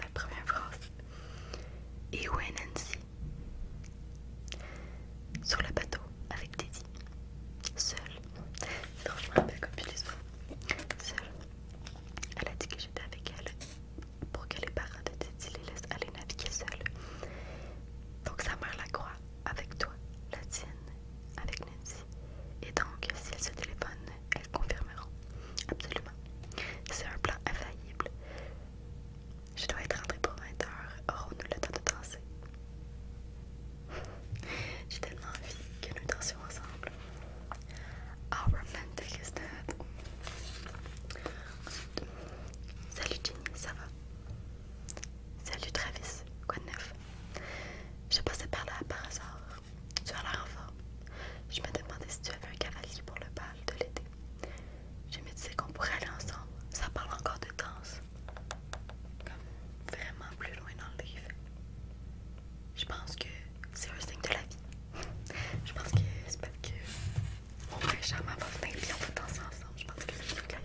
La première phrase. Et où est Nancy Sur le bateau avec Teddy. Seule. comme Seule. Elle a dit que j'étais avec elle pour que les parents de Teddy les laissent aller naviguer seuls. Donc sa mère la croit avec toi, la tienne, avec Nancy. Et donc, si elles se téléphonent, elles confirmeront. Absolument. C'est un plan infaillible. Je dois être rentrée pour 20 h Aurons-nous le temps de danser? J'ai tellement envie que nous dansions ensemble. Our Salut Ginny, ça va Salut Travis, quoi de neuf J'ai passé par là par hasard. Tu as l'air en forme. Je me demandais si tu avais un cavalier pour le bal de l'été. Je me disais qu'on pourrait aller ensemble. Ça parle encore de danse. Comme vraiment plus loin dans le livre. Je pense que c'est un signe de la vie. Je pense que c'est pas que on va on va danser Je pense que c'est ce qu'il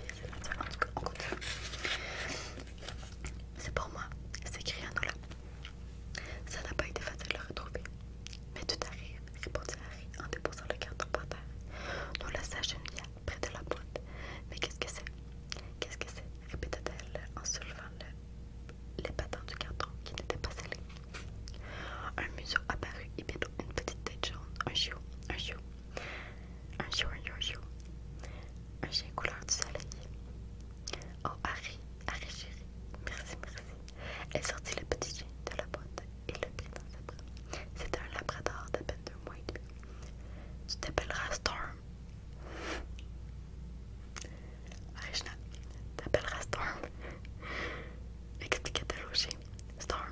En tout cas, C'est pour moi, c'est là. Ça n'a pas été facile de le retrouver. Mais tout arrive, répondit Harry en déposant le carton par terre. Nous une bien près de la boîte. Mais qu'est-ce que c'est Qu'est-ce que c'est répétait elle en soulevant les patins du carton qui n'étaient pas scellés. Un museau apparu et bientôt une petite tête jaune, un chou, un chou, un chou, un chou, un chou, un chien couleur du soleil. Oh Harry, Harry chérie, merci, merci. Elle sortit le petit chien de la boîte et le prit dans ses C'était un labrador d'à peine deux mois et demi. Tu t'appelleras Storm. tu t'appelleras Storm. Expliquait-elle au chien. Storm,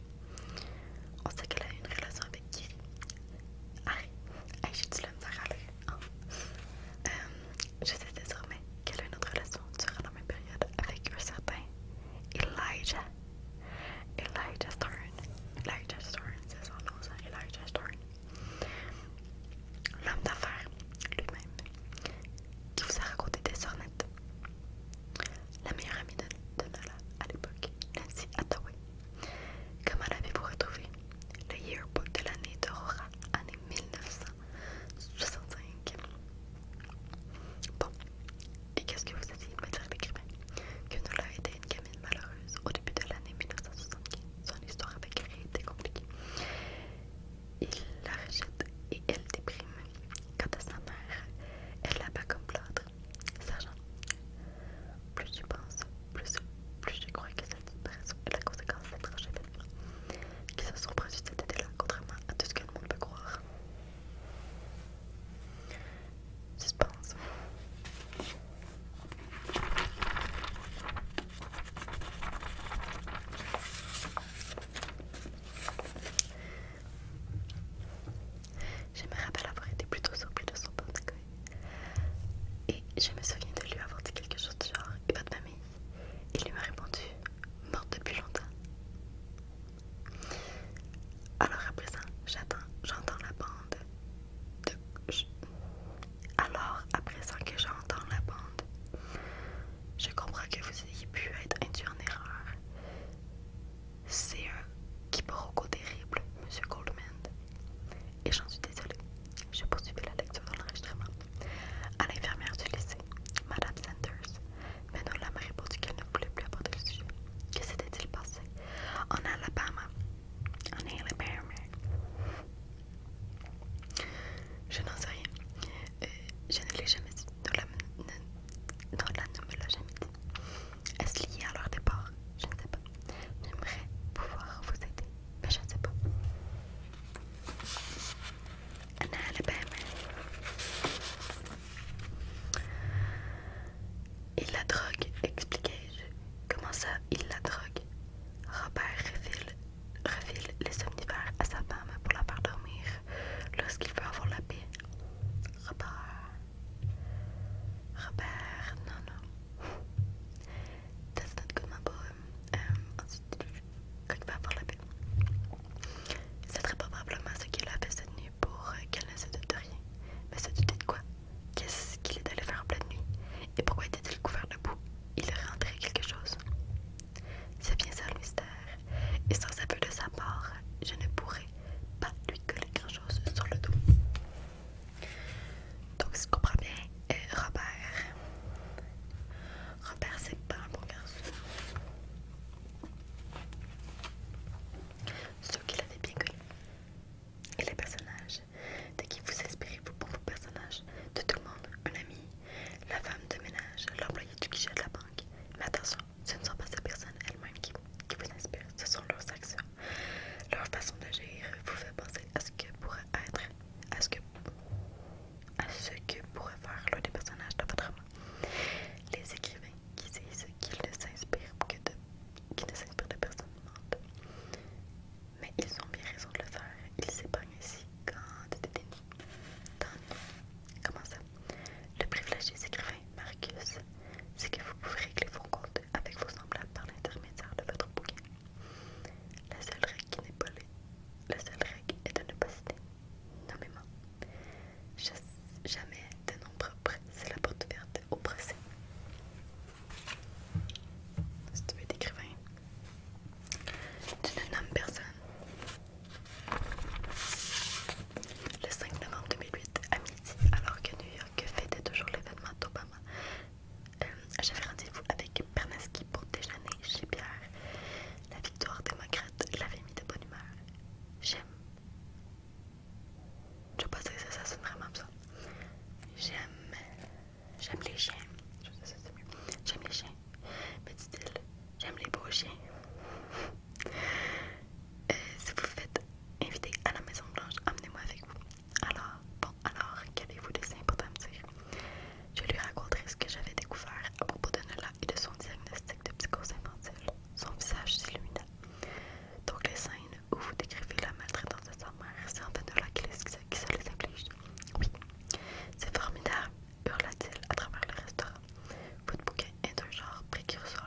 on sait qu'elle a une relation avec qui arrête j'ai dit me dire je sais désormais qu'elle a une autre relation durant la même période avec un certain Elijah. Elijah Stern. Elijah Stern, c'est son nom, ça. Elijah Stern. L'homme d'affaires lui-même qui vous a raconté des sornettes. La meilleure amie de, Nala à l'époque, Nancy Hathaway, Comment l'avez-vous retrouvé Le yearbook de l'année d'Aurora, année 1965. Bon, et qu'est-ce que vous avez de me dire, l'écrivain Que nous l'a été une gamine malheureuse au début de l'année 1975. Son histoire avec elle était compliquée. Il la rejette et elle déprime. Quant à sa mère, elle la bat comme l'autre Sergent, plus tu penses, plus, plus je crois que cette disparition est la conséquence d'être événements Qu'il se sont produits cet été-là, contrairement à tout ce que le monde peut croire. pense. Je me rappelle avoir été plutôt surpris de son porte Et je me souviens de lui avoir dit quelque chose du genre Et votre famille Il lui m'a répondu Morte depuis longtemps. Alors à présent, j'attends, j'entends la bande Alors à présent que j'entends la bande, je comprends que vous ayez pu être induit en erreur. C'est un quiproquo terrible, monsieur Goldman. Et j'en suis désolée. Je poursuivi la lecture dans l'enregistrement. À l'infirmière du lycée, Madame Sanders, Manola m'a répondu qu'elle ne voulait plus aborder le sujet. Que s'était-il passé en Alabama En Alabama Je n'en sais rien. Euh, je ne l'ai jamais dit. Nola, ne, ne me l'a jamais dit. Est-ce lié à leur départ Je ne sais pas. J'aimerais pouvoir vous aider, mais je ne sais pas. Il la drogue, expliquez je Comment ça, il la drogue Robert refile, les somnifères à sa femme pour la faire dormir lorsqu'il veut avoir la paix. Robert, Robert, non, non. ça Euh, um, ensuite, qu'il va avoir la paix. C'est très probablement ce qu'il a fait cette nuit pour qu'elle ne se doute de rien. Mais se douter de quoi Qu'est-ce qu'il est allé faire en pleine nuit Et pourquoi était-il couvert de boue Il aurait rentré quelque chose. C'est bien ça le mystère. Et sans peu de sa part, je ne pourrais pas lui coller grand-chose sur le dos. Donc, si je comprends bien, euh, Robert. Robert, c'est pas un bon garçon. Ceux qui l'avaient bien connu. Et les personnages de qui vous inspirez-vous pour vos personnages De tout le monde, un ami, la femme de ménage, l'employé du guichet de la banque. Mais attention, ce ne sont pas ces personnes elles-mêmes qui vous inspirent, ce sont leurs actions leur façon d'agir vous fait penser à ce que pourrait être, à ce que, à ce que pourrait faire l'un des personnages de votre roman. Les écrivains qui disent qu'ils ne s'inspirent que de, personne Mais ils ont bien raison de le faire. Ils s'épargnent ici quand déni. Tant Comment ça? Le privilège des écrivains, Marcus, c'est que vous pouvez régler vos comptes avec vos semblables par l'intermédiaire de votre bouquin. La seule règle qui n'est pas la seule règle est de ne pas citer moi, Jamais de nom propre, c'est la porte ouverte au procès. Si tu veux être écrivain, tu ne nommes personne. Le 5 novembre 2008, à midi, alors que New York que fêtait toujours l'événement d'Obama. Euh, j'avais rendez-vous avec Berneski pour déjeuner chez Pierre. La victoire démocrate l'avait mis de bonne humeur. J'aime. Je sais pas si ça, sonne vraiment ça. J'aime. J'aime les chiens. J'aime les chiens. Petit dit-il, j'aime les beaux chiens. Euh, si vous faites inviter à la Maison Blanche, emmenez-moi avec vous. Alors, bon, alors, qu'avez-vous dessin pour me dire? Je lui raconterai ce que j'avais découvert à propos de Nola et de son diagnostic de psychose infantile. Son visage s'illumina. Donc les scènes où vous décrivez la maltraitance de sa mère, c'est en fait Nola qui, qui se les inflige. Oui. C'est formidable, hurla-t-il à travers le restaurant. Votre bouquin est un genre précurseur.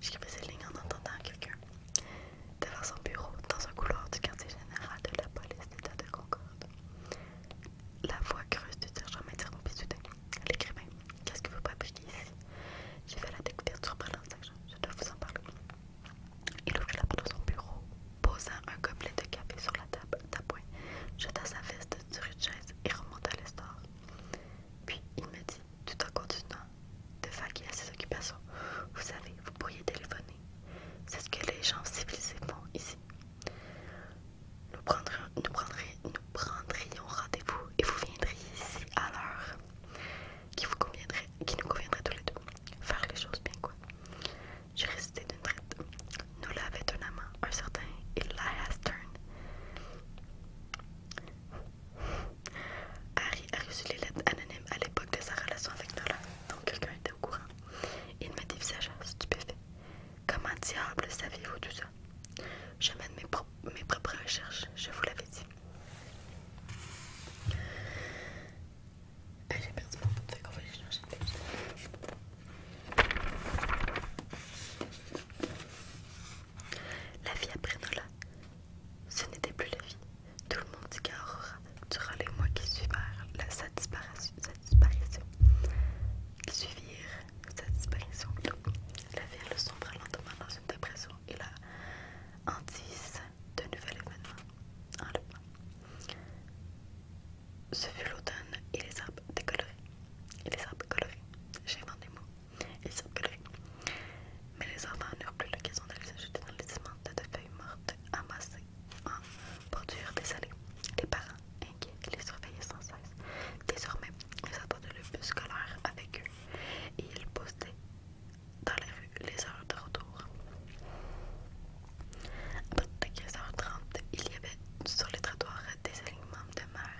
J'écris Rouge. ces lignes en entendant quelqu'un devant son bureau dans un couloir du quartier général de la police d'État de Concorde. La voix creuse du sergent m'interrompit soudain. L'écrivain, qu'est-ce que vous publier ici J'ai fait la découverte surprenante, sergent. Je dois vous en parler. Il ouvrit la porte de son bureau, posant un gobelet de café sur la table d'appoint, jeta sa veste sur une chaise et remonta l'histoire Puis il me dit tout en continuant de y à ses occupations. Vous savez, vous pourriez téléphoner. C'est ce que les gens civilisés font ici. Nous prendrions, nous prendrions, nous prendrions rendez-vous et vous viendriez ici à l'heure qui vous conviendrait, qui nous conviendrait tous les deux. Faire les choses bien, quoi. J'ai récité d'une traite. Nous l'avait un amant, un certain Elias Turn. Harry a reçu les lettres anonymes à l'époque de sa relation avec Nola, donc quelqu'un était au courant. Il m'a dit visage stupéfait. Comment diable saviez-vous tout ça Je mène mes, propres recherches, je vous l'avais dit. Ah, j'ai perdu mon la vie après Nola. Ce n'était plus la vie. Tout le monde dit qu'à durant les mois qui suivirent la, sa, disparition, disparition, qui suivirent disparition, la ville sombra lentement dans une dépression et la hantise d'un nouvel événement. Ce fut l'automne et les arbres décolorés. les arbres J'invente des mots. Ils circulaient. Mais les enfants n'eurent plus l'occasion d'aller jeter dans les immenses de feuilles mortes amassées en bordure allées Les parents, inquiets, les surveillaient sans cesse. Désormais, ils attendaient le bus scolaire avec eux et ils postaient dans la rue les heures de retour. À partir de 15h30, il y avait sur les trottoirs des alignements de mer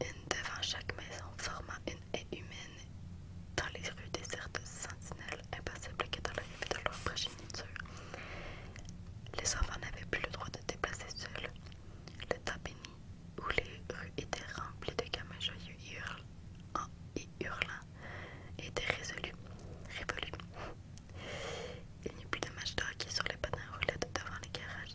une devant chaque maison, formant une haie humaine dans les rues désertes, sentinelles impassibles que dans la de leur progéniture. Les enfants n'avaient plus le droit de déplacer seuls. Le temps béni, où les rues étaient remplies de gamins joyeux et, était résolu, révolu. Il n'y eut plus de match de hockey sur les panneaux roulés devant les garages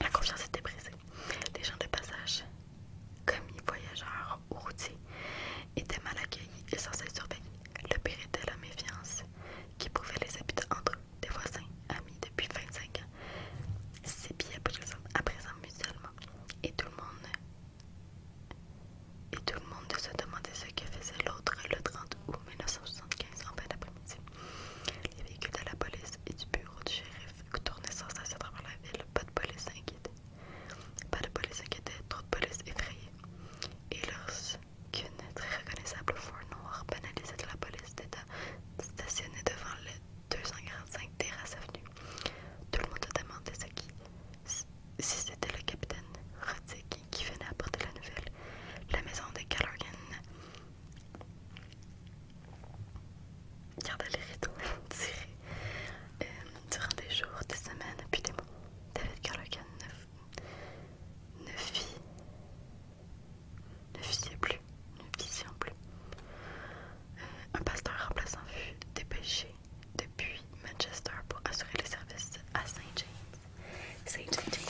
la confiance était brisée. Les gens de passage, commis, voyageurs ou routiers, étaient mal accueillis et censés surveiller. Le pire était la méfiance qui pouvait les habiter entre des voisins, amis depuis 25 ans, présent, à présent mutuellement. Et tout le monde et tout le monde se demandait ce que faisait l'autre le 30 août 1975 en fin d'après-midi les véhicules de la police et du bureau du shérif tournaient sans cesse à travers la ville. Pas de police inquiétée, Pas de police trop de police effrayée. Et lorsqu'une très reconnaissable fourre noire banalisée de la police d'État stationnée devant le 245 Terrasse Avenue, tout le monde se demandait ce qui, si c'était le capitaine Roddick qui venait apporter la nouvelle. La maison des Callaghan Regardez les rideaux tirés euh, durant des jours, des semaines, puis des mois. David Carlocan ne, vit, fit. ne visait plus, ne vision plus. Euh, un pasteur remplaçant fut dépêché depuis Manchester pour assurer les services à Saint James. Saint James.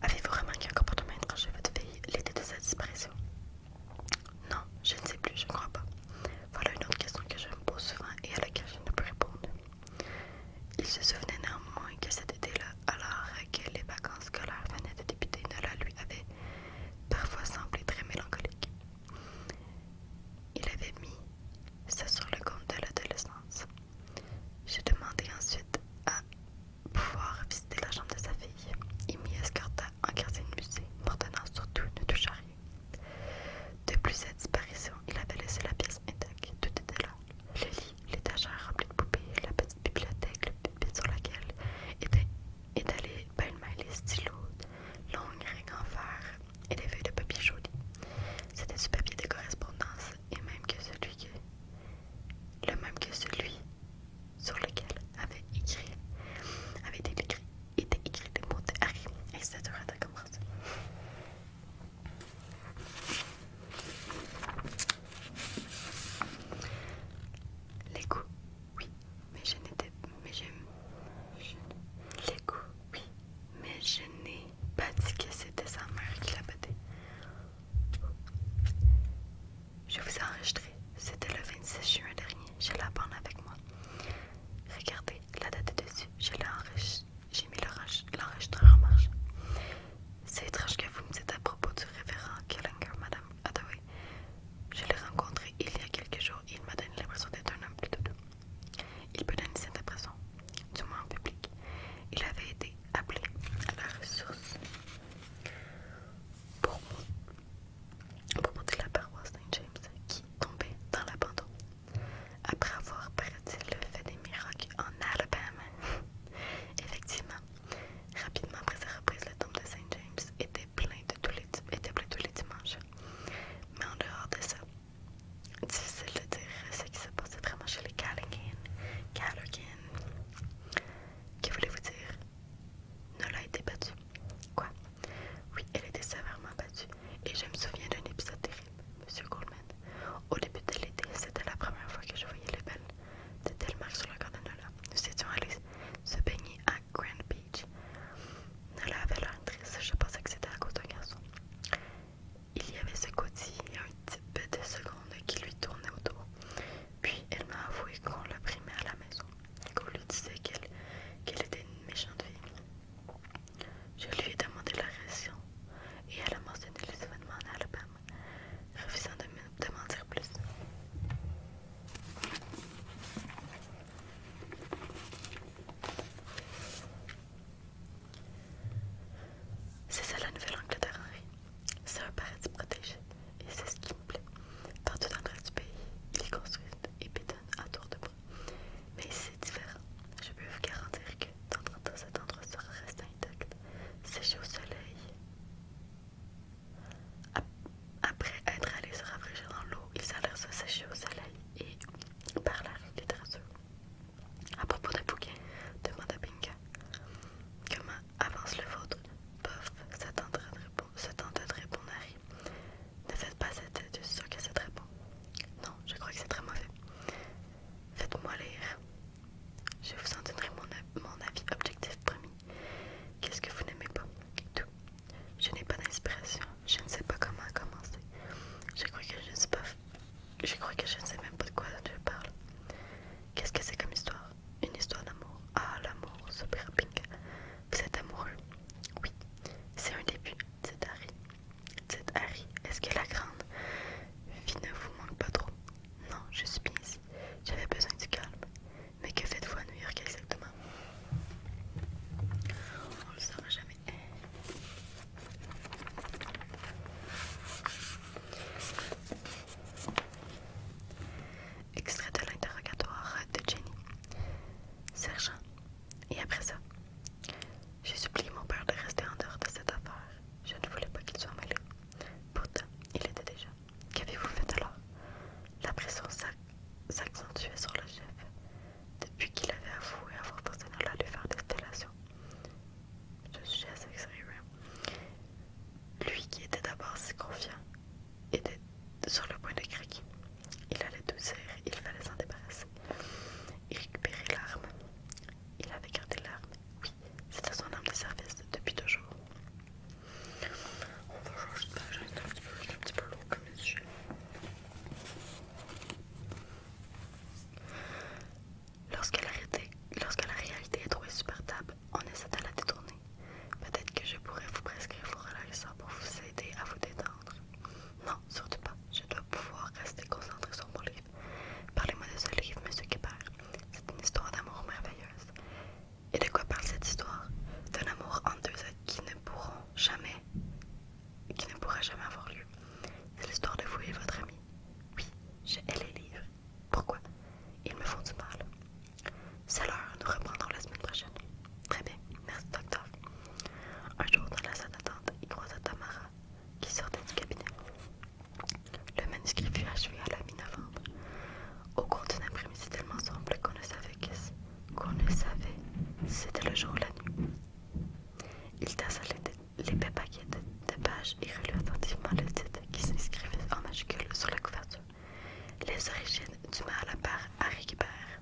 Avez-vous remarqué un comportement étranger votre fille l'été de sa disparition Non, je ne sais plus, je ne crois pas. Voilà une autre question que je me pose souvent et à laquelle je ne peux répondre. Il se souvenait néanmoins que cet été-là, alors que les vacances scolaires venaient de débuter, la lui avait parfois semblait très mélancolique. Il avait mis ça sur le compte de l'adolescence. J'ai demandé ensuite à pouvoir visiter la chambre de sa fille Il m'y escorta en quartier de musée, m'ordonnant surtout ne touche à rien. Depuis cette disparition, il avait laissé la pièce intacte, tout était là. Le lit, l'étagère remplie de poupées, la petite bibliothèque, sur laquelle était étalée pêle les stylos, longues règles en fer et des feuilles de papier joli. C'était du papier de correspondance et même que celui que, le même que celui sur lequel avait écrit, avait été écrit, était écrit des mots de Harry. Et les coups, oui, mais je n'étais mais je n'ai pas dit que c'était sa mère qui l'a battu. Je vous ai enregistré. C'était le 26 juin dernier. Je la bande avec moi. Regardez, la date est dessus. J'ai mis l'enregistreur en marche. C'est étrange que vous me dites à propos du révérend Killinger, madame. Ah, oui. Je l'ai rencontré il y a quelques jours il m'a donné l'impression d'être un homme plutôt doux. Il peut donner cette impression, du moins en public. Il avait été appelé à la ressource pour, monter la paroisse Saint-James qui tombait dans l'abandon. Après avoir, paraît le fait des miracles en Alabama. Effectivement, Rapidement après sa reprise, le tombe de Saint James était plein, de tous les, dimanches. Mais en dehors de ça, difficile de dire ce qui se passait vraiment chez les Callaghan. Callaghan. Que voulez-vous dire? Nola a été battue. Quoi? Oui, elle a été sévèrement battue. Et je me souviens d'un épisode terrible, Monsieur Goldman. Au début de l'été, c'était la première fois que je voyais les belles. C'était le Telmark sur la Cardanola. Nous étions allés se baigner à Grand Beach. Nola avait l'air triste, je pensais que c'était à cause d'un garçon. Il y avait ce côté et un type de seconde qui lui tournait autour. Puis elle m'a avoué qu'on la primaire à la maison, qu'on lui disait qu'elle était une méchante fille. Je lui ai demandé la raison et elle a mentionné les événements en album, refusant de, de m'en plus. C'est ça la Nouvelle-Angleterre, Henri. C'est un paradis protégé et c'est ce qui me plaît. Partout dans le reste du pays, il est construit et pédonne à tour de bras. Mais ici, c'est différent. Je peux vous garantir que dans cet endroit sera resté intact, séché au soleil après être allé se rafraîchir dans l'eau, ils allèrent se sécher au soleil et parlèrent littérature. À propos de bouquet, demanda Pinka. Comment avance le vôtre Bof, se tenta de répondre Harry. Ne faites pas cette tête, je que c'est très bon. Non, je crois que c'est très mauvais. Faites-moi lire. Je vous en donnerai mon avis objectif premier. Qu'est-ce que vous n'aimez pas Tout. Je n'ai pas d'inspiration. Je ne sais pas comment commencer. Je crois que je ne sais Je crois que je ne sais même pas de quoi je parle. Qu'est-ce que c'est comme histoire Une histoire d'amour. Ah, l'amour, super pink. Vous êtes amoureux Oui. C'est un début. C'est Harry. C'est Harry. Est-ce que la grande vie ne vous manque pas trop Non, je suis bien ici. J'avais besoin du calme. Mais que faites-vous à New York exactement On le saura jamais. Extrait de l'interrogatoire de Jenny. Sergent. Et après ça, j'ai supplié mon père de rester en dehors de cette affaire. Je ne voulais pas qu'il soit mêlé. Pourtant, il était déjà. Qu'avez-vous fait alors La pression s'accentuait sur le chef, depuis qu'il avait avoué avoir personnellement à lui faire destillation. Ce sujet assez sérieux. Lui qui était d'abord si confiant était sur le point de craquer. Il allait tout il fallait s'en débarrasser. Il récupérait l'arme. Il avait gardé l'arme. Oui, c'était son arme de service depuis deux jours. On va changer de page, Lorsque la, réalité, lorsque la réalité est trop insupportable, on essaie de la détourner. Peut-être que je pourrais vous prescrire vos relaxants pour vous aider à vous détendre. Non, surtout pas. Je dois pouvoir rester concentrée sur mon livre. Parlez-moi de ce livre, Monsieur Kipper. C'est une histoire d'amour merveilleuse. Et de quoi parle cette histoire D'un amour en deux êtres qui ne pourront jamais, qui ne pourra jamais avoir lieu. C'est l'histoire de vous et votre ami. Oui, je hais les livres. Pourquoi Ils me font du mal. C'est l'heure, nous reprendrons la semaine prochaine. Très bien, merci docteur. Un jour, dans la salle d'attente, il croisa Tamara qui sortait du cabinet. Le manuscrit fut achevé à la mi-novembre. Au cours d'une après-midi tellement sombre qu'on ne savait qu'est-ce qu'on ne savait, c'était le jour ou la nuit. Il tassa les paquet de, de pages et relut attentivement le titre qui s'inscrivait en majuscule sur la couverture. Les origines du mal part Harry Guibert.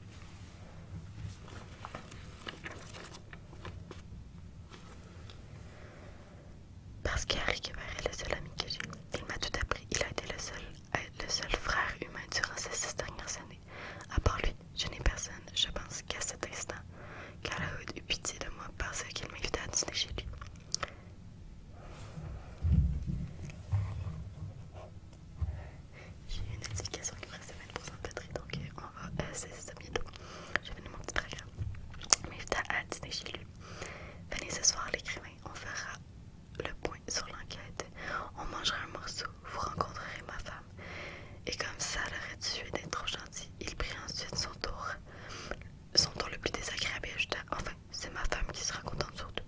Parce qu'Harry Guibert est le seul ami que j'ai. Il m'a tout appris. Il a été le seul être le seul frère humain durant ces six dernières années. À part lui, je n'ai personne, je pense qu'à cet instant, Calahoud eut pitié de moi parce qu'il m'invitait à dîner chez lui. J'ai une notification qui me reste 20% de être donc euh, on va essayer euh, ça bientôt. vais vais mon petit programme. Il m'invita à dîner chez lui. Venez ce soir, l'écrivain on fera le point sur l'enquête. On mangera un morceau, vous rencontrerez ma femme. Et comme ça l'aurait tué d'être trop gentil, il prit ensuite son tour. Son tour le plus désagréable Enfin, c'est ma femme qui sera contente surtout.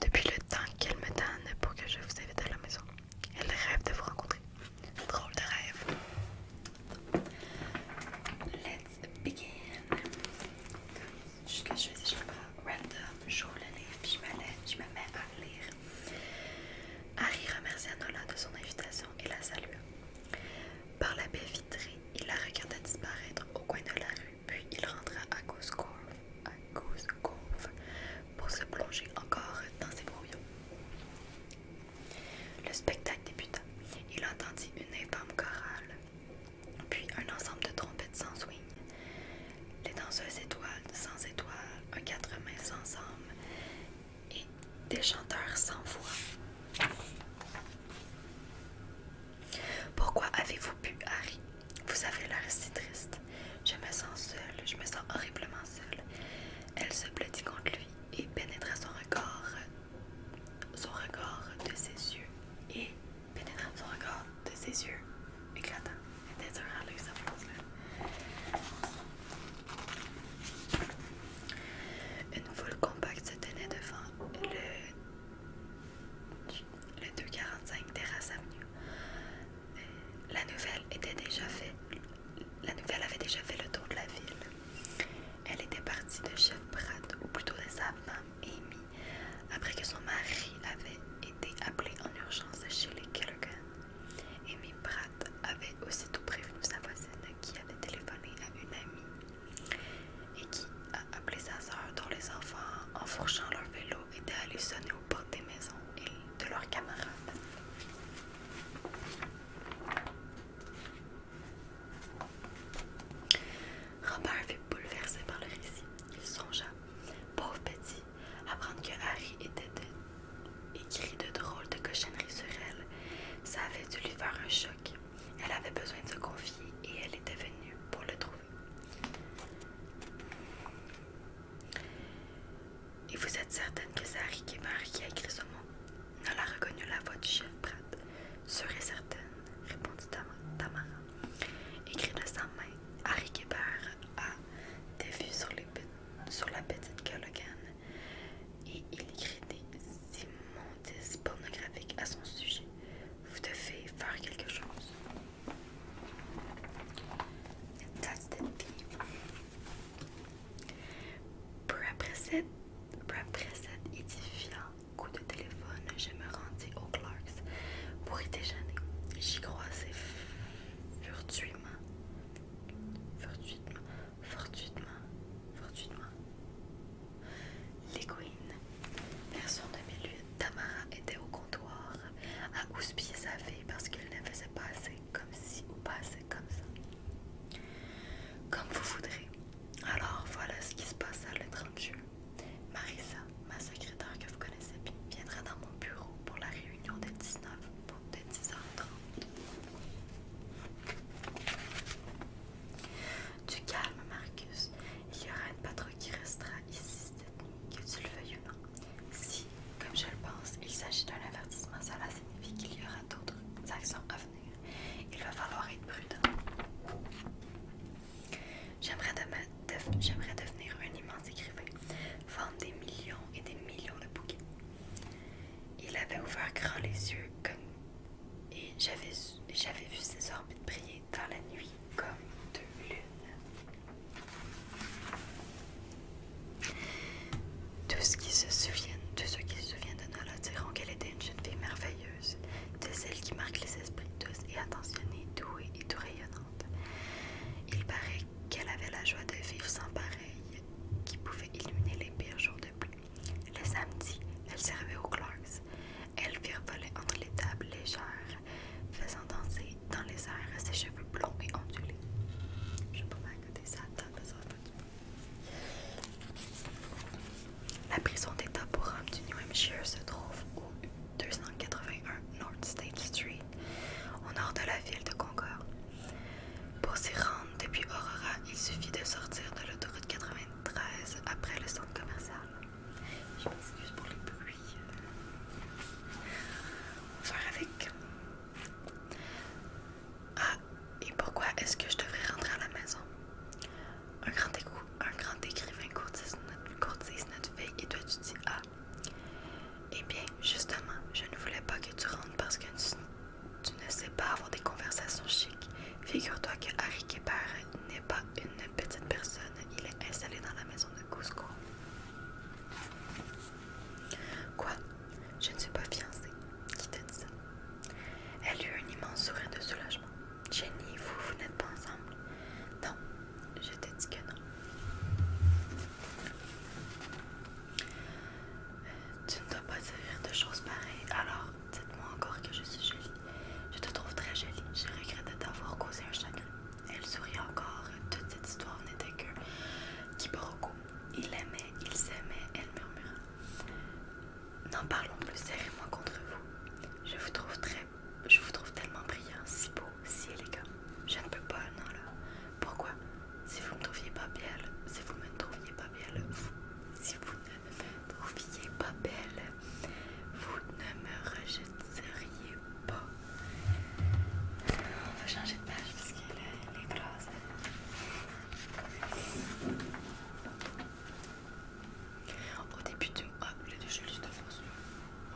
Depuis le temps qu'elle me donne pour que je vous invite à la maison, elle rêve de vous rencontrer. Drôle de rêve. deux let's begin. je ne sais pas, je le livre, puis je me, je me mets à lire. Harry remercia Nola de son invitation et la salua. Par la baie vitrée, il la regarda disparaître au coin de la rue, puis il rentra à Goose Cove, à Goose pour se plonger encore dans ses brouillons. Le spectacle débuta. Il entendit une infâme chorale puis un ensemble de trompettes sans swing. Les danseuses étoiles sans étoiles, un quatre mains sans âme et des chanteurs sans voix. Pourquoi avez-vous pu, Harry Vous avez l'air si triste. Je me sens seule, je me sens horriblement seule. Elle se blottit contre lui et pénétra son regard, son regard de ses yeux et pénétrant son de ses yeux éclatants. C'était à Une foule compacte se tenait devant le, 245 Terrasse Avenue. La nouvelle, était déjà fait, la nouvelle avait déjà fait le tour de la ville. Elle était partie de Chef Pratt, ou plutôt de sa femme, Amy après que son mari avait été appelé en urgence chez les Kelloggan. Amy Pratt avait aussitôt prévenu sa voisine qui avait téléphoné à une amie et qui a appelé sa sœur dont les enfants, en fourchant leur vélo, étaient allés sonner aux portes des maisons et de leurs camarades. Robert fut bouleversé par le récit. Il songea, pauvre petit, apprendre que Harry était écrit de drôles de cochonneries sur elle. Ça avait dû lui faire un choc. Elle avait besoin de se confier et elle était venue pour le trouver. Et vous êtes certaine que c'est Harry qui a écrit ce mot Nola reconnut la voix du chef Pratt. Sûre et certaine, répondit Tamara. Écrit de sa main, Harry Guébert a des vues sur, les, sur la petite Callaghan et il écrit des immondices pornographiques à son sujet. Vous devez faire quelque chose. That's the thief. édifiant coup de téléphone, je me rendis au Clarks pour y déjeuner. J'y croisais furtuitement, fortuitement, fortuitement, fortuitement. Les de version milieu Tamara était au comptoir à houspiller sa fille parce qu'elle ne faisait pas assez comme si ou pas assez comme ça. Comme vous voudrez. Alors voilà ce qui se à le 30 juin. Marissa, ma secrétaire que vous connaissez bien, viendra dans mon bureau pour la réunion de 19 pour de 10h30. Du calme, Marcus. Il y aura une patrouille qui restera ici cette nuit, que tu le veuilles ou non. Si, comme je le pense, il s'agit d'un avertissement, cela signifie qu'il y aura d'autres actions à venir. Il va falloir être prudent. J'aimerais devenir un immense écrivain, vendre des millions et des millions de bouquins. Il avait ouvert grand les yeux comme, et j'avais vu ses orbites briller dans la nuit comme deux lunes. Tous, ceux qui se souviennent, de ce qui se souviennent de Nola diront qu'elle était une jeune fille merveilleuse, de celle qui marque les esprits tous et attentionnée, douée et tout il paraît qu'elle avait la joie de vivre sans pareil, qui pouvait illuminer les pires jours de pluie. Les samedi, elle servait aux Clarks. Elle virevolait entre les tables légères, faisant danser dans les airs ses cheveux blonds et ondulés. Je peux pas ça, La prison d'État pour hommes du New Hampshire se trouve au 281 North State Street, au nord de la ville de Concord. Pour s'y rendre depuis Aurora, il suffit de sortir de l'autoroute 93 après le centre commercial. Je m'excuse pour les bruits. On avec. Ah, et pourquoi est-ce que je devrais rentrer à la maison? Un grand écoute un grand écrivain courtise notre, fille et toi tu dis Ah Eh bien, justement, je ne voulais pas que tu rentres parce que tu, ne sais pas avoir des conversations chic. Figure-toi que Harry Kepper n'est pas une petite personne, il est installé dans la maison de Cusco. Quoi Je ne suis pas fiancée. Qui t'a dit ça Elle eut un immense sourire de soulagement. Jenny, vous, vous n'êtes pas ensemble Non, je te dis que non. Euh, tu ne dois pas dire de choses pareilles, alors dites-moi encore que je suis jolie. Je te trouve très jolie, je regrette de t'avoir causé un chagrin. Elle sourit encore, toute cette histoire n'était que quiproquo. Il aimait, il s'aimait, elle murmura. N'en parlons plus, serrez-moi contre vous. Je vous trouve très je vous trouve tellement brillant, si beau, si élégant. Je ne peux pas, non là. Pourquoi Si vous ne trouviez pas belle, si vous ne me trouviez pas belle, si vous ne me trouviez pas belle, vous ne me rejetteriez pas. On va changer de page parce qu'elle est, grosse. Au début du... Ah, de déjà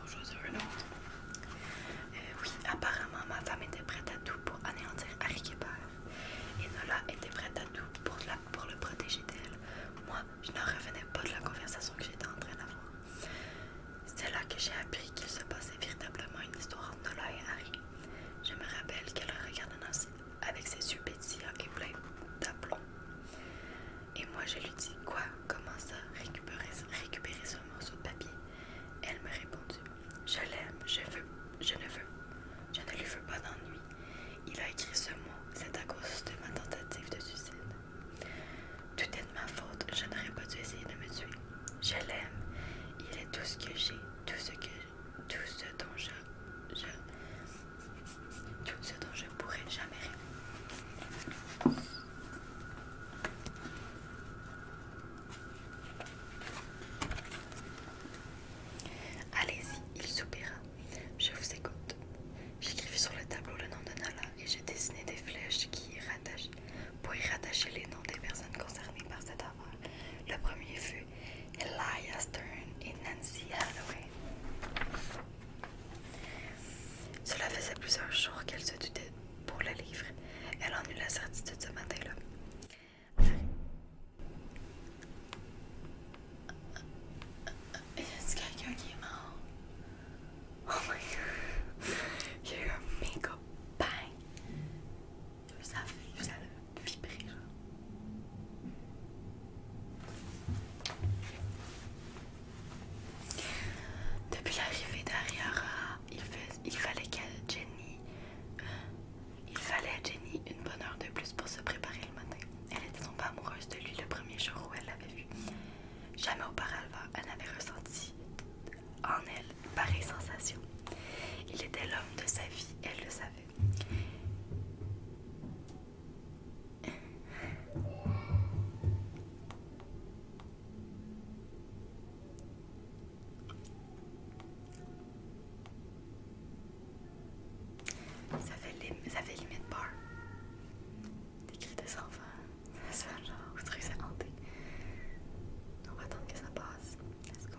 Bonjour, c'est euh, oui, apparemment, ma femme était prête à tout pour anéantir Harry Et Nola était prête à tout pour, pour le protéger d'elle. Moi, je n'en revenais pas de la conversation que j'étais en train d'avoir. C'est là que j'ai appris qu'il se passait véritablement une histoire entre Nola et Harry. Je me rappelle qu'elle regardait Nancy avec ses yeux pétillants et pleins d'aplomb. Et moi je lui dis Quoi Comment ça récupérer, récupérer ce morceau de papier Elle me répondu « Je l'aime, je veux, je ne veux, je ne lui veux pas d'ennui. Il a écrit ce mot, c'est à cause de ma tentative de suicide. Tout est de ma faute, je n'aurais pas dû essayer de me tuer. Je l'aime, il est tout ce que j'ai, tout ce que tout ce dont je, tout ce dont je pourrais jamais rêver. Allez-y, il soupira. Je vous écoute. J'écrivis sur le tableau le nom de Nala et j'ai dessiné des flèches qui pour y rattacher les noms des personnes concernées par cet affaire. Le premier fut Elias Stern et Nancy Holloway. Cela faisait plusieurs jours qu'elle se doutait pour le livre. Elle en eut la certitude ce matin-là. Y a quelqu'un qui est mort? Oh my god! Il y a eu un méga bang! Ça fait vibré, depuis l'arrivée d'Ariara, il, fallait Jenny, euh, il fallait à Jenny une bonne heure de plus pour se préparer le matin. Elle était tombée amoureuse de lui le premier jour où elle l'avait vu. Jamais auparavant, elle n'avait ressenti en elle pareille sensation. Il était l'homme de sa vie, elle le savait. Ça fait, les, ça fait limite peur. Des cris sang enfants. Ça fait genre, vous trouvez ça hanté. On va attendre que ça passe. Let's go.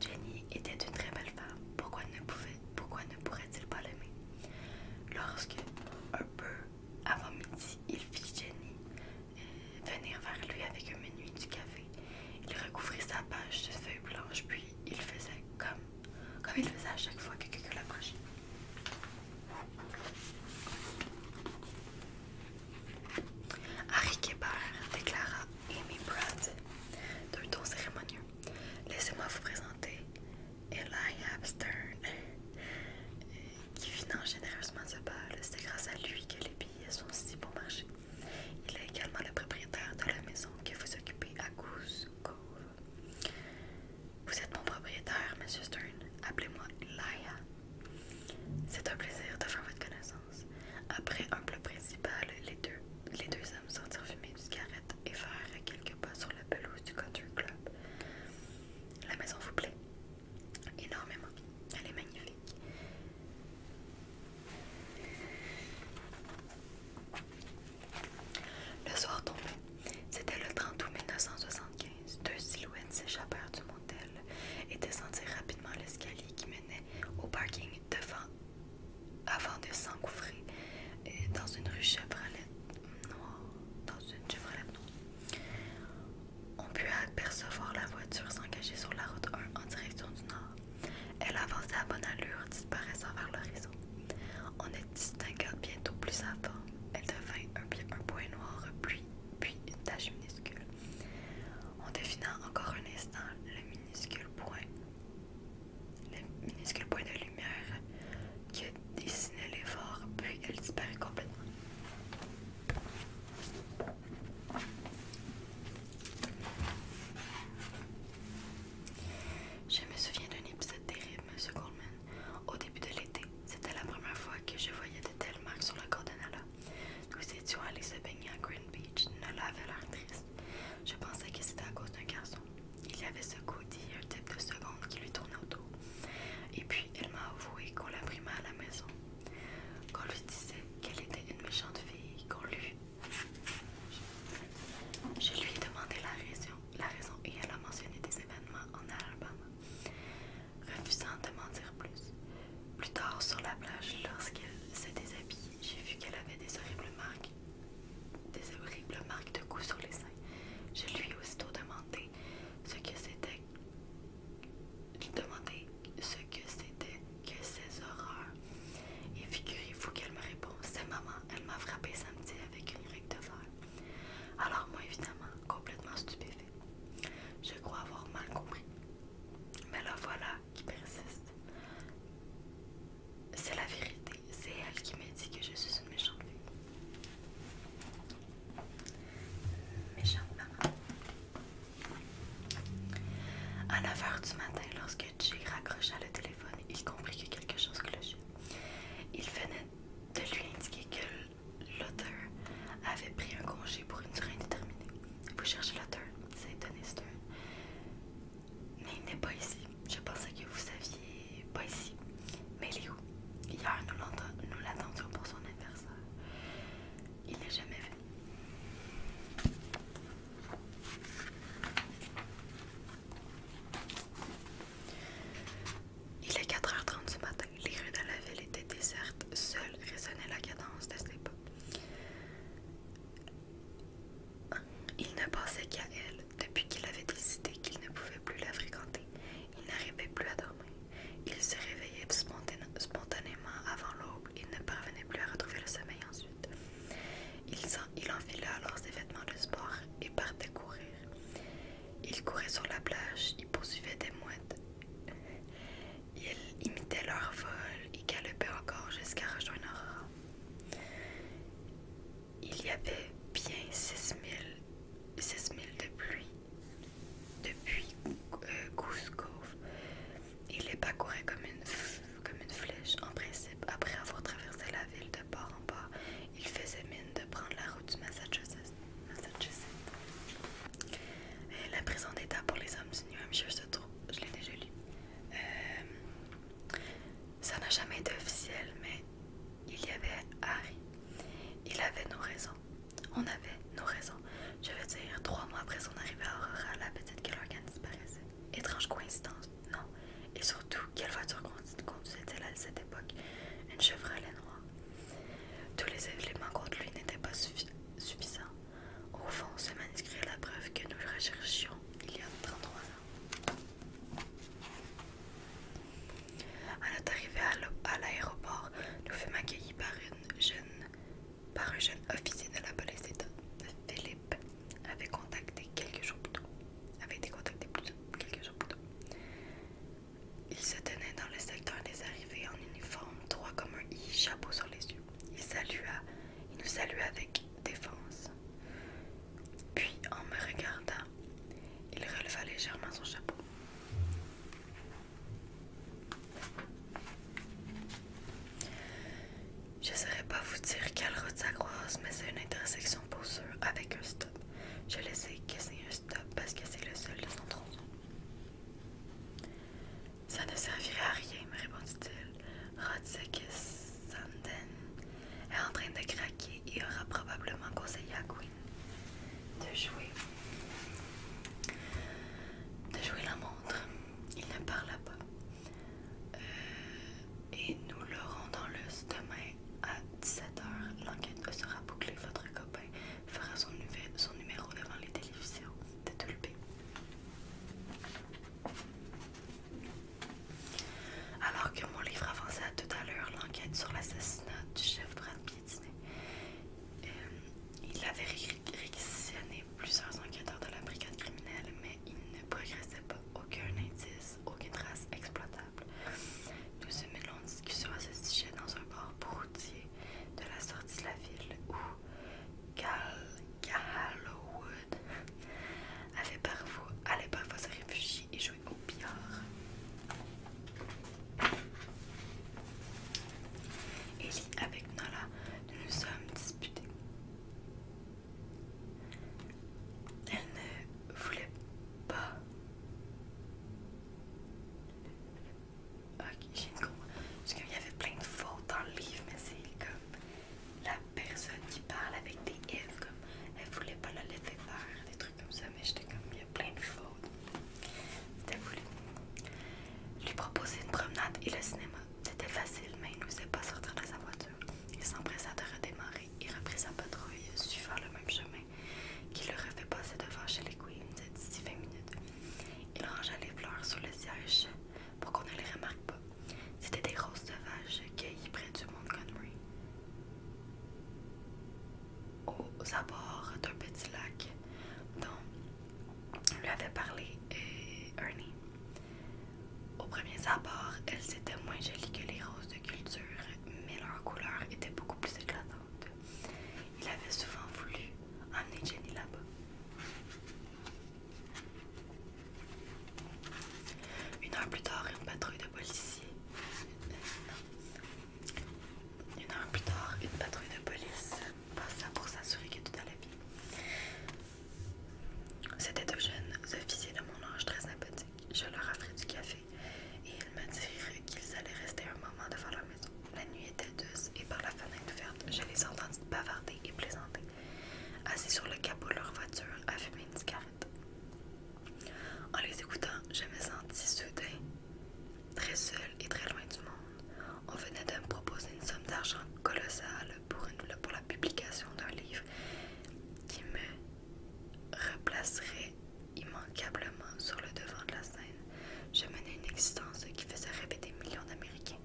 Jenny était une très belle femme, pourquoi ne, pouvait, pourquoi ne pourrait-il pas l'aimer Lorsque, un peu avant midi, il fit Jenny euh, venir vers lui avec un menu du café, il recouvrit sa page de feuilles blanches, puis il faisait comme, comme il faisait à chaque fois que quelqu'un l'approchait. Harry Kébert déclara Amy Pratt d'un ton cérémonieux. Laissez-moi vous présenter Eli Stern, qui finance généreusement ce bal. C'est grâce à lui que les billets sont si bon marché. Il est également le propriétaire de la maison que vous occupez à Goose Cove. Vous êtes mon propriétaire, Monsieur Stern. Appelez-moi Eliab. C'est un plaisir de faire votre connaissance. Après un plat principal, les deux, les deux hommes sortirent fumer du cigarette et faire quelques pas sur la pelouse du country club. La maison vous plaît énormément. Elle est magnifique. Le soir tombait. C'était le 30 août 1975. Deux silhouettes s'échappèrent du monde et descendir rapidement l'escalier qui menait au parking devant avant de s'engouffrer euh, dans une rue Chevrolet noire. Dans une On put apercevoir la voiture s'engager sur la route 1 en direction du nord. Elle avançait à bonne allure, disparaissant vers le réseau. On ne distingua bientôt plus avant. Elle devint un, point noir, puis, puis une tache minuscule en définant encore un instant le minuscule point, le minuscule point de lumière qui dessinait l'effort, puis elle disparaît complètement. Je me souviens d'un épisode terrible, Monsieur Goldman. Au début de l'été, c'était la première fois que je voyais de telles marques sur la corps nous étions allés se baigner à Green Beach, Nola avait l'air triste. Je pensais que c'était à cause d'un garçon. Il y avait ce Cody, un type de seconde qui lui tournait autour. Et puis, elle m'a avoué qu'on l'a pris mal à la maison. Qu'on lui disait qu'elle était une méchante fille, qu'on lui... Je lui ai demandé la raison, la raison et elle a mentionné des événements en Alabama, refusant de m'en dire plus. Plus tard, sur la plage, lorsqu'elle s'est déshabillée, j'ai vu qu'elle avait des horribles marques, des horribles marques de coups sur les seins. Je lui ai aussitôt demandé ce que c'était. demandé ce que c'était que ces horreurs. Et figurez-vous qu'elle me répond C'est maman, elle m'a frappé samedi avec une règle de fer. Alors, moi, évidemment, complètement stupéfait. Je crois avoir mal compris. Mais là, voilà qui persiste. C'est la vérité, c'est elle qui m'a dit que je suis une méchante fille. Méchante maman. À 9h du matin, lorsque Jay raccrocha le téléphone, il comprit que quelque chose clochait. Il venait de lui indiquer que l'auteur avait pris un congé pour une durée indéterminée. Vous cherchez le turn, c'est Turn. Mais il n'est pas ici. Je pensais que vous saviez pas ici. Mais il est où? Hier, nous l'attendions pour son anniversaire. Il n'est jamais venu. Il est 4h30 du matin. Les rues de la ville étaient désertes. Seul résonnait la cadence de ses il ne pensait qu'à elle depuis qu'il avait décidé qu'il ne pouvait plus la fréquenter. Il n'arrivait plus à dormir. Il se réveillait spontanément avant l'aube Il ne parvenait plus à retrouver le sommeil ensuite. Il, il enfila alors ses vêtements de sport et partait courir. Il courait sur la plage, il poursuivait des mouettes. Ils imitaient leur vol et galopait encore jusqu'à rejoindre Il y avait bien 6000 de pluie depuis Goose Cove. Il les pas comme une, comme une flèche. En principe, après avoir traversé la ville de bord en bord, ils faisaient mine de prendre la route du Massachusetts. Euh, la prison d'État pour les hommes du New Hampshire se trouve je l'ai déjà lu. Euh, ça n'a jamais été officiel, mais il y avait Harry. Il avait nos raisons. On avait nos raisons. Je veux dire, trois mois après son arrivée à Aurora, la petite Kelloggan disparaissait. Étrange coïncidence, non. Et surtout, quelle voiture conduisait-elle à cette époque Une Chevrolet noire. Tous les éléments contre lui n'étaient pas suffisants. Au fond, ce manuscrit est la preuve que nous recherchions il y a 33 ans. À notre arrivée à l'aéroport, nous fûmes accueillis par, une jeune, par un jeune officier de la police d'État. Philippe avait contacté quelques jours plus tôt. Avait été contacté plus tôt, quelques jours plus tôt. Il se tenait dans le secteur des arrivées en uniforme, droit comme un i, chapeau sur les yeux. Il salua, il nous salua avec défense. Puis, en me regardant, il releva légèrement son chapeau. Je ne saurais pas vous dire quelle route ça croise, mais c'est une intersection pour ceux avec un stop. Je le sais que c'est un stop parce que c'est le seul de son tronçon. Ça ne servirait à rien, me répondit-il. Rodzick Sanden est en train de craquer et aura probablement conseillé à Queen de jouer. De jouer la montre. Il ne parla pas. Euh, et nous l'aurons dans le demain à 17h. L'enquête sera bouclée. Votre copain fera son, numéro devant les télévisions de Tulpé. Alors que mon livre avançait à l'heure l'enquête sur l'assassinat du chef Brad euh, il avait réquisitionné plusieurs enquêteurs de la brigade criminelle, mais il ne progressait pas aucun indice, aucune trace exploitable. Nous eûmes une qui discussion à ce sujet dans un port routier de la sortie de la ville où Callowwood avait parfois, allait parfois se réfugier et jouer au billard. Ellie, avec Nala, nous nous sommes disputés. Elle ne voulait pas Ok, j'ai con, Parce qu'il y avait plein de fautes dans le livre, mais c'est comme la personne qui parle avec des F, comme elle voulait pas le laisser faire, des trucs comme ça, mais j'étais comme, il y a plein de fautes. C'était voulu. Lui proposer une promenade et le cinéma. C'était facile, mais il faisait pas sortir de sa voiture. Il s'empressa de redémarrer et reprit sa patrouille, suivant le même chemin qui le refait passer devant chez les Queens d'ici 20 minutes. Il rangea les fleurs sur le siège pour qu'on ne les remarque pas. C'était des roses sauvages cueillies près du Montgomery, aux abords d'un petit lac dont lui avait parlé et euh, Ernie. Aux premiers abords, elles étaient moins jolies que les roses de culture, mais leur couleur était beaucoup plus éclatante. Il avait souvent voulu emmener Jenny là-bas. Une heure plus tard, une patrouille de policiers. Une heure plus tard, une patrouille de police passa pour s'assurer que tout allait bien. C'était deux jeunes officiers de mon âge très sympathiques. Je leur offrais du café et ils me dirent qu'ils allaient rester un moment devant leur maison. La nuit était douce et par la fenêtre ouverte, je les entendis bavarder et plaisanter assis sur le capot de leur voiture à fumer une cigarette. En les écoutant, je me sentis soudain très seule et très loin du monde. On venait de me proposer une somme d'argent colossale pour, la publication d'un livre qui me replacerait immanquablement sur le devant de la scène. Je menais une existence qui faisait rêver des millions d'Américains.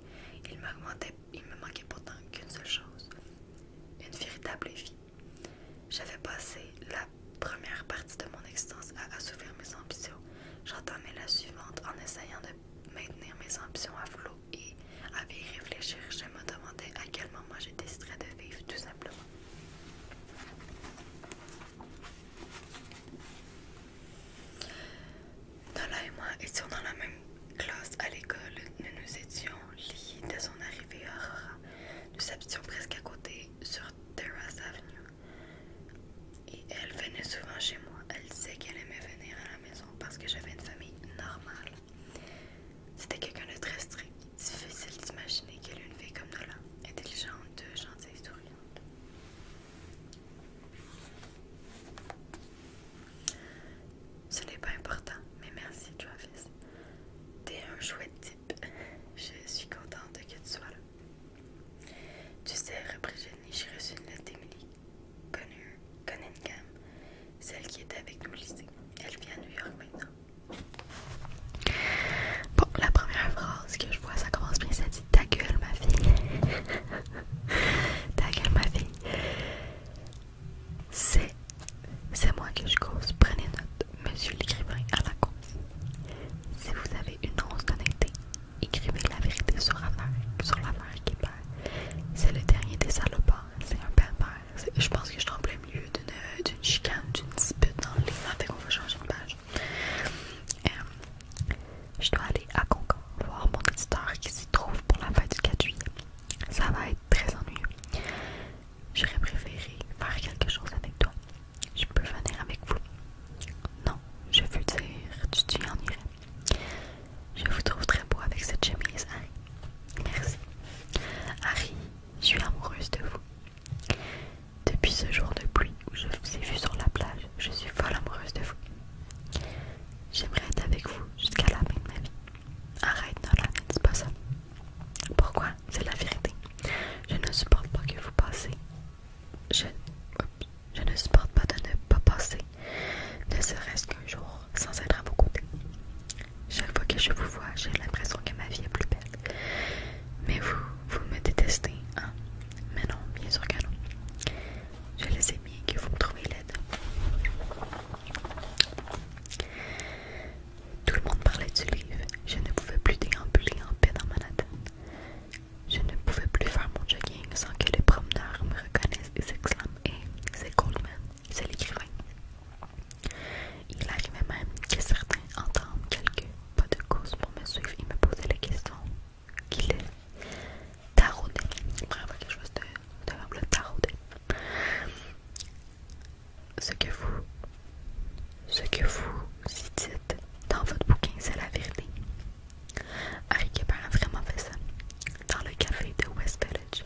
Ils m'augmentaient il me manquait pourtant qu'une seule chose, une véritable vie. J'avais passé la première partie de mon existence à assouvir mes ambitions. J'entendais la suivante en essayant de maintenir mes ambitions à flot et, à y réfléchir, je me demandais à quel moment j'ai décidé de vivre tout simplement. Nala et moi étions dans la même classe à l'école. Nous nous étions liés dès son arrivée à Aurora. Nous habitions presque à côté sur Terrace Avenue. Et elle venait souvent chez moi. Elle disait qu'elle aimait venir à la maison parce que j'avais une famille normale. C'était quelqu'un de très strict. Difficile d'imaginer qu'elle ait une fille comme Nola, intelligente, gentille, souriante. Ce n'est pas important, mais merci Tu T'es un chouette type. Je suis contente que tu sois là. Tu sais, repris Jenny, j'ai reçu une lettre d'Emily, connue, Cunningham, celle qui était avec nous lycée. Elle vient à New York maintenant. Bon, la première phrase que je vois, ça commence bien, ça dit Ta gueule, ma fille. Ta gueule, ma fille. C'est. moi que je cause. Prenez note, monsieur l'écrivain à la cause. Si vous avez une once connectée écrivez la vérité sur l'affaire qui perd. C'est le dernier des salopards, c'est un pervers. Je pense que je tremble mieux d'une chicane, d'une dispute dans le livre. Fait qu'on va changer de page. Euh, je dois aller à Concord voir mon éditeur qui s'y trouve pour la fête du 4 juillet. Ça va être très ennuyeux. J'aurais préféré faire quelque chose avec toi. Je peux venir avec vous. Non, je veux dire, tu t'y en irais. Je vous trouve très beau avec cette chemise, Harry. Merci. Harry, je suis amoureuse de vous. Depuis ce jour de pluie où je vous ai vu sur la plage, je suis folle amoureuse de vous. J'aimerais être avec vous jusqu'à la fin de ma vie. Arrête, Nolan, ne dis pas ça. Pourquoi C'est la vérité. Je ne supporte pas que vous passiez. Je, je ne supporte pas de ne pas passer, ne serait-ce qu'un jour, sans être à vos côtés. Chaque fois que je vous vois, j'ai l'impression que ma vie est plus belle. Mais vous, vous me détestez, hein Mais non, bien sûr que non. Je les ai mis que vous me trouvez l'aide. Tout le monde parlait du livre. Je ne pouvais plus déambuler en paix dans Manhattan. Je ne pouvais plus faire mon jogging sans que les promeneurs me reconnaissent et s'exclament Et c'est Goldman, c'est l'écrivain. Il arrivait même que certains entendent quelques pas de cause pour me suivre et me poser la question Qui l'est tarauder. Vraiment quelque chose de, de humble, Ce que vous, ce que vous dites dans votre bouquin, c'est la vérité. Harry a vraiment fait ça. Dans le café de West Village,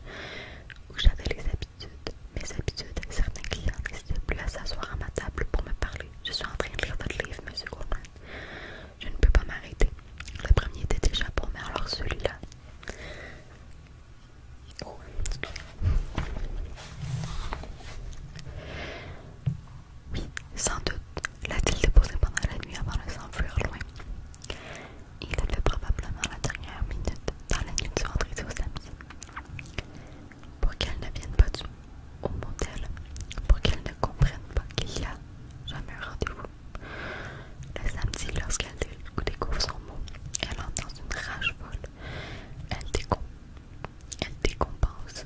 où j'avais les habitudes, mes habitudes, certains clients n'hésitaient plus à s'asseoir à ma table pour me parler. Je suis en train de lire votre livre, Monsieur Goldman. Je ne peux pas m'arrêter. Le premier était déjà bon, mais alors celui-là. Oui, sans doute l'a-t-il déposé pendant la nuit avant de s'enfuir loin. Il l'a fait probablement la dernière minute dans la nuit du vendredi au samedi. Pour qu'elle ne vienne pas au motel, pour qu'elle ne comprenne pas qu'il n'y a jamais un rendez-vous. Le samedi, lorsqu'elle découvre son mot, elle entend une rage folle. Elle, décon, elle décompense.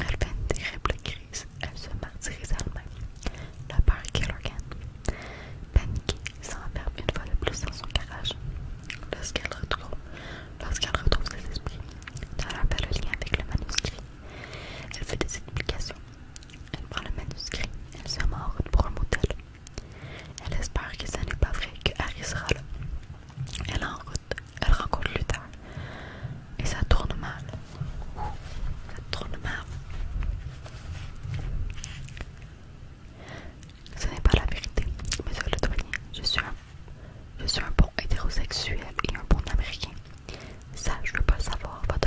Elle fait une terrible crise. Elle se martyrise elle-même. La peur Killergan. Paniquée, s'enferme une fois de plus dans son garage. Lorsqu'elle retrouve, lorsqu'elle retrouve ses esprits, elle rappelle le lien avec le manuscrit. Elle fait des explications. Elle prend le manuscrit, elle se en route pour un modèle. Elle espère que ce n'est pas vrai que Harry sera là. Elle est en route, elle rencontre Luther. Et ça tourne mal. ça tourne mal. Ce n'est pas la vérité, monsieur le douanier. Je suis je suis un bon hétérosexuel et un bon américain. Ça, je veux pas savoir. Votre,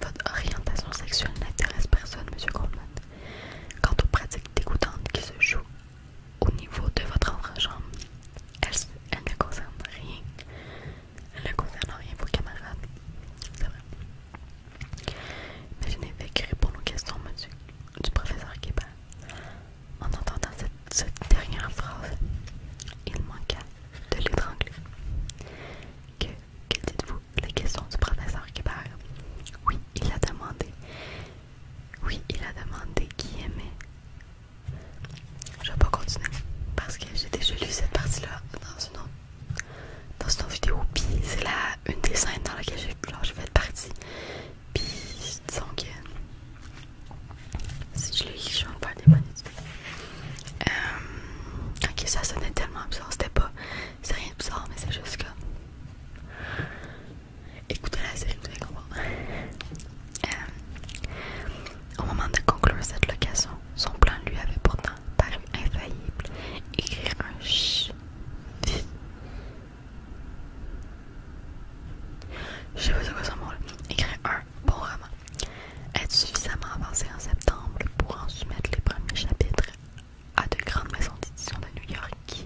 votre orientation sexuelle n'intéresse personne, monsieur Coleman. Quant aux pratiques dégoûtantes qui se jouent au niveau de votre enfant-chambre, elles, ne concernent rien. Elles ne concernent rien vos camarades. C'est vrai. Mais je n'ai fait que répondre aux questions, monsieur, du professeur Kéba. En entendant cette, dernière phrase, il manquait de l'étrangler. Que, que dites-vous La question du professeur Kébert. Oui, il a demandé. Oui, il a demandé qui aimait. Je vais pas continuer parce que j'ai déjà lu cette partie-là dans une autre dans une autre vidéo, puis c'est là une des scènes dans laquelle j'ai fait partie. Puis disons que si je l'ai lu, je vais me faire des idées euh, ok, ça sonnait tellement absurde c'était pas. C'est rien mais c'est juste que Écoutez la série, vous comprendre. Euh, au moment de conclure cette location, son plan lui avait pourtant paru infaillible. Écrire un ch. Je sais pas c'est quoi son mot Écrire un bon roman être suffisamment avancé en septembre pour en soumettre les premiers chapitres à de grandes maisons d'édition de New York qui,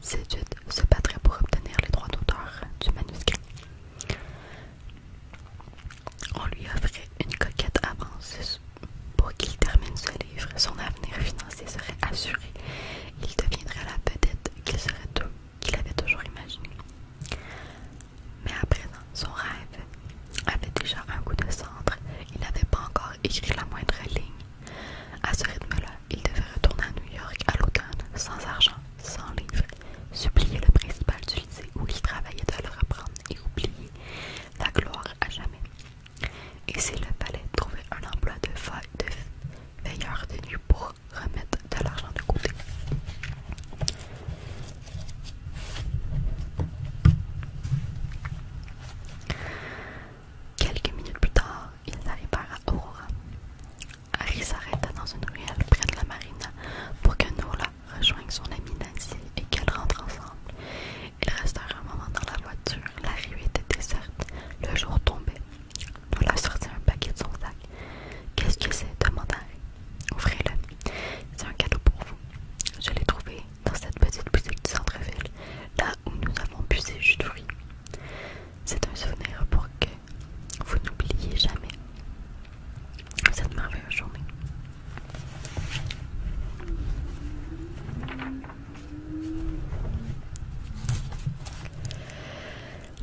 séduites, se battraient pour obtenir les droits d'auteur du manuscrit. On lui offrait une coquette avance pour qu'il termine ce livre. Son avenir financier serait assuré. Il deviendrait la petite qu'il serait qu'il avait toujours imaginé. Mais à présent, son rêve avait déjà un goût de centre, Il n'avait pas encore écrit la moindre ligne. À ce rythme-là, il devait retourner à New York à l'automne, sans argent, sans livre, supplier le principal du lycée où il travaillait de le reprendre et oublier la gloire à jamais. Et s'il le fallait, trouver un emploi de, de veilleur de pour remettre de l'argent de côté. Quelques minutes plus tard, ils arrivèrent à Aurora. Harry s'arrêta dans une ruelle près de la marina pour que Nola rejoigne son amie Nancy et qu'elle rentre ensemble. Ils restèrent un moment dans la voiture. La rue était déserte. Le jour tombait. Nola sortit un paquet de son sac. Qu'est-ce que c'est demanda Harry. Ouvrez-le. C'est un cadeau pour vous. Je l'ai trouvé dans cette petite boutique du centre-ville, là où nous avons bu ces jus de fruits. C'est un souvenir pour que vous n'oubliez jamais cette merveilleuse journée.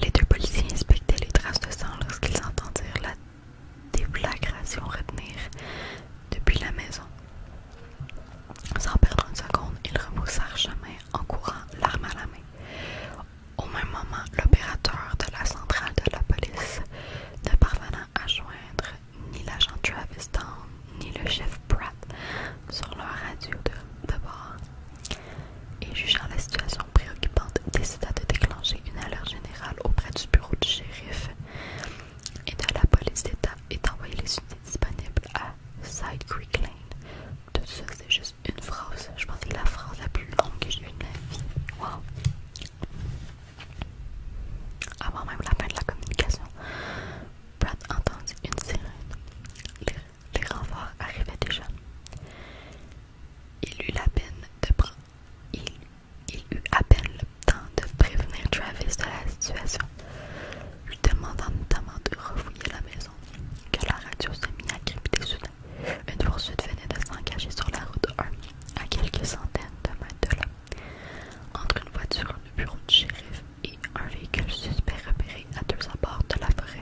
Les deux policiers inspectaient les traces de sang lorsqu'ils entendirent la des flagrations retenir depuis la maison. Sans perdre une seconde, il remoussa chemin en courant, l'arme à la main. Au même moment, l'opérateur de la centrale de la police, ne parvenant à joindre ni l'agent Travis Down ni le chef Pratt sur leur radio de, bord, et jugeant la situation préoccupante, décida de déclencher une alerte générale auprès du shérif et de la police d'État est envoyé les unités disponibles à Side Creek Lane. Tout ça, c'est juste une phrase. Je pense que c'est la phrase la plus longue que j'ai eue de ma vie. Wow! Avant même la fin de la communication, Brad entendit une sirène. Les, renforts arrivaient déjà. Il eut la peine de, prendre il, eut à peine le temps de prévenir Travis de la situation, lui demandant notamment de refouiller la maison, que la radio se mit à soudain. Une poursuite venait de s'engager sur la route 1, à quelques centaines de mètres de là, entre une voiture, le bureau du shérif et un véhicule suspect repéré à deux abords de la forêt.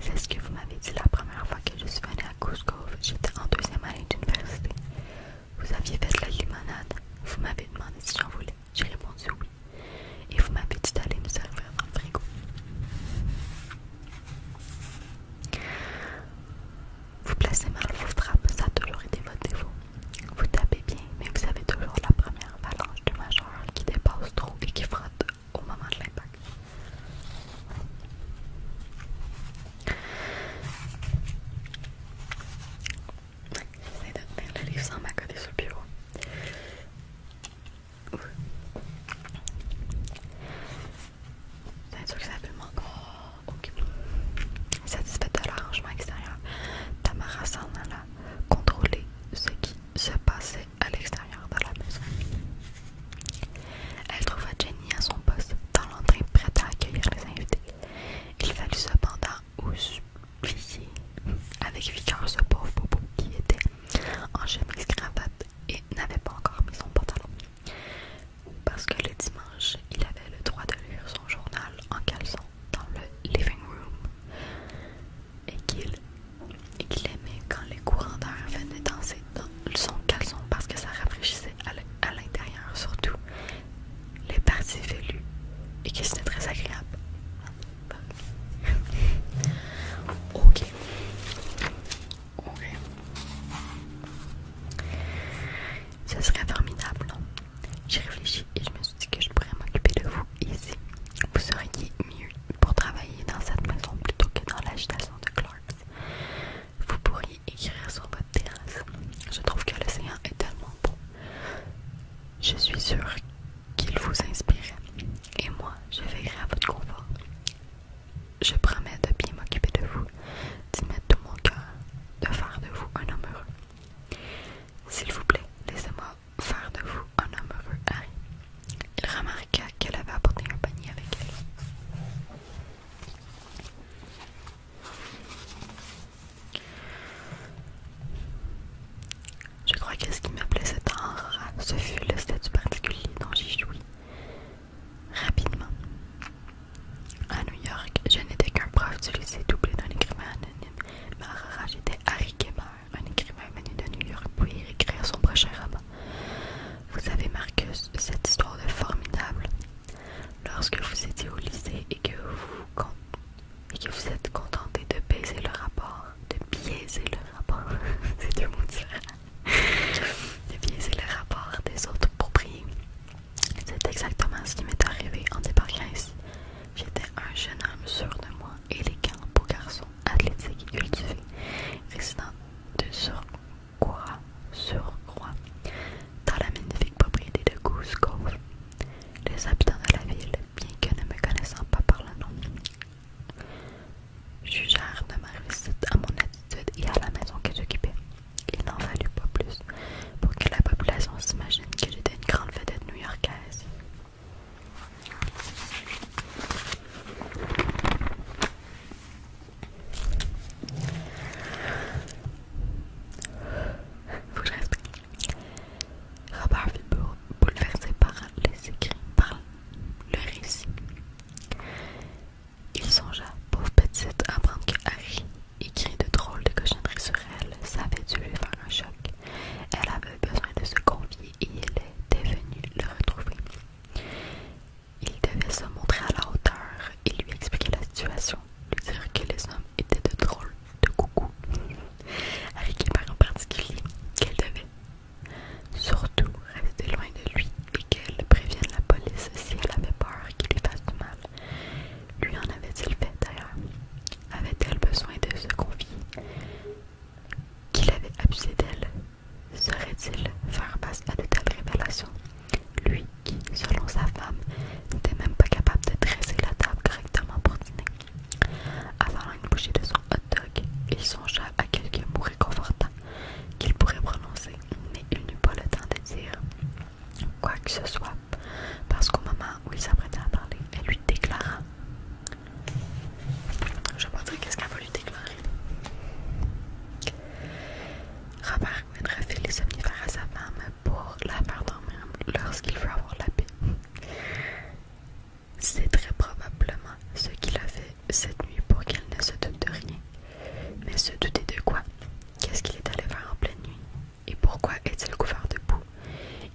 C'est ce que vous m'avez dit la première fois que je suis venue à Goose J'étais en deuxième année d'université. Vous aviez fait de la limonade. Vous m'avez demandé si j'en voulais. J'ai répondu oui. Et vous m'avez dit d'aller me servir dans frigo. Vous placez mal vos frappes, ça a toujours été votre défaut. Vous tapez bien, mais vous avez toujours la première la avalanche de majeur qui dépasse trop et qui frotte au moment de l'impact. J'essaie de tenir le livre sans m'accoter sur le bureau. C'est un truc ça s'appelle encore. Satisfait Satisfaite de l'arrangement extérieur, Tamara s'en la contrôler ce qui se passait à l'extérieur de la maison. Elle trouva Jenny à son poste, dans l'entrée prête à accueillir les invités. Il fallut cependant oublier avec vigueur ce pauvre Bobo qui était en chemise cravate et n'avait pas encore mis son pantalon. Parce que le dimanche, il avait le droit de lire son journal en caleçon dans le living room et qu'il aimait quand les courants d'air venaient danser dans son caleçon parce que ça rafraîchissait à l'intérieur, surtout les parties velues et que c'était très agréable. ok. Ok. Ce serait formidable, non? J'ai réfléchi et je me suis que je pourrais m'occuper de vous ici. Vous seriez mieux pour travailler dans cette maison plutôt que dans l'agitation de Clarks. Vous pourriez écrire sur votre terrasse. Je trouve que l'océan est tellement beau. Je suis sûre qu'il vous inspire. Et moi, je veillerai à votre confort. Je promets de bien m'occuper de vous, d'y mettre tout mon cœur, de faire de vous un homme heureux. S'il vous plaît, laissez-moi faire de vous un homme heureux, Harry. Il remarqua qu'elle avait apporté un panier avec elle. Je crois que ce qui m'appelait cet tant ce fut le statut particulier dont j'ai jouis Rapidement. À New York, je n'étais qu'un prof du lycée doublé d'un écrivain anonyme, mais Aurora, j'étais Harry Kemmer, un écrivain venu de New York pour y écrire son prochain roman. Vous avez Marcus, cette histoire de formidable. Lorsque vous étiez au lycée et que vous, vous êtes contenté de baiser le rapport, de biaiser le rapport, c'est deux mots différents, de biaiser le rapport des autres propriés. C'est exactement ce qui m'est arrivé en débarquant ici. J'étais un jeune homme sûr de moi, et les beau garçons, athlétique et cultivé, résident de sur Croix dans la magnifique propriété de Goose Cove. Les habitants de la ville, bien que ne me connaissant pas par le nom, jugèrent de ma réussite à mon attitude et à la maison que j'occupais. Il n'en fallut pas plus pour que la population s'imagine que j'étais une grande vedette new-yorkaise. Faut que je reste. Robert fut bouleversé par les écrits, par le récit. Il songea, pauvre petite, à apprendre que Harry écrit de drôles de cochonneries sur elle. Ça avait dû lui faire un choc. Elle avait besoin de se confier il était venu le retrouver. Il devait se montrer à la hauteur et lui expliquer la situation, lui dire que les hommes étaient de drôles de coucou, avec en particulier particulier, qu'elle devait. Surtout rester loin de lui et qu'elle prévienne la police si elle avait peur qu'il lui fasse du mal. Lui en avait-il fait d'ailleurs Avait-elle besoin de se confier qu'il avait abusé d'elle. serait il faire face à de telles révélations Lui qui, selon sa femme, n'était même pas capable de dresser la table correctement pour dîner. Avant une bouchée de son hot dog, il songea à quelques mots réconfortants qu'il pourrait prononcer, mais il n'eut pas le temps de dire quoi que ce soit, parce qu'au moment où il s'apprêtait à parler, elle lui déclara je vais pas qu'est-ce qu'elle a voulu déclarer. Robert Winrefil les somnifères à sa femme pour la faire dormir lorsqu'il veut avoir la paix. C'est très probablement ce qu'il a fait cette nuit pour qu'elle ne se doute de rien. Mais se douter de quoi Qu'est-ce qu'il est allé faire en pleine nuit Et pourquoi est-il couvert de boue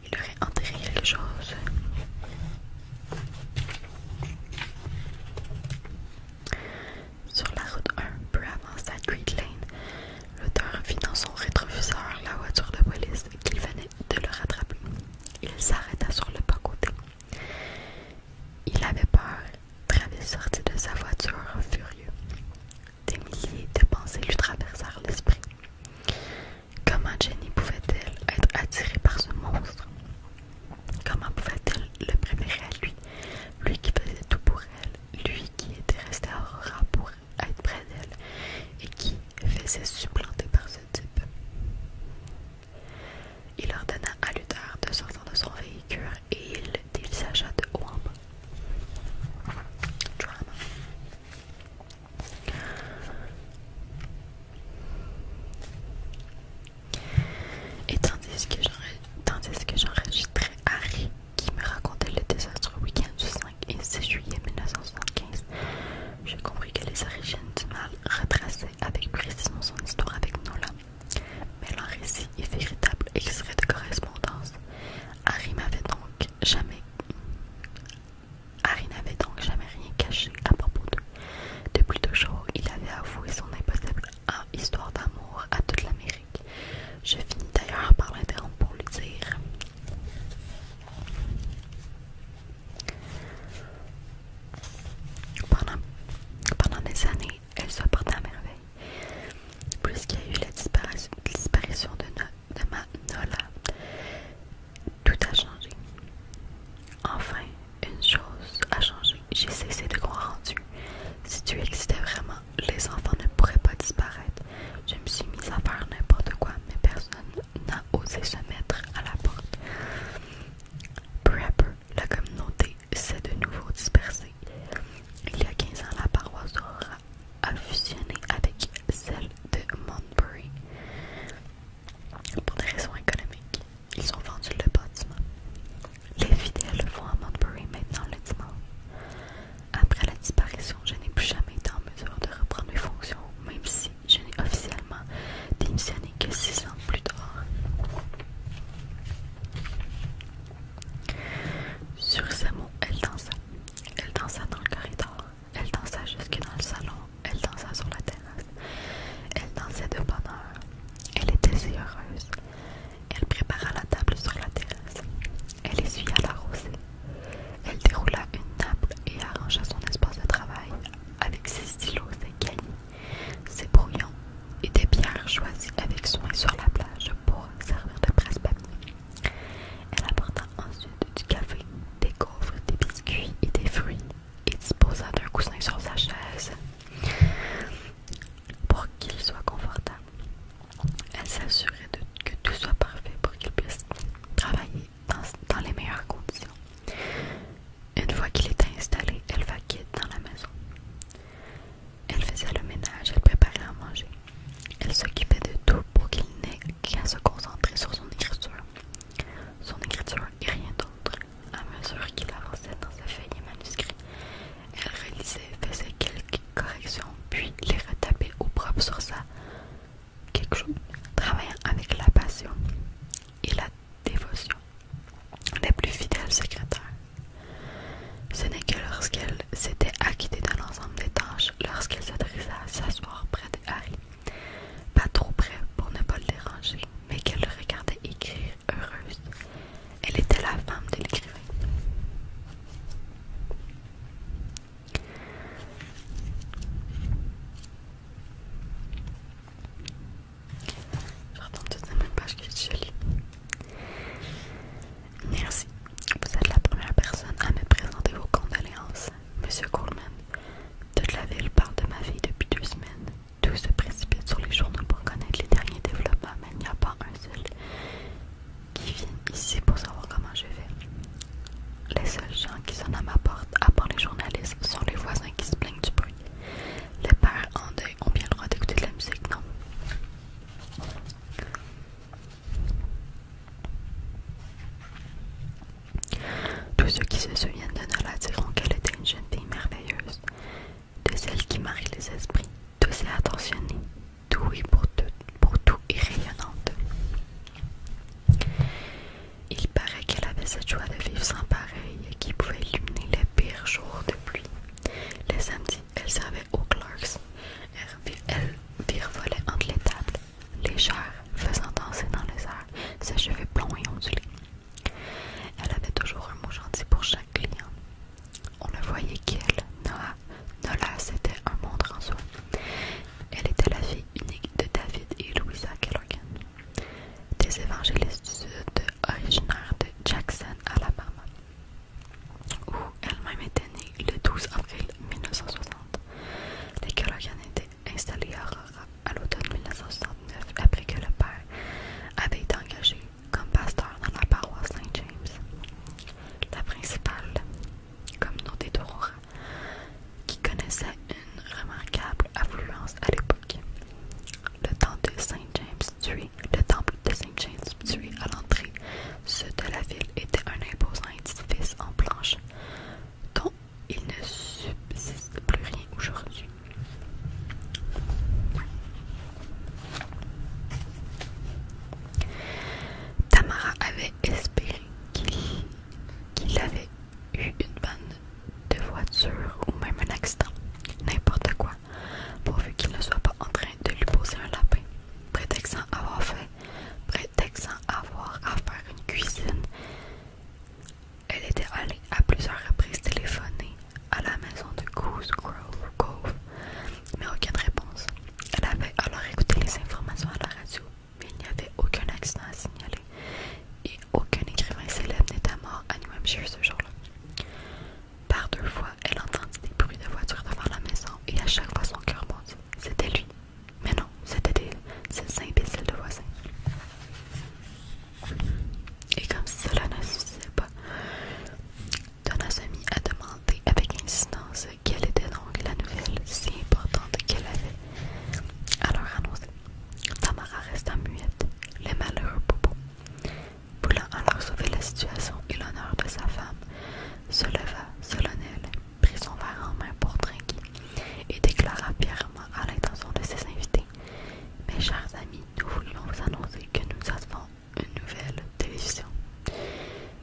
il aurait enterré quelque chose. Sur la route 1, peu avant à Great Lane, l'auteur vit dans son rétroviseur la voiture de police qu'il venait de le rattraper. Il s'arrêta sur le bas-côté. Il avait peur. Travis sortit de sa voiture furieux. Des milliers de pensées lui traversèrent l'esprit. Comment Jenny pouvait-elle être attirée par ce monstre Comment pouvait-elle le préférer à lui Lui qui faisait tout pour elle, lui qui était resté à Aurora pour être près d'elle et qui faisait supplanter par ce type. Il ordonna à Luther de sortir de son véhicule et il dévisagea de haut en bas. Et tandis que j'enregistrais Harry qui me racontait le désastre week-end du 5 et 6 juillet 1975, j'ai compris que les origines du mal retraçaient avec précision son histoire avec Nola. Mais leur récit est véritable et serait de correspondance. Harry m'avait donc jamais Harry n'avait donc jamais rien caché à propos d'eux. Depuis toujours, il avait avoué son impossible histoire d'amour à toute l'Amérique. Je finis d'ailleurs par l'interrompre pour lui dire pendant, pendant des années, elle se portait à merveille. Puisqu'il y a eu la disparition de, de ma Nola, tout a changé. Enfin, une chose a changé. J'ai cessé de croire en Dieu. Si Dieu existait vraiment, les enfants ne pourraient pas disparaître. Je me suis mise à faire n'importe quoi, mais personne n'a osé se mettre à la porte. Peu à peu, la communauté s'est de nouveau dispersée. Il y a 15 ans, la paroisse aura a fusionné avec celle de Montbury. Pour des raisons économiques, ils ont vendu le bâtiment. Les fidèles vont à Montbury maintenant le dimanche. Après la disparition, je n'ai plus jamais été en mesure de reprendre mes fonctions, même si je n'ai officiellement démissionné que six ans plus tard. Sur ces mots, elle dansa. Elle dansa dans le corridor. Elle dansa jusque dans le salon, elle dansa sur la terrasse. Elle dansait de bonne Elle était si heureuse. Elle prépara la table sur la terrasse. Elle essuya la rosée. Elle déroula une nappe et arrangea son espace de travail avec ses stylos, ses cahiers, ses brouillons et des bières choisies avec soin sur la plage pour servir de presse-papier. Elle apporta ensuite du café, des gaufres, des biscuits et des fruits et disposa d'un coussin sur sa chaise pour qu'il soit confortable. Elle s'assurait que tout soit parfait pour qu'il puisse travailler dans, les meilleures conditions. Une fois qu'il était installé, elle va quitte dans la maison. Elle faisait le ménage, elle préparait à manger. Elle s'occupait de tout pour qu'il n'ait qu'à se concentrer sur son écriture. Son écriture et rien d'autre. À mesure qu'il avançait dans ses feuille et manuscrits, elle réalisait, faisait quelques corrections, puis les retapait au propre sur sa quelque chose, travaillant avec la passion et la dévotion des plus fidèles secrétaires. Ce n'est que lorsqu'elle s'était acquittée d'un ensemble des tâches, lorsqu'elle s'adressa à s'asseoir près de Harry, pas trop près pour ne pas le déranger, mais qu'elle le regardait écrire heureuse. Elle était la femme de l'écrivain. Je retourne toute la même page qui est jolie Merci. Vous êtes la première personne à me présenter vos condoléances. Monsieur Coleman, toute la ville parle de ma vie depuis deux semaines. Tout se précipite sur les journaux pour connaître les derniers développements, mais il n'y a pas un seul qui vient ici pour savoir comment je vais. Les seuls gens qui sont à ma porte, à part les journalistes, sont les voisins qui se plaignent du bruit. Les pères en deuil ont bien le droit d'écouter de la musique, non? Tous ceux qui se souviennent de Nola diront qu'elle était une jeune fille merveilleuse, de celle qui marie les esprits, douce et attentionnée, douée pour tout, pour tout et rayonnante. Il paraît qu'elle avait cette joie de vivre sans pareil qui pouvait illuminer les pires jours de pluie. Les samedis, elle servait aux Clark's Elle virevolait entre les tables, légère, faisant danser dans les airs ses cheveux blonds et ondulés. Elle avait toujours un mot gentil pour chaque client. On le voyait qu'elle, Noah, Nola, c'était un monde en soi. Elle était la fille unique de David et Louisa Kellogan des évangélistes du Sud originaires de Jackson, Alabama, où elle-même était née le 12 avril 1960. Les Kelloggan étaient installé à Aurora à l'automne 1969 après que le père avait été engagé comme pasteur dans la paroisse Saint-James. La principale communauté d'Aurora, qui connaissait une remarquable affluence à l'époque. Le temple de Saint-James Street, le temple de à l'entrée sud de la ville était un imposant édifice en planches il ne subsiste plus rien aujourd'hui. Tamara avait espéré qu'il avait eu une bande de voiture ou même un accident, n'importe quoi, pourvu qu'il ne soit pas en train de lui poser un lapin, prétextant avoir fait, prétextant avoir à faire une cuisine. Elle était allée à plusieurs reprises téléphoner à la maison de Goose Grove, mais aucune réponse. Elle avait alors écouté les informations à la radio, mais il n'y avait aucun accident à signaler et aucun écrivain célèbre n'était mort à New Hampshire ce jour-là. Par deux fois, elle entendit des bruits de voitures devant la maison et à chaque fois son cœur bondit. C'était lui. Mais non, c'était des, des imbéciles de voisins. Et comme cela ne suffisait pas, mit a demandé avec insistance quelle était donc la nouvelle si importante qu'elle avait alors annoncer. Tamara resta muette, Le malheureux Bobo, voulant alors sauver la situation et l'honneur de sa femme, se leva solennel, prit son verre en main pour trinquer et déclara fièrement à l'intention de ses invités mes chers amis, nous voulions vous annoncer que nous avons une nouvelle télévision.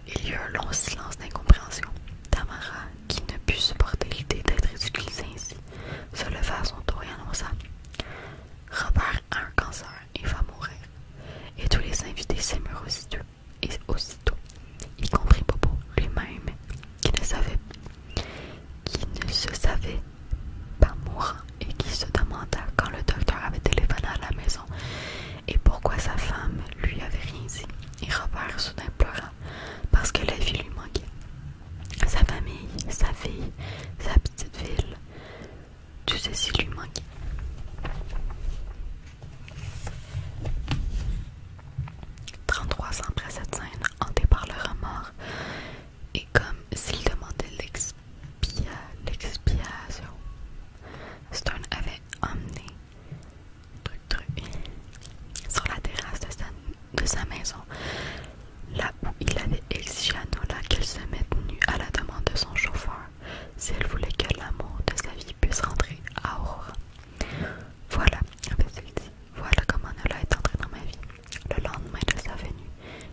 Il y eut un long silence d'incompréhension. Tamara, qui ne put supporter l'idée d'être ridiculisée ainsi, se leva à son tour et annonça Robert a un cancer et va mourir. Et tous les invités s'émurent aussitôt, et aussitôt, y compris Bobo lui-même, qui ne savait qui ne se savait pas mourant et qui se demanda quand le docteur avait téléphoné à la maison et pourquoi sa femme lui avait rien dit. Et Robert soudain pleura parce que la vie lui manquait. Sa famille, sa fille, sa petite ville, tout ceci lui manquait. « 33 ans après cette scène, hanté par le remords, et comme s'il demandait l'expiation, Stone avait emmené truc, truc, sur la terrasse de sa, maison, là où il avait exigé à Nola qu'elle se mette nue à la demande de son chauffeur si elle voulait que l'amour de sa vie puisse rentrer à Aurora. Voilà, avait dit, voilà comment Nola est entrée dans ma vie. Le lendemain de sa venue,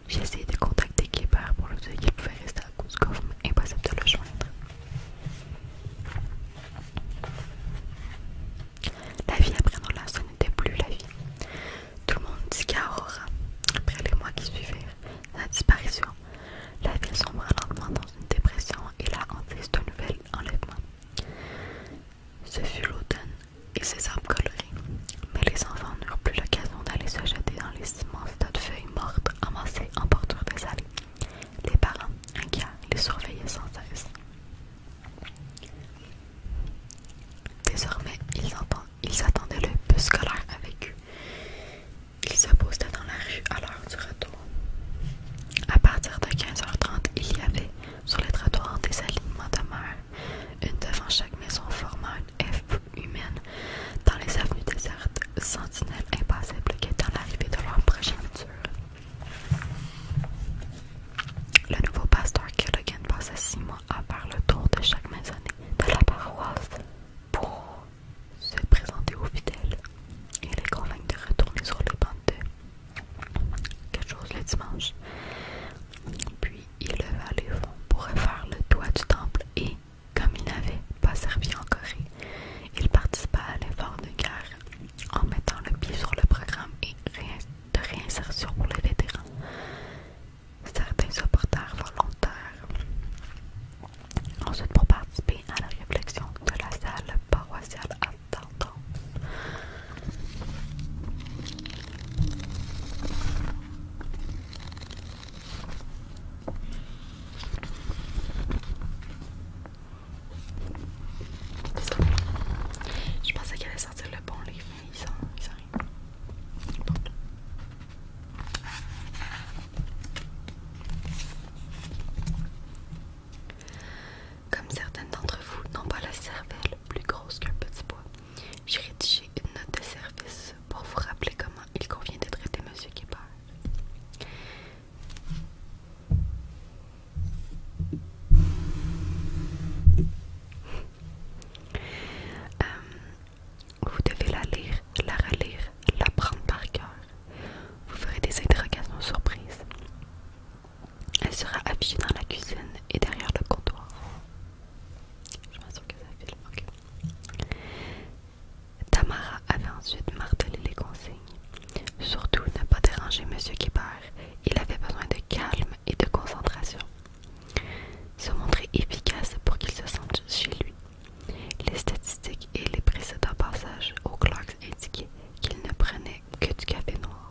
j'ai essayé de contacter Kébert pour lui dire qu'il pouvait rester à Cusco, mais impossible de le joindre. La vie après ce n'était plus la vie. Tout le monde dit qu'à Aurora, après les mois qui suivirent, sa disparition, la vie sombra lentement dans une dépression et la hantise d'un nouvel enlèvement. Ce fut l'automne et ses arbres colorés. Mais les enfants n'eurent plus l'occasion d'aller se jeter dans les immenses tas de feuilles mortes amassées en bordure des allées. Les parents, inquiets, les surveillaient sans cesse. Désormais, ils, attendaient le bus scolaire avec eux. Ils se postaient dans la rue à l'heure du retour. À partir de 15h30, il y avait sur les trottoirs des alignements de mer une devant chaque maison formant une F humaine dans les avenues désertes, sentinelles est dans l'arrivée de leur progéniture. Le nouveau pasteur Kerrigan passe six mois à faire le tour de chaque maisonnée de la paroisse pour se présenter aux fidèles et les convaincre de retourner sur les bandes d'eux quelque chose le dimanche. Puis il leva les fonds pour refaire le toit du temple et, comme il n'avait pas servi en Corée, il participa à l'effort de guerre en mettant le pied sur le programme et de réinsertion pour les vétérans. Certains supporters volontaires. Ensuite, pour participer à la réflexion de la salle paroissiale à je pensais qu'elle allait sortir le bon livre, mais il s'en Comme certaines d'entre vous n'ont pas la cervelle plus grosse qu'un petit bois, j'ai rédigé une note de service pour vous rappeler comment il convient de traiter Monsieur Guébert. Euh, vous devez la lire, la relire, la prendre par cœur. Vous ferez des interrogations surprises. Elle sera affichée dans la cuisine et derrière le comptoir. Je m'assure que ça Tamara avait ensuite martelé les consignes. Surtout ne pas déranger Monsieur Guibert. Il avait besoin de calme et de concentration. Se montrer efficace pour qu'il se sente chez lui. Les statistiques et les précédents passages au Clocks indiquaient qu'il ne prenait que du café noir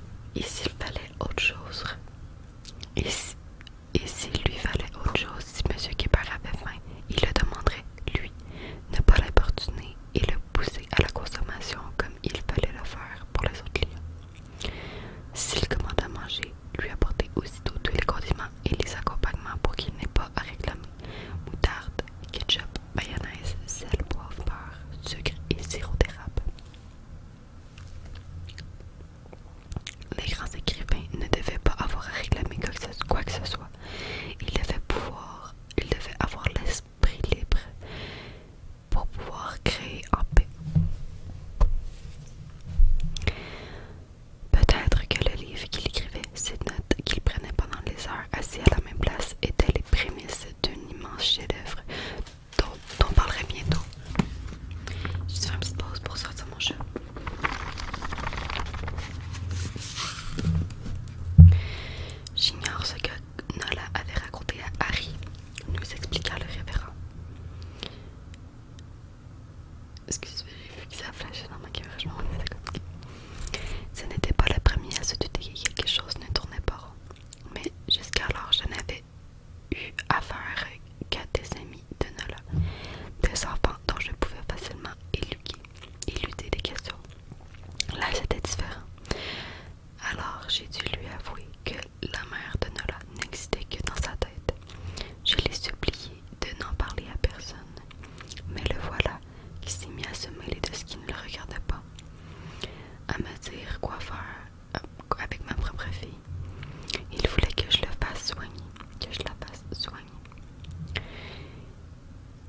et s'il fallait autre chose Et lui fallait autre chose, si M. Guépard avait faim, il le demanderait, lui, ne pas l'importuner et le pousser à la consommation comme il fallait le faire pour les autres clients. S'il commande à manger, lui apporter aussitôt tous les condiments et les accompagnements pour qu'il n'ait pas à réclamer moutarde, ketchup, mayonnaise, sel, poivre, beurre, sucre et sirop Les grands écrivains ne devaient pas avoir à réclamer quoi que ce soit. Ils devaient pouvoir, ils devaient avoir l'esprit libre pour pouvoir créer en paix. Peut-être que le livre qu'il écrivait, ces notes qu'il prenait pendant les heures assis à la même place, étaient les prémices d'un immense chef-d'œuvre on parlerait bientôt. Je vais faire une petite pause pour sortir mon jeu J'ignore ce que Nola avait raconté à Harry, nous expliqua le révérend. excusez moi j'ai vu que ça a flashé dans ma caméra, je m'en rendais d'accord. Ce n'était pas la première à se douter que quelque chose ne tournait pas rond mais jusqu'alors je n'avais eu affaire qu'à des amis de Nola, des enfants dont je pouvais facilement éluquer, éluder des questions. Là c'était différent. Alors j'ai dû lui avouer que la mère de Nola n'existait que dans sa tête. Je l'ai supplié de n'en parler à personne. Mais le voilà qui s'est mis à se mêler de ce qui ne le regardait pas à me dire quoi faire euh, avec ma propre fille. Il voulait que je le fasse soigner, que je la fasse soigner.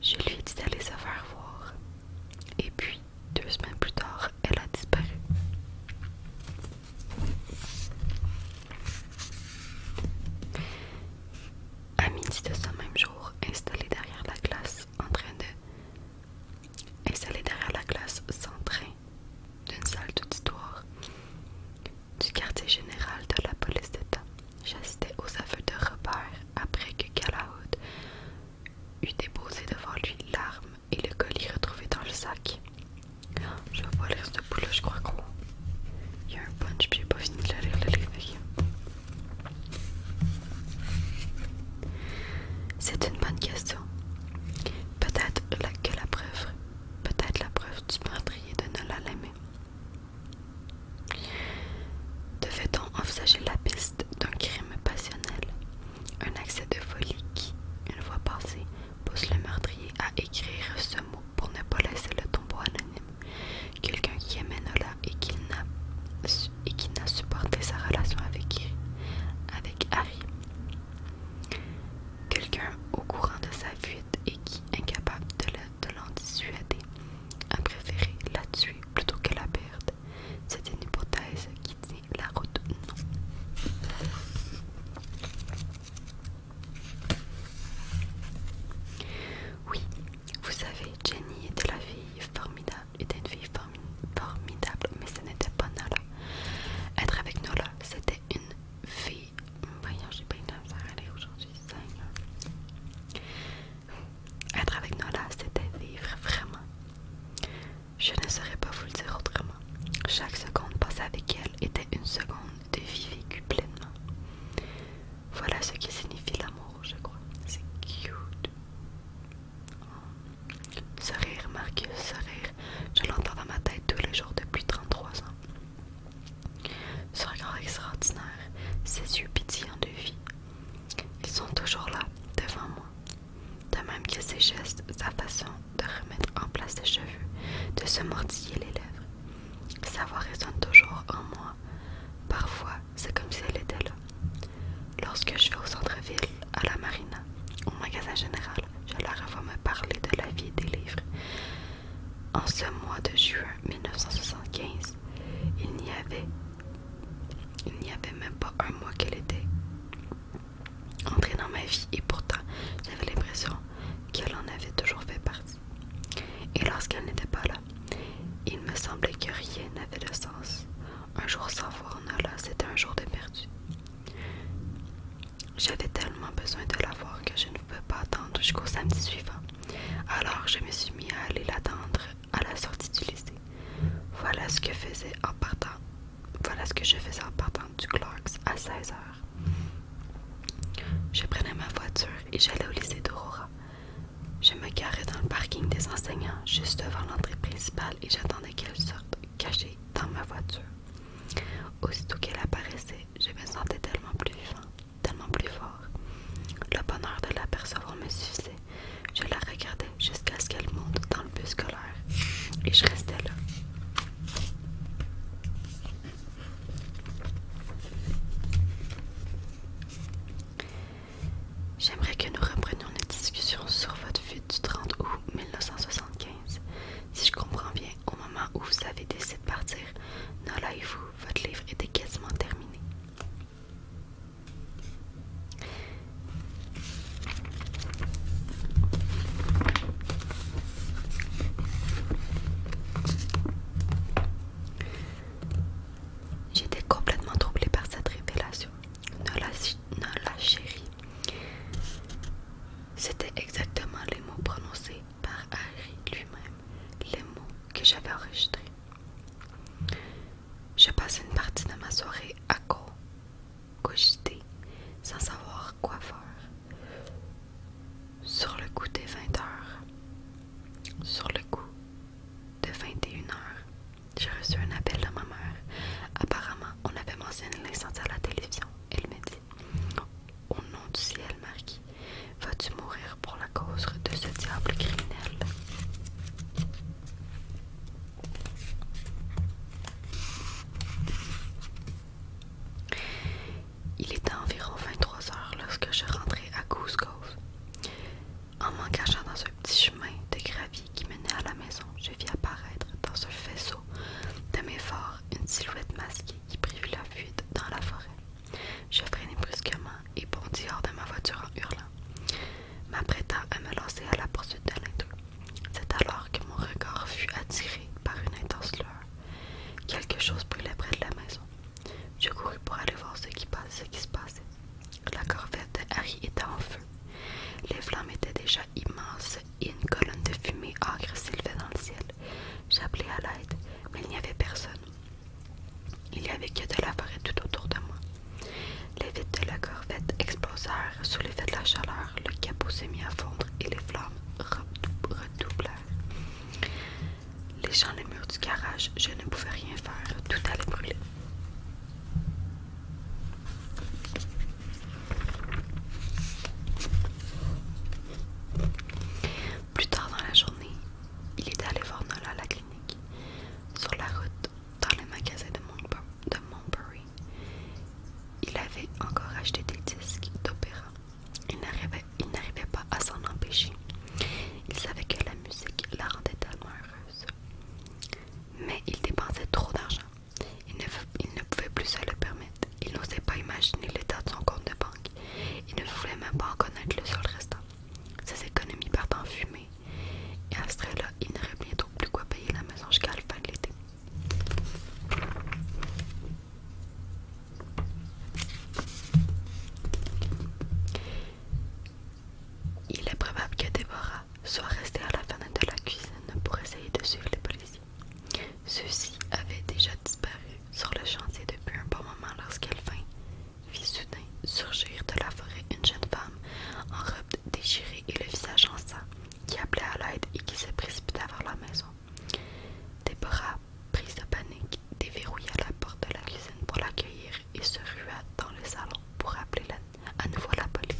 Je lui ai dit d'aller se faire voir. Et puis, deux semaines plus tard, elle a disparu. À midi de ce même jour, installée derrière la glace, en train de et s'allait derrière la classe sans d'une salle d'histoire du quartier général de la police d'État. J'assistais aux aveux de Robert après que Calahoud eut déposé devant lui l'arme et le colis retrouvé dans le sac. Je vais pas lire ce bout-là, je crois qu'on... Il y a un punch, puis j'ai pas fini de le lire, le livre. C'est une bonne question. Peut-être que la preuve, peut-être la preuve du meurtrier de Nola l'aimait Devait-on envisager la piste d'un crime passionnel, un accès de folie qui, une fois passé, pousse le meurtrier à écrire ce mot pour ne pas laisser le tombeau anonyme, quelqu'un qui aimait Nola et qu'il n'a et qui n'a supporté sa relation avec, avec Harry. Quelqu'un au courant de sa fuite et qui, incapable de l'en dissuader, a préféré la tuer plutôt que la perdre. C'est une hypothèse qui tient la route non. Oui, vous savez, Jenny était la fille formidable était une fille formidable, mais ce n'était pas Nola. Être avec Nola, c'était une vie Voyons, j'ai pas une à aller aujourd'hui, Être avec Nola, c'était vivre vraiment. Je ne saurais pas vous le dire autrement. Chaque seconde passée avec elle était une seconde de vie vécue pleinement. Voilà ce qui signifie l'amour, je crois. C'est cute. Ce rire, Marcus, ce rire, je l'entends dans ma tête tous les jours depuis 33 ans. Ce regard extraordinaire, ces yeux pétillants de vie. Ils sont toujours là, devant moi. De même que ses gestes, sa façon de remettre en place ses cheveux, de se mordiller les lèvres. Sa voix résonne toujours en moi. Parfois, c'est comme si elle était là, Lorsque je vais au centre-ville, à la marina, au magasin général, je la revois me parler de la vie des livres. En ce mois de juin 1975, il n'y avait, il n'y avait même pas un mois qu'elle était entrée dans ma vie et pourtant j'avais l'impression qu'elle en avait toujours fait partie. Et lorsqu'elle n'était pas là, il me semblait que rien n'avait de sens. Un jour sans voir Nala, c'était un jour de perdu. J'avais tellement besoin de la voir que je ne pouvais pas attendre jusqu'au samedi suivant. Alors je me suis mis à aller l'attendre à la sortie du lycée. Voilà ce que faisait en partant. Voilà ce que je faisais en partant du Clarks à 16h. Je prenais ma voiture et j'allais au lycée d'Aurora. Je me garais dans le parking des enseignants, juste devant l'entrée principale, et j'attendais qu'elle sorte cachée dans ma voiture. Aussitôt qu'elle apparaissait, je me sentais tellement plus vivant, tellement plus fort. Le bonheur de l'apercevoir me suffisait. Je la regardais jusqu'à ce qu'elle monte dans le bus scolaire et je restais là. J'aimerais que nous reprenions notre discussion sur votre vie du 30 août 1975. Si je comprends bien, au moment où vous avez décidé de partir, Nola et vous, votre livre était quasiment terminé. J'étais complètement troublée par cette révélation. Nola, la chérie. C'était exactement les mots prononcés par Harry lui-même, les mots que j'avais enregistrés. Je passe une partie de ma soirée à co cogiter, sans savoir quoi faire. Sur le coup des 20 heures, sur le coup de 21 heures, j'ai reçu un appel de ma mère. Apparemment, on avait mentionné l'incendie à la télévision. Elle m'a dit Au nom du ciel, Marquis, vas-tu mourir pour la cause de ce diable criminel Il était environ 23 heures lorsque je rentrais à Goose En m'engageant dans un petit chemin de gravier qui menait à la maison, je vis apparaître dans ce faisceau de mes une silhouette masquée qui privait la fuite dans la forêt. Je freinai brusquement et bondis hors de ma voiture en hurlant, m'apprêtant à me lancer à la poursuite de l'indou. C'est alors que mon regard fut attiré par une intense lueur. Quelque chose brûlait près de la maison. Je courus pour aller voir ce qui, ce qui se passait. La corvette Harry était en feu. Les flammes étaient déjà immenses et une colonne de fumée âcre s'élevait dans le ciel. J'appelais à l'aide, mais il n'y avait personne. Il n'y avait que de la forêt tout autour de moi. Les vitres de la corvette explosèrent sous l'effet de la chaleur, le capot s'est mis à fondre et les flammes redoublèrent. Les gens les murs du garage, je ne pouvais rien faire, tout allait brûler. Plus tard dans la journée, il est allé voir Nola à la clinique, sur la route, dans le magasin de, Montbury. Il avait encore acheté des disques d'opéra. Il n'arrivait pas à s'en empêcher. Il savait que la musique la rendait tellement heureuse. Mais il dépensait trop d'argent il ne, pouvait plus se le permettre. Il n'osait pas imaginer l'état de son compte de banque. Il ne voulait même pas en connaître le seul restant. Ses économies partent en fumée. Et à ce trait-là, il n'aurait bientôt plus quoi payer la maison jusqu'à la fin de l'été. Il est probable que Déborah soit resté à la fenêtre de la cuisine pour essayer de suivre les policiers. Ceux-ci avaient déjà disparu sur le chantier depuis un bon moment lorsqu'elle vint, vit soudain surgir de la forêt une jeune femme en robe déchirée et le visage en sang, qui appelait à l'aide et qui se précipita vers la maison. Déborah, prise de panique, déverrouilla la porte de la cuisine pour l'accueillir et se rua dans le salon pour appeler la à nouveau la police.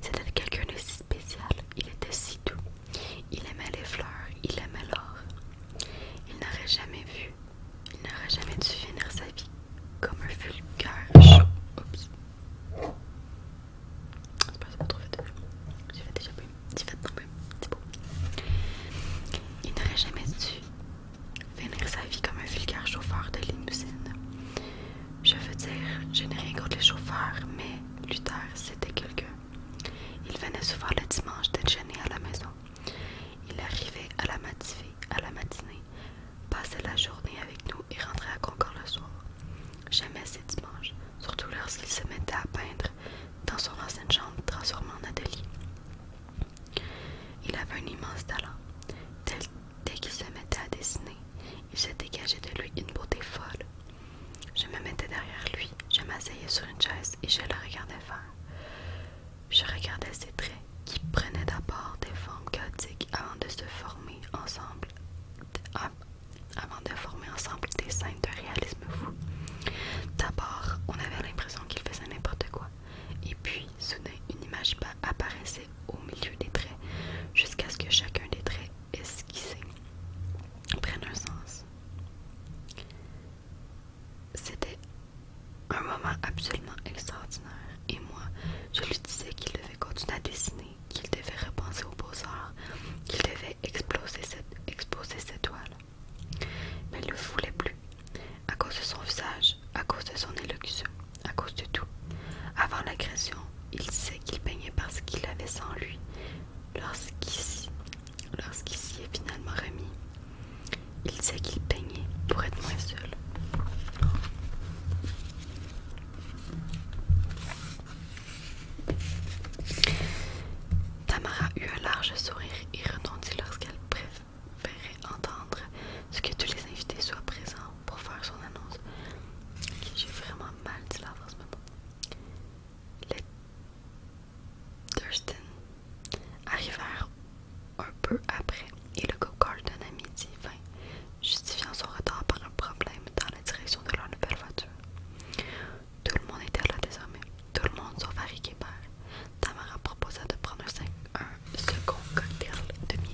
C'était quelqu'un de si spécial, il était si doux. Il aimait les fleurs, il aimait l'or. Il n'aurait jamais vu, il n'aurait jamais dû finir sa vie comme un vulgaire déjà fait Il n'aurait jamais dû finir sa vie comme un vulgaire chauffeur de limousine. Je veux dire, je n'ai rien contre les chauffeurs, mais Luther, c'était quelqu'un. Il venait souvent le dimanche déjeuner à la maison. Il arrivait à la matinée, à la matinée, passait la journée avec nous et rentrait à Concord le soir. Jamais ces dimanches, surtout lorsqu'il se mettait à peindre dans son ancienne chambre transformée en atelier. Il avait un immense talent. Dès, qu'il se mettait à dessiner, il se dégageait de lui une beauté folle. Je me mettais derrière lui, je m'asseyais sur une chaise et je le regardais faire. Je regardais ses traits qui prenaient d'abord des formes chaotiques avant de se former ensemble, ah, avant de former ensemble des scènes de réalisme fou. D'abord, on avait l'impression qu'il faisait n'importe quoi, et puis soudain, une image apparaissait au milieu des traits, jusqu'à ce que chacun des traits esquissés prenne un sens. C'était un moment absolument extraordinaire, et moi, je lui disais qu'il devait continuer à dessiner, qu'il devait repenser aux beaux-arts, qu'il devait exploser cette, exploser cette toile. Mais il ne voulait plus à cause de son visage, à cause de son élocution, à cause de tout. Avant l'agression, il sait qu'il peignait parce qu'il avait sans lui. Lorsqu'ici s'y est finalement remis, il sait qu'il peignait pour être moins seul. Tamara eut un large sourire et retentit lorsqu'elle prit ferait entendre ce que tous les invités soient présents pour faire son annonce. J'ai vraiment mal dit la phrase, Les Thurston arrivèrent un peu après et le go-kart à midi 20, justifiant son retard par un problème dans la direction de leur nouvelle voiture. Tout le monde était là désormais, tout le monde sauf Harry part. Tamara proposa de prendre un, second cocktail de vie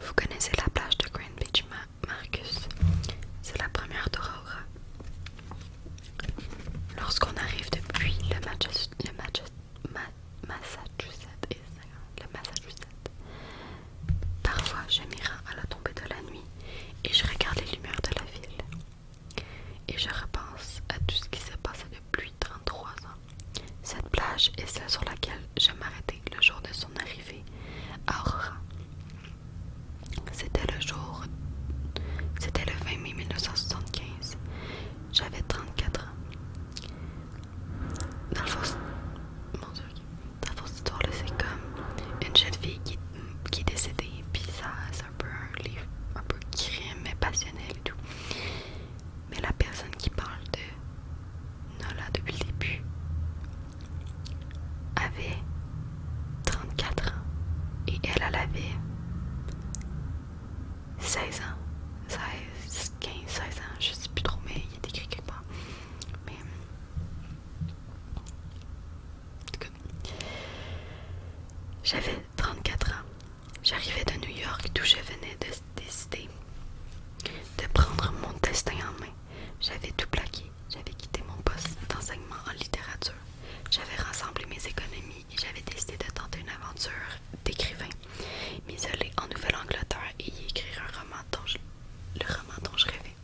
Vous connaissez la plage de Grand Beach, ma Marcus. C'est la première d'Aurora. Lorsqu'on arrive depuis le Massachusetts, le Massachusetts, parfois je à la tombée de la nuit et je regarde les lumières de la ville. Et je repense à tout ce qui s'est passé depuis 33 ans. Cette plage est celle sur laquelle je m'arrêtais le jour de son arrivée à Aurora. C'était le jour. C'était le 20 mai 1975. J'avais 34 ans. Dans le fond, mon Dieu, dans la fausse histoire, c'est comme une jeune fille qui, qui est décédée, puis ça, c'est un peu un livre, un peu crime, mais passionnel et tout. Mais la personne qui parle de Nola depuis le début avait 34 ans et elle, avait 16 ans. 15, 16 ans, je sais plus trop, mais il y a écrit quelque part. Mais. J'avais 34 ans. J'arrivais de New York d'où je venais de décider de prendre mon destin en main. J'avais tout plaqué, j'avais quitté mon poste d'enseignement en littérature, j'avais rassemblé mes économies et j'avais décidé de tenter une aventure d'écrivain, m'isoler en Nouvelle-Angleterre et y écrire un roman dont le roman dont je rêvais.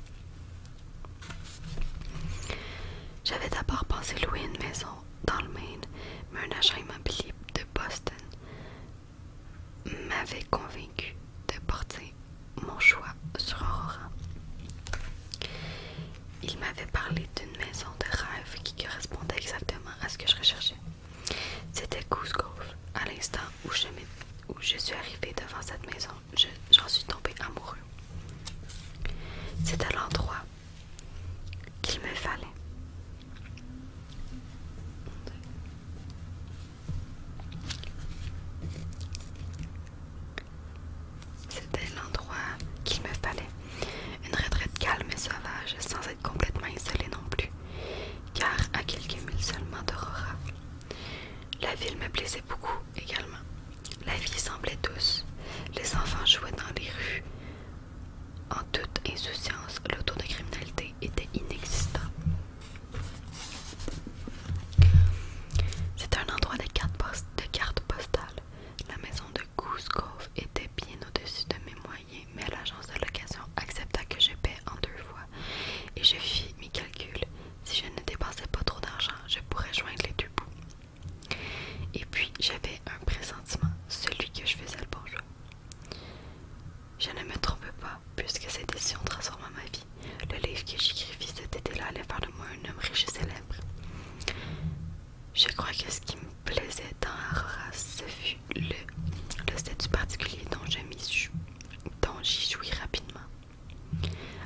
J'avais d'abord pensé louer une maison dans le Maine, mais un agent immobilier de Boston m'avait convaincu de porter mon choix sur Aurora. Il m'avait parlé d'une maison de rêve qui correspondait exactement à ce que je recherchais. C'était Goose Grove. À l'instant où je, où je suis arrivée devant cette maison, j'en suis tombée amoureux. à l'endroit qu'il me fallait. C'était l'endroit qu'il me fallait. Une retraite calme et sauvage, sans être complètement isolée non plus, car à quelques milles seulement d'Aurora. La ville me plaisait beaucoup également. La vie semblait douce. Les enfants jouaient dans les rues. En toute insouciance, le taux de criminalité était inexistant. C'est un endroit de cartes postales. La maison de Goose Cove était bien au-dessus de mes moyens, mais l'agence de location accepta que je paie en deux fois et je fis mes calculs. Si je ne dépensais pas trop d'argent, je pourrais joindre les deux bouts. Et puis j'avais un pressentiment, celui que je faisais le bon Je ne me trompe pas, puisque cette décision transforma ma vie le livre que j'écrivis cet été-là allait faire de moi un homme riche et célèbre. Je crois que ce qui me plaisait dans Aurora, ce fut le, statut particulier dont j'y jouis rapidement.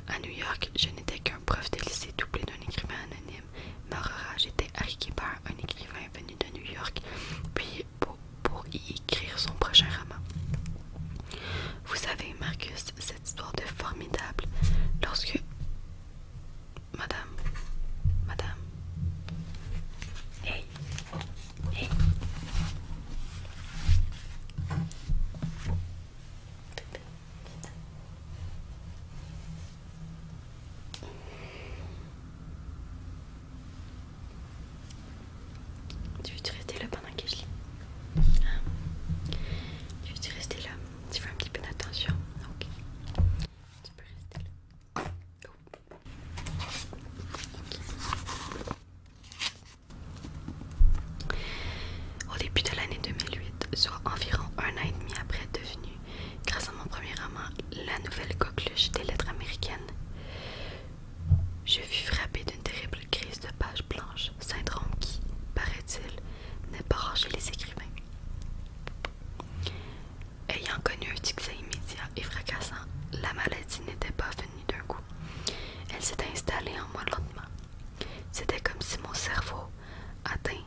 À New York, je n'étais qu'un prof de lycée doublé d'un écrivain anonyme, mais Aurora, j'étais Harry Kipper, un écrivain venu de New York, puis pour, pour y écrire son prochain roman. Vous savez, Marcus, cette histoire de formidable, lorsque... Madame, madame. Hey, tu veux-tu rester là pendant que je lis hein? Tu veux-tu rester là Tu fais un petit peu d'attention Ok. Tu peux rester là. Au début de l'année 2008, soit environ un an et demi après devenu, grâce à mon premier roman, La Nouvelle Coqueluche des Lettres Américaines, je fus frappé d'une terrible crise de page blanche, syndrome qui, paraît-il, n'est pas rare chez les écrivains. Ayant connu un succès immédiat et fracassant, la maladie n'était pas venue d'un coup. Elle s'était installée en moi lentement. C'était comme si mon cerveau, atteint,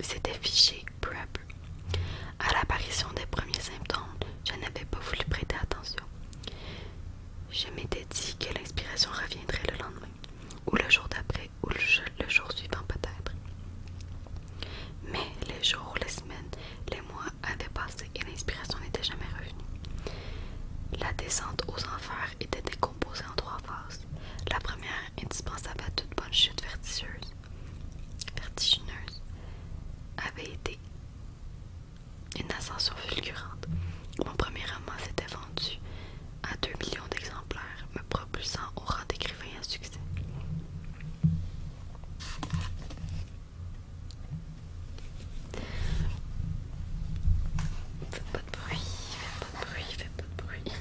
s'était fiché peu à peu. À l'apparition des premiers symptômes, je n'avais pas voulu prêter attention. Je m'étais dit que l'inspiration reviendrait le lendemain, ou le jour d'après, ou le jour suivant peut-être. Mais les jours, les semaines, les mois avaient passé et l'inspiration n'était jamais revenue. La descente aux enfers était décomposée en trois phases. La première, indispensable à toute bonne chute vertigineuse, avait été une ascension fulgurante. Mon premier roman s'était vendu à 2 millions d'exemplaires, me propulsant au rang d'écrivain à succès. Faites pas de bruit, faites pas de bruit, faites pas de bruit.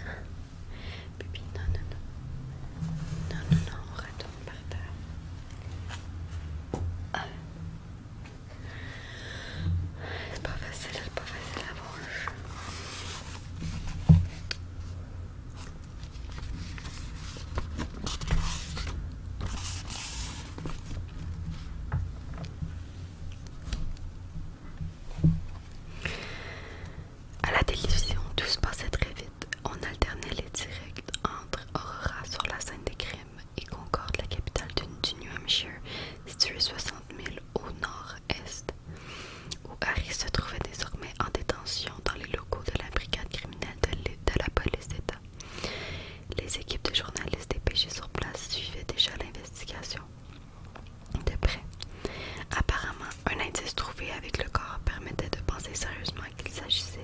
Bébé, non, non, non. Non, non, non, on retourne par terre. Euh. C'est pas facile, c'est pas facile à voir. À la télévision, tout se passait très vite. On alternait les directs entre Aurora sur la scène des crimes et Concorde, la capitale du New Hampshire, située 60 000 au nord-est, où Harry se trouvait désormais en détention dans les locaux de la brigade criminelle de la police d'État. Les équipes de journalistes dépêchés sur place suivaient déjà l'investigation de près. Apparemment, un indice trouvé avec le corps permettait de penser sérieusement qu'il s'agissait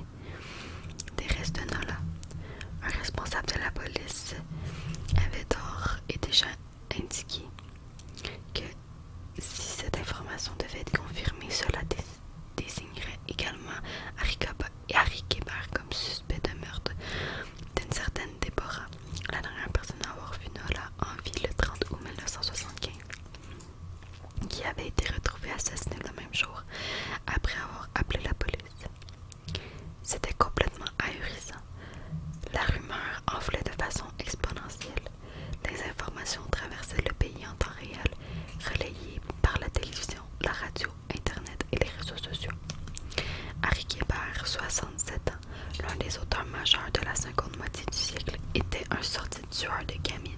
des restes de Nola, un responsable de la police, avait d'ores et déjà indiqué que si cette information devait être confirmée, cela désignerait également Harry Kebert comme suspect de meurtre d'une certaine Déborah, la dernière personne à avoir vu Nola en vie le 30 août 1975 qui avait été retrouvée assassinée le même jour après avoir appelé la police. C'était complètement ahurissant. La rumeur enflait de façon exponentielle. Les informations traversaient le pays en temps réel, relayées par la télévision, la radio, Internet et les réseaux sociaux. Harry Kéber, 67 ans, l'un des auteurs majeurs de la seconde moitié du siècle, était un sorti tueur de gamines.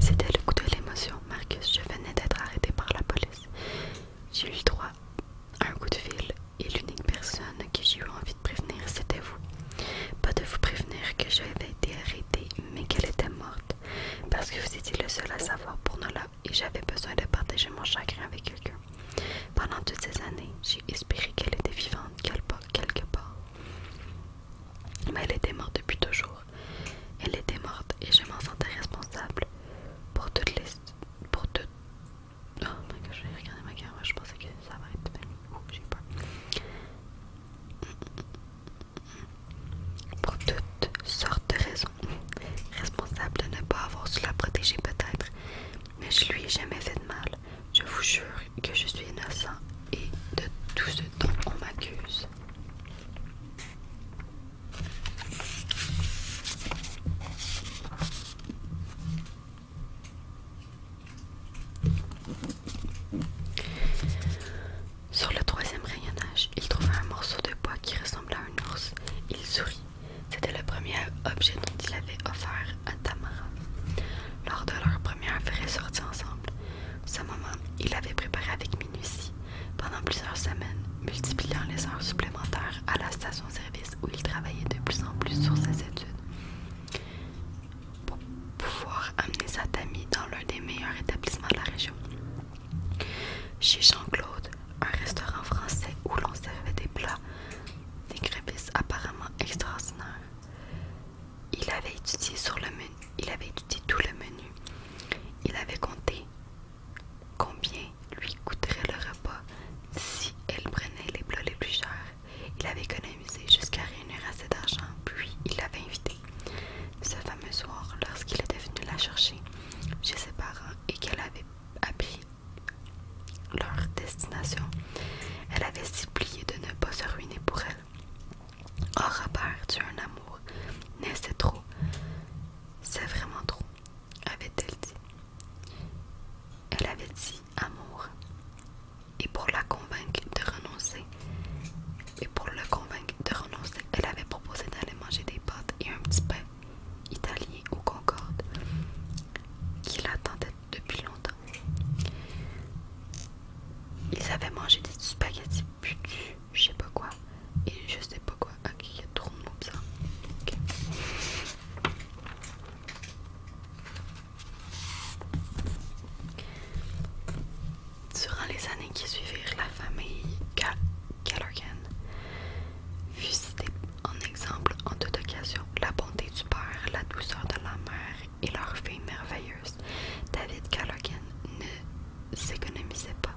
C'était le coup de l'émotion, Marcus. Je venais d'être arrêté par la police. J'ai eu droit à un coup de fil et l'unique personne que j'ai eu envie de prévenir, c'était vous. Pas de vous prévenir que j'avais été arrêtée, mais qu'elle était morte parce que vous étiez le seul à savoir pour là et j'avais besoin de partager mon chagrin avec quelqu'un. Pendant toutes ces années, j'ai espéré qu'elle était vivante quelque part. Mais elle était morte depuis toujours. Elle était morte et je m'en sentais responsable pour toutes les... Pour toutes... Oh my j'ai ma caméra, je pensais que ça va être... Oh, j'ai peur. Pour toutes sortes de raisons. Responsable de ne pas avoir su la protéger peut-être, mais je lui ai jamais fait de mal. Je vous jure que je suis innocent et de tout ce dont on m'accuse. Sur le troisième rayonnage, il trouva un morceau de bois qui ressemblait à un ours. Il sourit. C'était le premier objet dont il avait offert à Tamara. Lors de leur première vraie sortie ensemble, ce moment, il l'avait préparé avec minutie pendant plusieurs semaines, multipliant les heures supplémentaires à la station-service où il travaillait de plus en plus sur ses études pouvoir amener sa famille dans l'un des meilleurs établissements de la région. Chez Jean-Claude, un restaurant français où l'on servait des plats, des crêpes apparemment extraordinaires. Il avait étudié sur le menu, il avait étudié tout le menu. Il avait compté combien lui coûterait le repas si elle prenait les plats les plus chers. Il avait économisé jusqu'à réunir assez d'argent, puis il l'avait invité. Ce fameux soir, lorsqu'il était venu la chercher chez ses parents et qu'elle avait appris leur destination, elle avait supplié de ne pas se ruiner pour elle. Or, oh, part tu as un amour, mais c'est trop. C'est vraiment trop, avait-elle dit. Elle avait dit amour. Et pour la convaincre de renoncer et pour le convaincre de renoncer, elle avait proposé d'aller manger des pâtes et un petit pain italien au Concorde qui l'attendait depuis longtemps. Ils avaient mangé des spaghettis putus, je sais pas quoi, et je sais pas quoi. Ok, il y a trop de mots bizarres. Durant les années qui suivirent, la famille Callaghan fut citée en exemple en toute occasion. La bonté du père, la douceur de la mère et leur fille merveilleuse. David Callaghan ne s'économisait pas.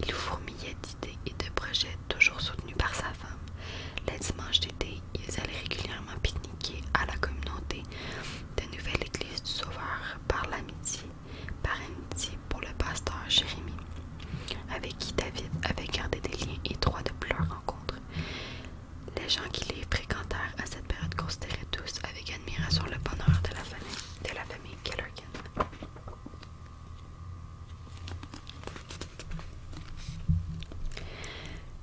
Il fourmillait d'idées et de projets, toujours soutenus par sa femme. Les dimanches d'été, ils allaient régulièrement pique-niquer à la communauté de Nouvelle Église du Sauveur par l'amitié par amitié pour le pasteur Jérémie, avec qui David avait gardé des liens étroits depuis leur rencontre. Les gens qui les fréquentèrent à cette période considéraient tous avec admiration le bonheur de la famille, de la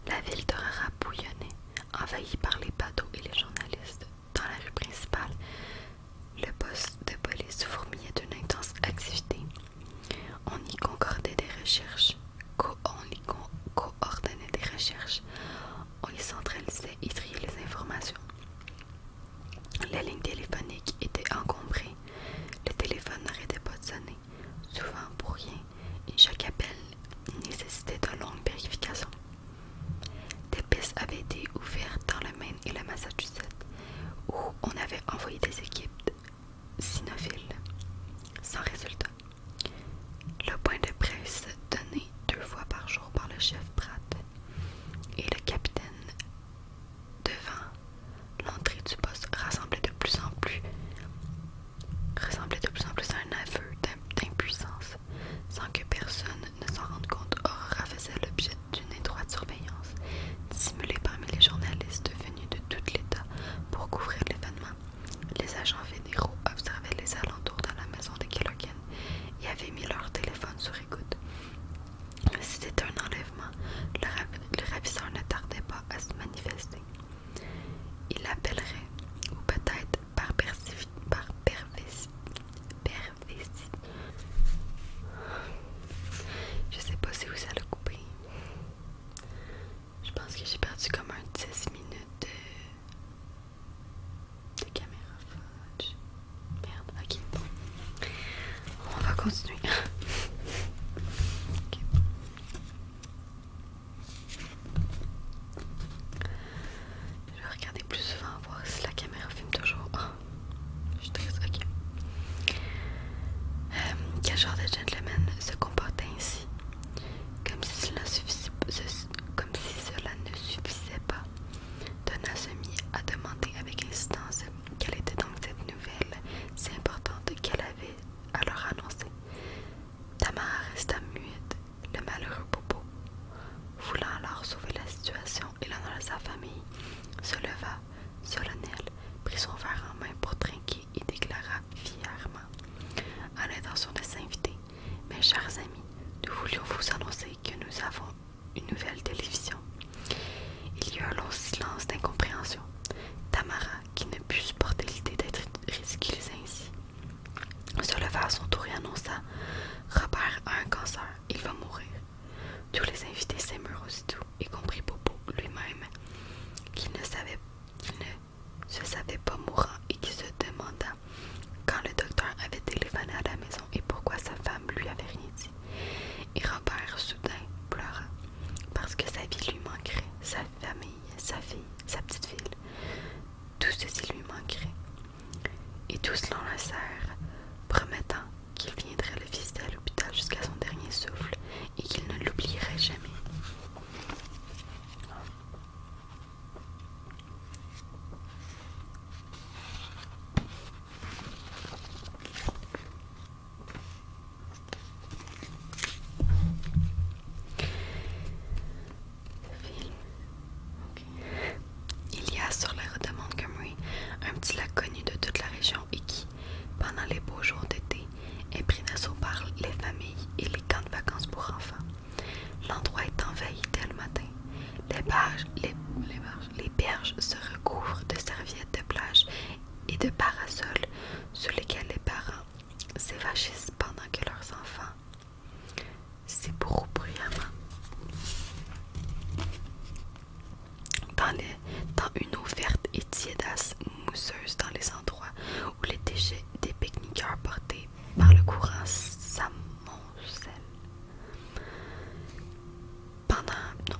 La ville de Rara envahie par les bateaux et les journalistes dans la rue principale, le poste de police fourmillait d'une intense activité. On y concordait des recherches, on y coordonnait des recherches, on y centralisait et triait les informations. Les lignes téléphoniques étaient encombrées, le téléphone n'arrêtait pas de sonner, souvent pour rien, et chaque appel nécessitait de longues vérifications. Des pistes avaient été ouvertes dans le Maine et le Massachusetts, où on avait envoyé des équipes cynophiles, sans résultat. Le point de presse donné deux fois par jour par le chef Pratt et le capitaine devant l'entrée du poste de plus en ressemblait de plus en plus à un aveu d'impuissance sans que personne ne s'en rende compte, Aurora faisait l'objet d'une étroite surveillance, dissimulée parmi les journalistes venus de tout l'État pour couvrir l'événement. Les agents fédéraux observaient les alentours de la maison des kiloken et avaient mis leur téléphone sur écoute. C'était un enlèvement. Le, ravisseur ne tardait pas à se manifester. Il appellerait, ou peut-être par, par perversité, je sais pas si vous ça l'a coupé. Je pense que j'ai perdu comme un 10 minutes de, caméra Merde, ok, On va continuer. Je vais regarder plus souvent, voir si la caméra filme toujours. Ah, je suis ok. Euh, quel genre de gentleman se comportait ainsi comme si, cela comme si cela ne suffisait pas, Donna se mit à demander avec insistance quelle était donc cette nouvelle si importante qu'elle avait à leur annoncer. Tamara resta muette le malheureux Popo, voulant alors sauver la situation et l'honneur de sa famille, se leva, solennel, prit son verre en main pour trinquer et déclara fièrement à l'intention de s'inviter Mes chers amis, nous voulions vous annoncer que nous avons une nouvelle télévision. Il y eut un long silence d'incompréhension. Tamara, qui ne put supporter l'idée d'être ridiculisée ainsi, se leva à son tour et annonça Robert a un cancer il va mourir. Tous les invités s'émurent aussitôt, y compris Popo lui-même, qui ne, savait, ne se savait pas mourant et qui se demanda quand le docteur avait téléphoné à la maison et pourquoi sa femme lui avait rien dit. Et Robert soudain pleura parce que sa vie lui manquerait, sa famille, sa fille, sa petite fille Tout ceci lui manquerait. Et tous serre, promettant qu'il viendrait le visiter à l'hôpital jusqu'à son dernier souffle et qu'il ne l'oublierait jamais. Il y a sur la route de Montgomery un petit lac connu de toute la région et qui, pendant les beaux jours d'été, est pris d'assaut par les familles et les camps de vacances pour enfants. L'endroit est envahi dès le matin. Les les, les berges se recouvrent de serviettes de plage et de parasols sous lesquels les parents s'évachissent pendant que leurs enfants c'est pour Dans, une eau verte et tiédasse mousseuse dans les endroits où les déchets des pique-niqueurs portés par le courant s'amoncellent. Pendant... Non.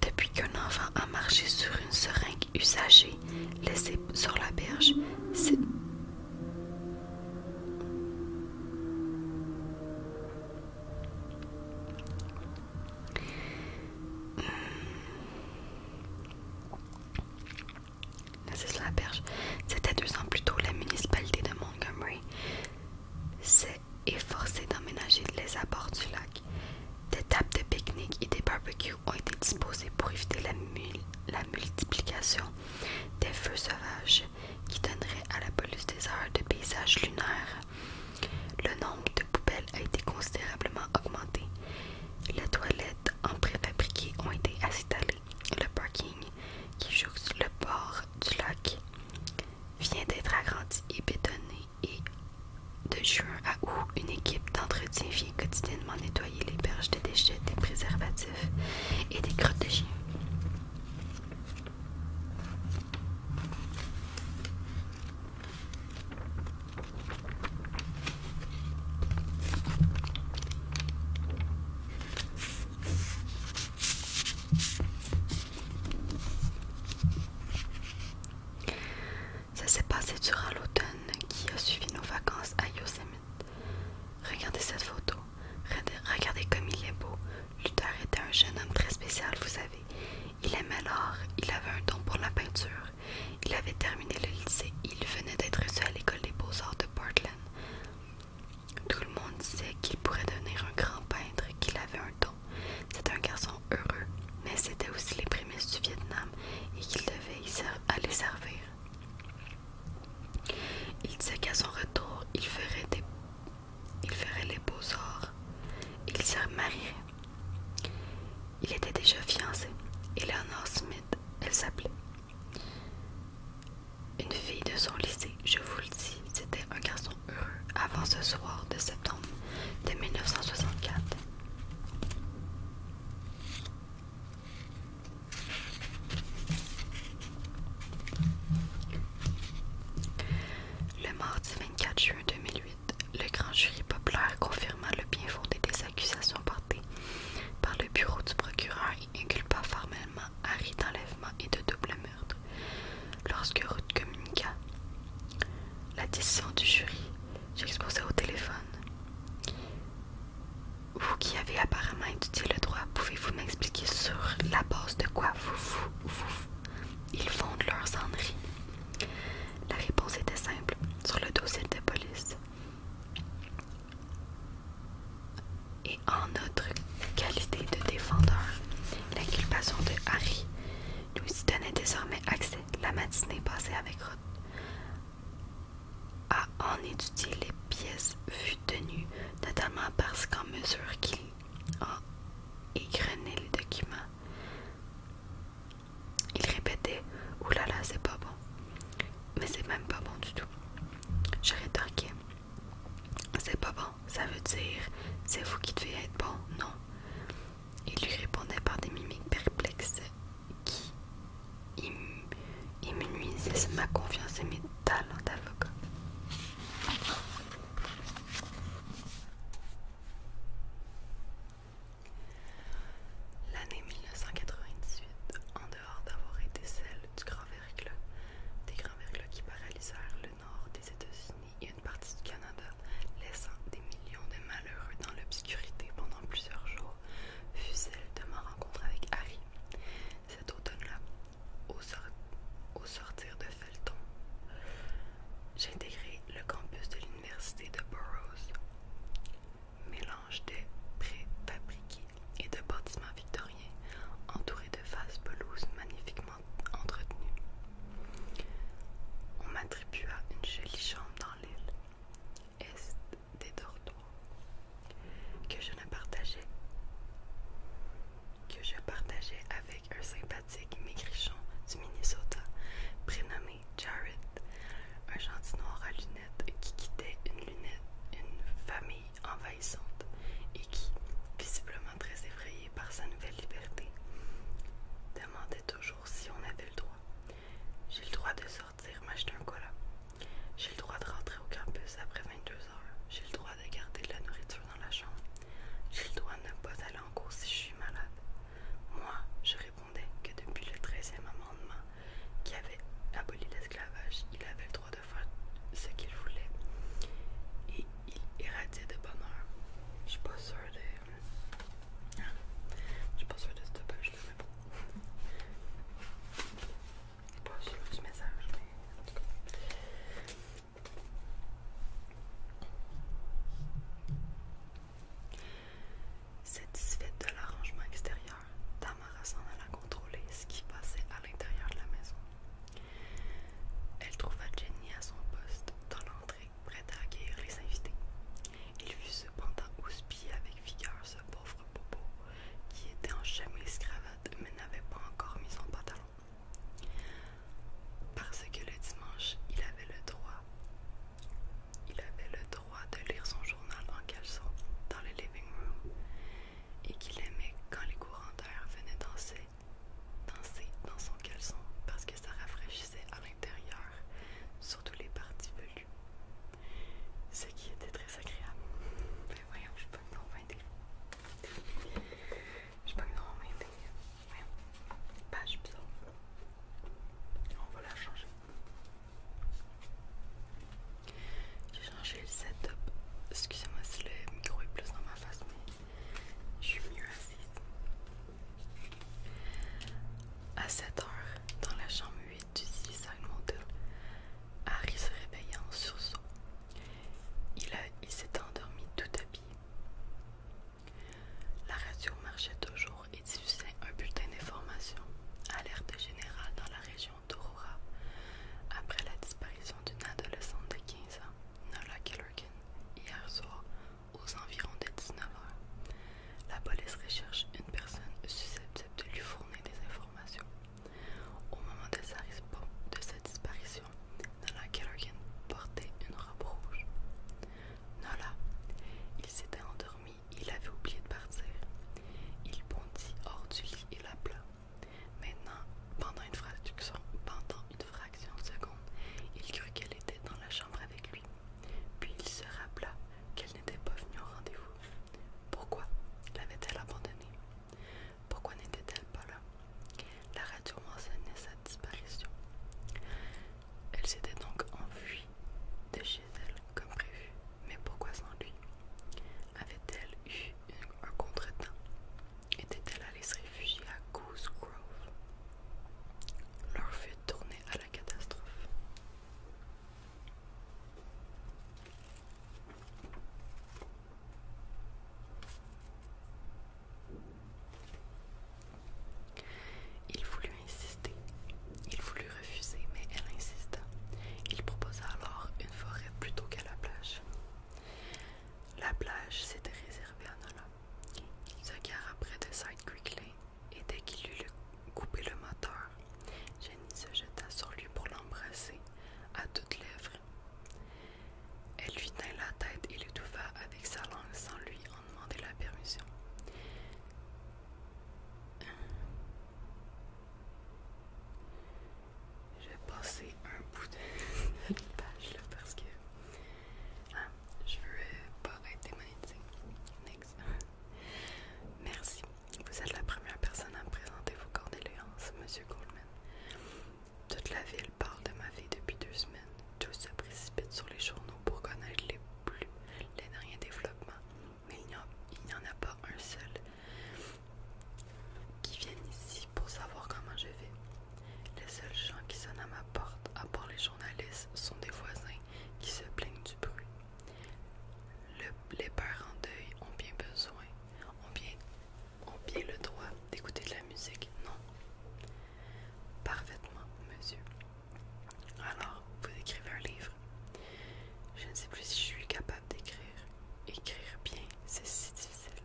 Depuis qu'un enfant a marché sur une seringue usagée laissée sur la berge, c'est... C'est la C'était deux ans plus tôt, la municipalité de Montgomery s'est efforcée d'emménager les abords du lac. Des tables de pique-nique et des barbecues ont été disposées pour éviter la, mule multiplication des feux sauvages qui donnerait à la police des heures de paysages lunaires. Le nombre de poubelles a été considérablement augmenté. Les toilettes en préfabriqué ont été installées. Le parking, qui jouxte le port du lac, vient d'être agrandi et bétonné et de juin à août, une équipe d'entretien vient quotidiennement nettoyer les berges de déchets, des préservatifs et des crottes de chiens. Ça s'est passé durant l'automne qui a suivi nos vacances à Yosemite. Regardez cette photo. Regardez comme il est beau. Luther était un jeune homme très spécial, vous savez. Il aimait l'art, il avait un don pour la peinture. Il avait terminé le lycée il venait d'être reçu à l'école des beaux-arts de Portland. Tout le monde sait qu'il pourrait devenir un grand peintre, qu'il avait un don. C'était un garçon heureux, mais c'était aussi les prémices du Vietnam et qu'il devait y aller servir. Il sait qu'à son retour, il ferait, des... il ferait les beaux sorts Il se marierait. Il était déjà fiancé. Eleanor Smith, elle s'appelait. Une fille de son lycée, je vous le dis, c'était un garçon heureux avant ce soir de septembre de 1964. Le mardi 24 juin 2008, le grand jury populaire confirma le bien fondé des accusations portées par le bureau du procureur et inculpa formellement Harry d'enlèvement et de double meurtre. Lorsque Ruth communiqua la décision du jury, j'exposais au téléphone vous qui avez apparemment étudié le droit, pouvez-vous m'expliquer sur la base de quoi vous, vous, ils fondent leurs enneries La réponse était simple, sur le dossier de police. Et en notre qualité de défendeur, l'inculpation de Harry nous y donnait désormais accès la matinée passée avec Ruth, à en étudier les pièces tenu, notamment parce qu'en mesure qu'il a égrené les documents, il répétait « Oulala, là c'est pas bon. Mais c'est même pas bon du tout. » Je rétorquais « C'est pas bon, ça veut dire « C'est vous qui devez être bon, non. » Il lui répondait par des mimiques perplexes qui me et ça ma confiance et mes talents d'avocat. L'année 1998, en dehors d'avoir été celle du grand verglas, des grands verglas qui paralysèrent le nord des États-Unis et une partie du Canada, laissant des millions de malheureux dans l'obscurité pendant plusieurs jours, fut celle de ma rencontre avec Harry. Cet automne-là, au, sortir de Felton, j'intégrai le campus de l'université de Burroughs. Mélange de préfabriqués et de bâtiments victoriens entourés de vastes pelouses magnifiquement entretenues. On m'attribua une jolie chambre dans l'île, est des dortoirs, que je ne partageais que je partageais avec un sympathique maigrichon du Minnesota prénommé Jarrett, un gentil noir à lunettes qui quittait une lunette, une famille envahissante et qui, visiblement très effrayé par sa nouvelle liberté, demandait toujours si on avait le droit. J'ai le droit de sortir m'acheter un cola. J'ai le droit de rentrer au campus après 22 heures. J'ai le droit de garder de la nourriture dans la chambre. J'ai doit ne pas aller en cours si je suis malade. Moi, je répondais que depuis le 13e amendement qui avait aboli l'esclavage, il avait le droit de faire ce qu'il voulait et il irradiait de bonheur. Je suis pas sûre de. Hein? Je suis pas sûre de ce mais bon pas du message, mais en tout cas. Satisfaite de l'arrangement extérieur, Tamara s'en alla contrôler ce qui passait à l'intérieur de la maison. Elle trouva Jenny à son poste dans l'entrée, prête à accueillir les invités. Il fut cependant houspillé avec vigueur ce pauvre popo qui était en chemise cravate mais n'avait pas encore mis son pantalon. Parce que le dimanche, il avait le droit. Il avait le droit de lire son journal en caleçon dans le living room et qu'il aimait quand les courants d'air venaient danser, danser dans son caleçon parce que ça rafraîchissait à l'intérieur, surtout les parties velues. Ce qui était très agréable. Mais voyons, je suis pas convaincue. Je pas de normalement Voyons. Page bizarre. On va la changer. J'ai changé le setup. Excusez-moi si le micro est plus dans ma face, mais je suis mieux assise. À 7h, dans la chambre 8 du Suicide Motel, Harry se réveilla en sursaut il, s'est endormi tout habillé. La radio marchait toujours et diffusait un bulletin d'information, alerte générale dans la région d'Aurora, après la disparition d'une adolescente de 15 ans, Nola Killerkin, hier soir, aux environs de 19h. La police recherche une personne susceptible de lui fournir des informations. Au moment de sa, disparition, Nola Callaghan portait une robe rouge. Nola, il s'était endormi, il avait oublié de partir. Il bondit hors du lit et l'appela. Maintenant, pendant une fraction, pendant une fraction de seconde, il crut qu'elle était dans la chambre avec lui. Puis il se rappela qu'elle n'était pas venue au rendez-vous. Pourquoi l'avait-elle abandonnée pourquoi n'était-elle pas là La radio m'enseignait sa disparition. Elle s'était donc enfuie de chez elle comme prévu. Mais pourquoi sans lui Avait-elle eu un contretemps Était-elle allée se réfugier à Goose Grove Leur fait tourner à la catastrophe. Il voulut insister. Il voulut refuser, mais elle insista. Il proposa alors une forêt plutôt qu'à la plage. La plage s'était réservée à Nola. Il se gara près de Side Creek Lane et dès qu'il eut coupé le moteur, Jenny se jeta sur lui pour l'embrasser à toutes lèvres. Elle lui tint la tête et l'étouffa avec sa langue sans lui en demander la permission. Je vais passer un bout de page là parce que hein, je veux pas être démonétisée. Merci. Vous êtes la première personne à présenter vos condoléances, Monsieur Goldman. Toute la ville parle de ma vie depuis deux semaines. Tout se précipite sur les journaux pour connaître les plus les derniers développements, mais il n'y en a pas un seul qui vienne ici pour savoir comment je vais. Les seuls gens qui sonnent à ma porte, à part les journalistes, sont des voisins qui se plaignent du bruit. les parents en deuil ont bien besoin, ont bien ont bien le droit d'écouter de la musique, non Parfaitement, monsieur. Alors, vous écrivez un livre. Je ne sais plus si je suis capable d'écrire. Écrire bien, c'est si difficile.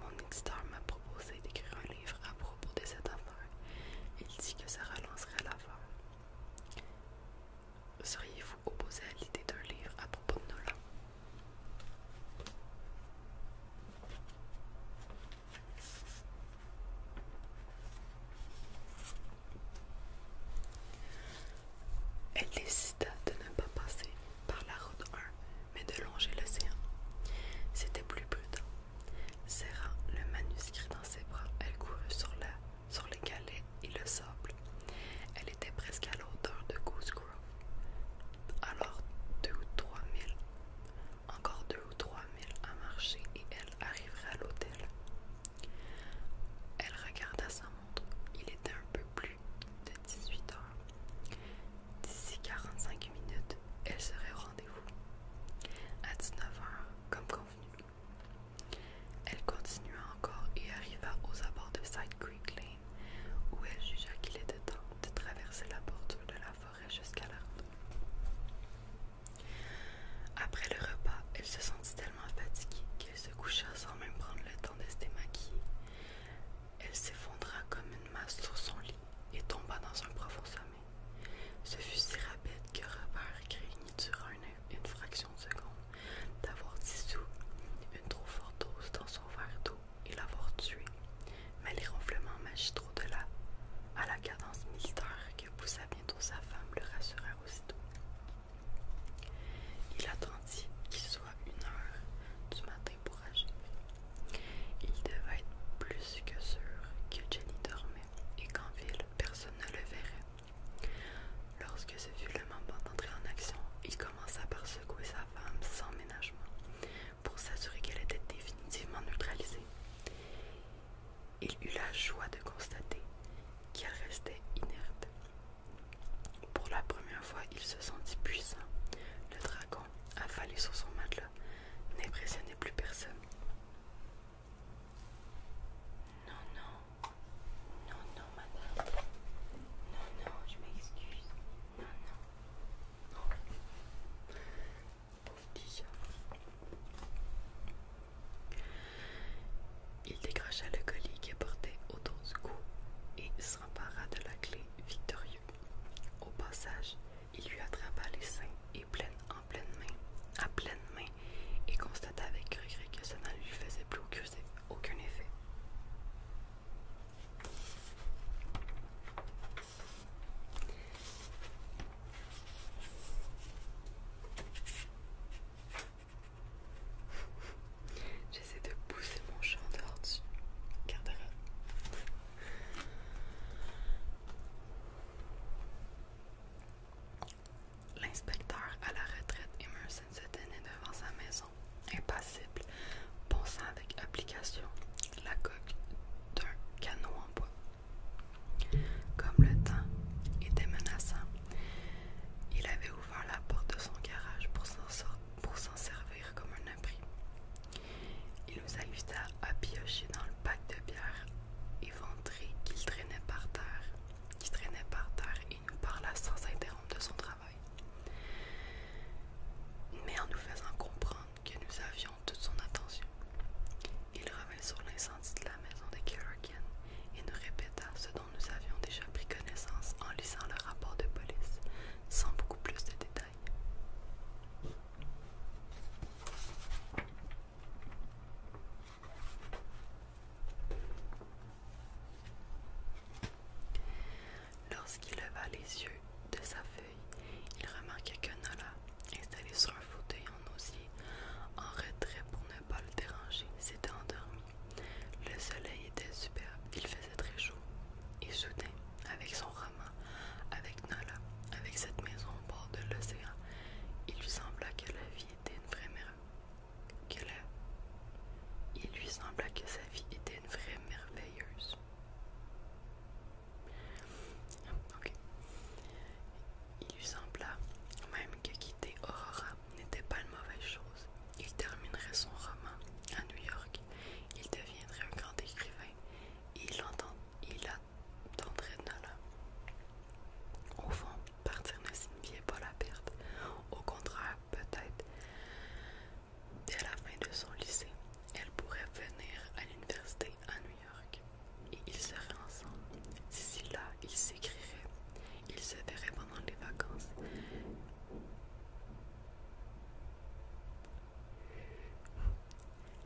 Mon éditeur m'a proposé d'écrire un livre à propos de cette affaire. Il dit que ça relancerait l'affaire. Seriez-vous opposé à l'idée d'un livre à propos de Nolan elle décida de ne pas passer par la route 1, mais de longer l'océan. C'était plus prudent. Serrant le manuscrit dans ses bras, elle courut sur, la, sur les galets et le sable. Elle était presque à l'auteur de couscous. Alors deux ou trois mille, encore deux ou trois mille à marcher et elle arriverait à l'hôtel. Elle regarda sa montre. Il était un peu plus de 18 heures. D'ici 45 minutes, elle serait au rendez-vous. À 19 heures, comme convenu. Elle continua encore et arriva aux abords de Side Creek Lane où elle jugea qu'il était temps de traverser la bordure de la forêt jusqu'à l'arbre. Après le repas, elle se sentit tellement fatiguée qu'elle se coucha sans même prendre le temps de se démaquiller. Elle s'effondra comme une masse sur son lit et tomba dans un profond sommeil. Ce fut si rapide que Robert craignit durant une fraction de seconde d'avoir dissous une trop forte dose dans son verre d'eau et l'avoir tué, mais les ronflements magistraux de là à la cadence militaire que poussa bientôt sa femme le rassurèrent aussitôt. Il attendit qu'il soit une heure du matin pour agir. Il devait être plus que sûr que Jenny dormait et qu'en ville personne ne le verrait. Lorsque ce fut le moment d'entrer en action, il commença par secouer sa sans ménagement pour s'assurer qu'elle était définitivement neutralisée. Il eut la joie de constater qu'elle restait inerte. Pour la première fois, il se sentit puissant. Le dragon, affalé sur son matelas, n'impressionnait plus personne. Non, non, non, non, madame. Non, non, je m'excuse. Non, non, il décrocha le colis qu'il portait autour du cou et s'empara de la clé victorieux. Au passage, il lui attrapa les seins et pleine, en pleine main, à pleine main, et constata avec regret que cela ne lui faisait plus aucun effet. J'essaie de pousser mon chat en dehors L'inspecteur à la retraite Emerson se tenait devant sa maison impassible, ponçant avec application la coque d'un canot en bois. Comme le temps était menaçant, il avait ouvert la porte de son garage pour s'en servir comme un abri. Il nous invita à piocher dans le bac de bière éventré qu'il traînait par terre, qui traînait par terre et nous parla sans interrompre de son travail. Mais en nous faisant comprendre que nous avions toute son attention, il revint sur l'incendie de la maison de Kerrigan et nous répéta ce dont nous avions déjà pris connaissance en lisant le rapport de police, sans beaucoup plus de détails. Lorsqu'il leva les yeux de sa feuille, il remarqua que Nala, installée sur un fauteuil en osier, en retrait pour ne pas le déranger, s'était endormie. Le soleil était superbe, il faisait très chaud. Et soudain, avec son roman, avec Nala, avec cette maison au bord de l'océan, il lui sembla que la vie était une vraie merveille. Il lui sembla que sa vie était une vraie merveilleuse. Il lui sembla même que quitter Aurora n'était pas une mauvaise chose. Il terminerait son roman à New York, il deviendrait un grand écrivain il, entend, il dans Au fond, partir ne signifiait pas la perte. Au contraire, peut-être Dès la fin de son lycée, elle pourrait venir à l'université à New York et ils seraient ensemble. D'ici là, ils s'écriraient, ils se verraient pendant les vacances.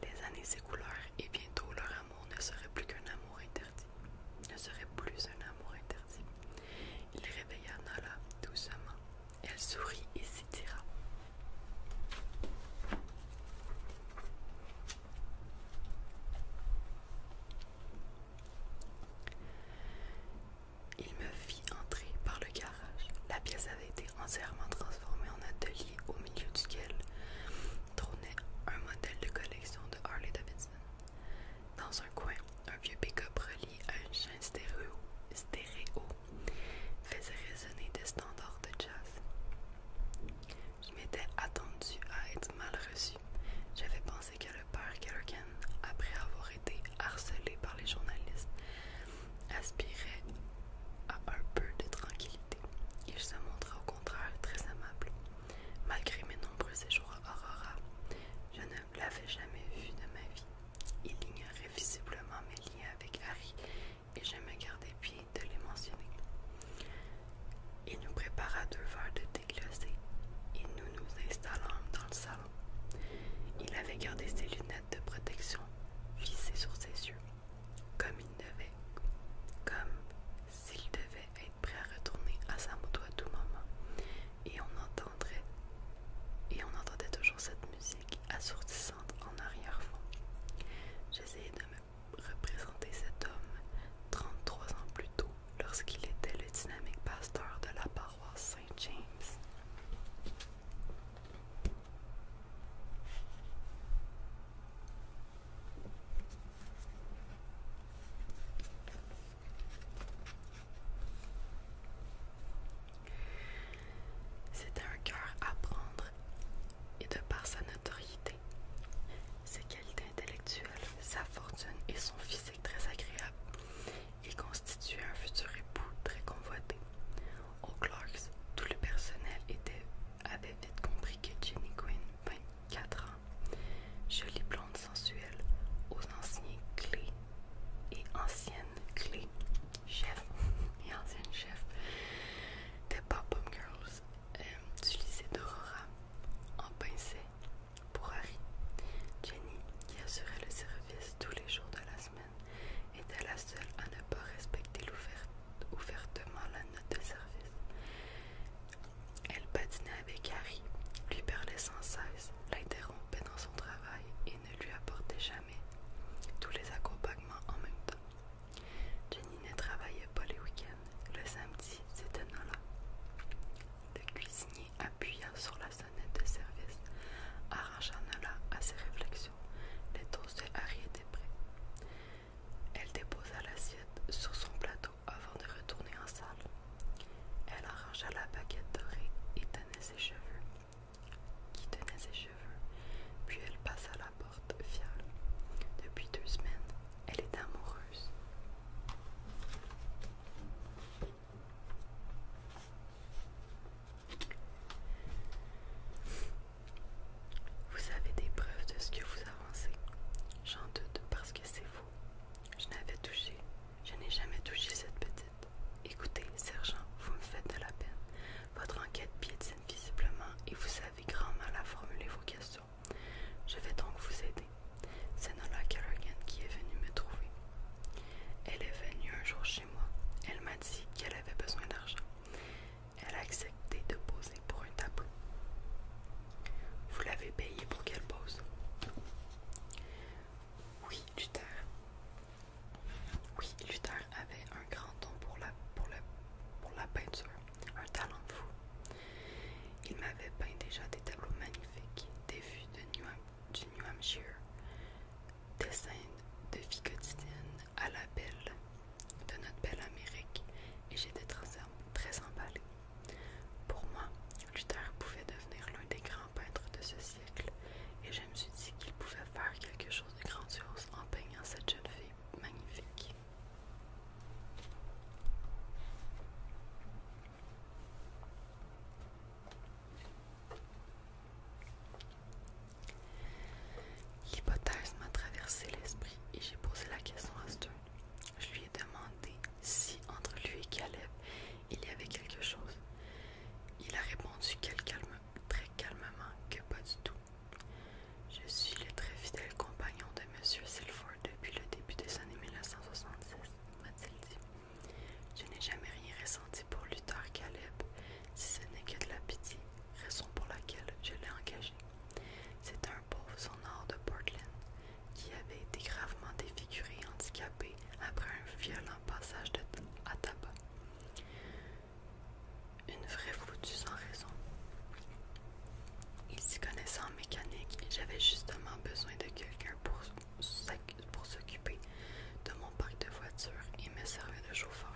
Les années s'écoulèrent et bientôt leur amour ne serait plus qu'un amour interdit. Ne serait plus un amour interdit. Il réveilla Nala doucement elle sourit et s'étira. Il me fit entrer par le garage. La pièce avait été entièrement transformée en atelier au milieu duquel trônait un modèle de collection de Harley Davidson. Dans un coin, un vieux pick-up relié à une chaîne stéréo, stéréo faisait résonner des standards de jazz. Je m'étais attendu à être mal reçu. J'avais pensé que le père Kerrigan, après avoir été harcelé par les journalistes, aspirait à un peu de tranquillité. Il se montra au contraire très amable. Malgré mes nombreux séjours à Aurora, je ne l'avais jamais vu de ma vie. Il ignorait visiblement mes liens avec Harry et je me gardais pied de les mentionner. Il nous prépara deux verres de thé et nous nous installâmes dans le salon. Il avait gardé ses lunettes de protection vissées sur ses yeux, comme il devait, comme s'il devait être prêt à retourner à sa moto à tout moment, et on entendrait, et on entendait toujours cette musique assourdissante en arrière-fond. J'essayais de me représenter cet homme 33 ans plus tôt lorsqu'il était le dynamique pasteur de la paroisse Saint-James. C'était un cœur à prendre et de par sa notoriété, ses qualités intellectuelles, sa fortune et son physique très agréable, il constituait un futur époux très convoité. Au Clarks, tout le personnel était, avait vite compris que Jenny Quinn, 24 ans, jolie blonde sensuelle, aux anciens clés et ancienne clé chef et ancienne chef des pop up Girls euh, du d'Aurora en pincée pour Harry. Jenny, qui assurait le service tous les jours de la semaine, était la seule à ne pas respecter ouvertement la note de service. Elle patinait avec Harry, lui parlait sans cesse, l'interrompait dans son travail ne lui apportait jamais tous les accompagnements en même temps. Jenny ne travaillait pas les week-ends. Le samedi, c'était Nala. Le cuisinier appuyant sur la sonnette de service, arrangea Nala à ses réflexions. Les toasts de Harry étaient prêts. Elle déposa l'assiette sur son plateau avant de retourner en salle. Elle arrangea la baguette dorée et tenait ses cheveux qui tenait ses cheveux, puis elle passe à la porte fiale. Depuis deux semaines, elle est amoureuse. Vous avez des preuves de ce que vous avancez. J'en doute parce que c'est vous. Je n'avais touché, je n'ai jamais touché cette petite Écoutez, sergent, vous me faites de la peine. Votre enquête piétine visiblement et vous savez grand mal à formuler vos questions. Je vais donc vous aider. C'est Nola Kerrigan qui est venue me trouver. Elle est venue un jour chez moi. Elle m'a dit qu'elle avait besoin d'argent. Elle a accepté de poser pour un tableau. Vous l'avez payé pour qu'elle pose Oui, Luther. Oui, Luther avait un grand don pour la, peinture, un talent fou. Il m'avait peint déjà des tableaux magnifiques, des vues du New Hampshire, des scènes de vie quotidienne à la belle de notre belle Amérique, et j'étais très, très emballée. Pour moi, Luther pouvait devenir l'un des grands peintres de ce siècle et je me suis dit qu'il pouvait faire quelque chose de grandiose en peignant cette jeune fille magnifique. L'hypothèse m'a traversé l'esprit et j'ai posé la question à Stern. Je lui ai demandé si entre lui et Caleb il y avait quelque chose. Il a répondu qu'elle calme très calmement que pas du tout. Je suis le très fidèle compagnon de M. Silford depuis le début des années 1966, m'a-t-il dit. Je n'ai jamais rien ressenti pour Luther Caleb, si ce n'est que de la pitié, raison pour laquelle je l'ai engagé. C'est un pauvre sonore de Portland qui avait été gravement défiguré et handicapé après un violent passage de à tabac. Une vraie foutue sans raison. Il s'y connaissait en mécanique j'avais justement besoin de quelqu'un pour, s'occuper de mon parc de voitures et me servir de chauffeur.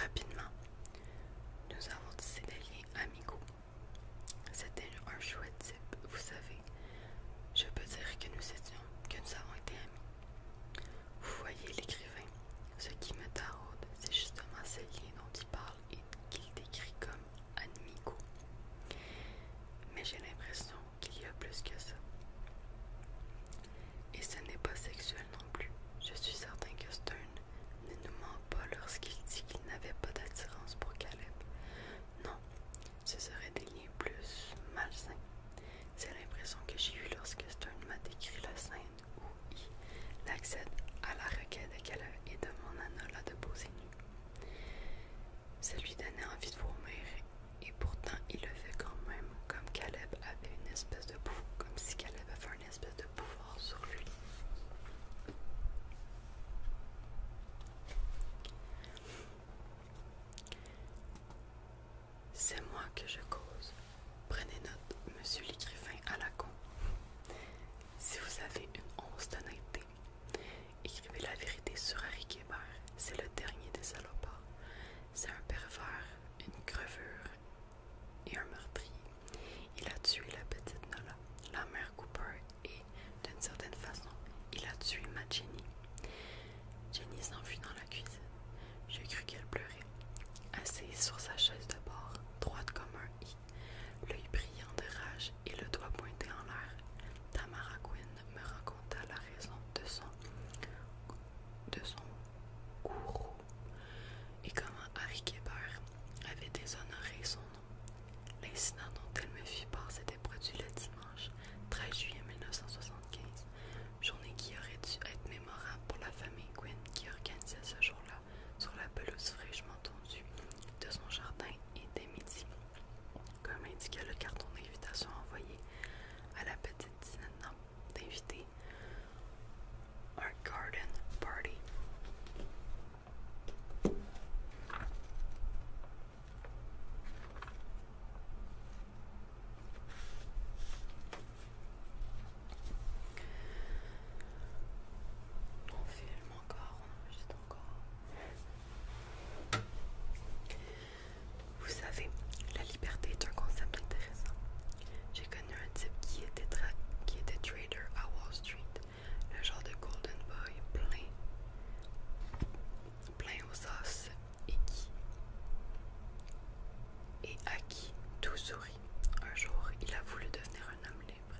Rapidement, nous avons décidé des liens amicaux. C'était un chouette type, vous savez. Je peux dire que nous étions, que nous avons été amis. Vous voyez l'écrivain, ce qui me taraude, c'est justement ces liens dont il parle et qu'il décrit comme amicaux. Mais j'ai l'impression qu'il y a plus que ça. Et ce n'est pas sexuel non plus. Je suis certain que Stern ne nous ment pas lorsqu'il dit qu'il n'avait pas d'attirance pour Caleb. Non, ce serait des liens plus malsains. C'est l'impression que j'ai eue lorsque Stern m'a décrit la scène où il accède à la requête de Caleb et demande à là de poser nu. Ça lui donnait envie de vomir et pourtant il le fait quand même, comme Caleb avait une espèce de boue, comme si Caleb avait une espèce de pouvoir sur lui. C'est moi que je cause. Prenez note, monsieur l'écrivain à la con. Si vous avez une once d'honnêteté, écrivez la vérité sur Harry Kébert. C'est le dernier des salopards. C'est un pervers, une crevure et un meurtrier. Il a tué la petite Nola, la mère Cooper, et, d'une certaine façon, il a tué ma Jenny. Jenny s'enfuit dans la cuisine. J'ai cru qu'elle pleurait. Assise sur sa chaise de bord, droite comme un i, l'œil brillant de rage et le doigt pointé en l'air, Tamara Quinn me raconta la raison de son, de son gourou et comment Harry Kéber avait déshonoré son nom. L'incident dont elle me fit part s'était produit le dimanche 13 juillet 1975 journée qui aurait dû être mémorable pour la famille Quinn qui organisait ce jour-là sur la pelouse fraîchement tondue de son jardin et des midi, comme indiquait le carton d'invitation envoyé à la petite dînette d'invités, un garden party. On filme encore, on enregistre encore. Vous savez, la liberté est un concept intéressant. J'ai connu un type qui était, qui trader à Wall Street, le genre de golden boy plein, plein aux os et qui et à qui tout sourit. Un jour, il a voulu devenir un homme libre.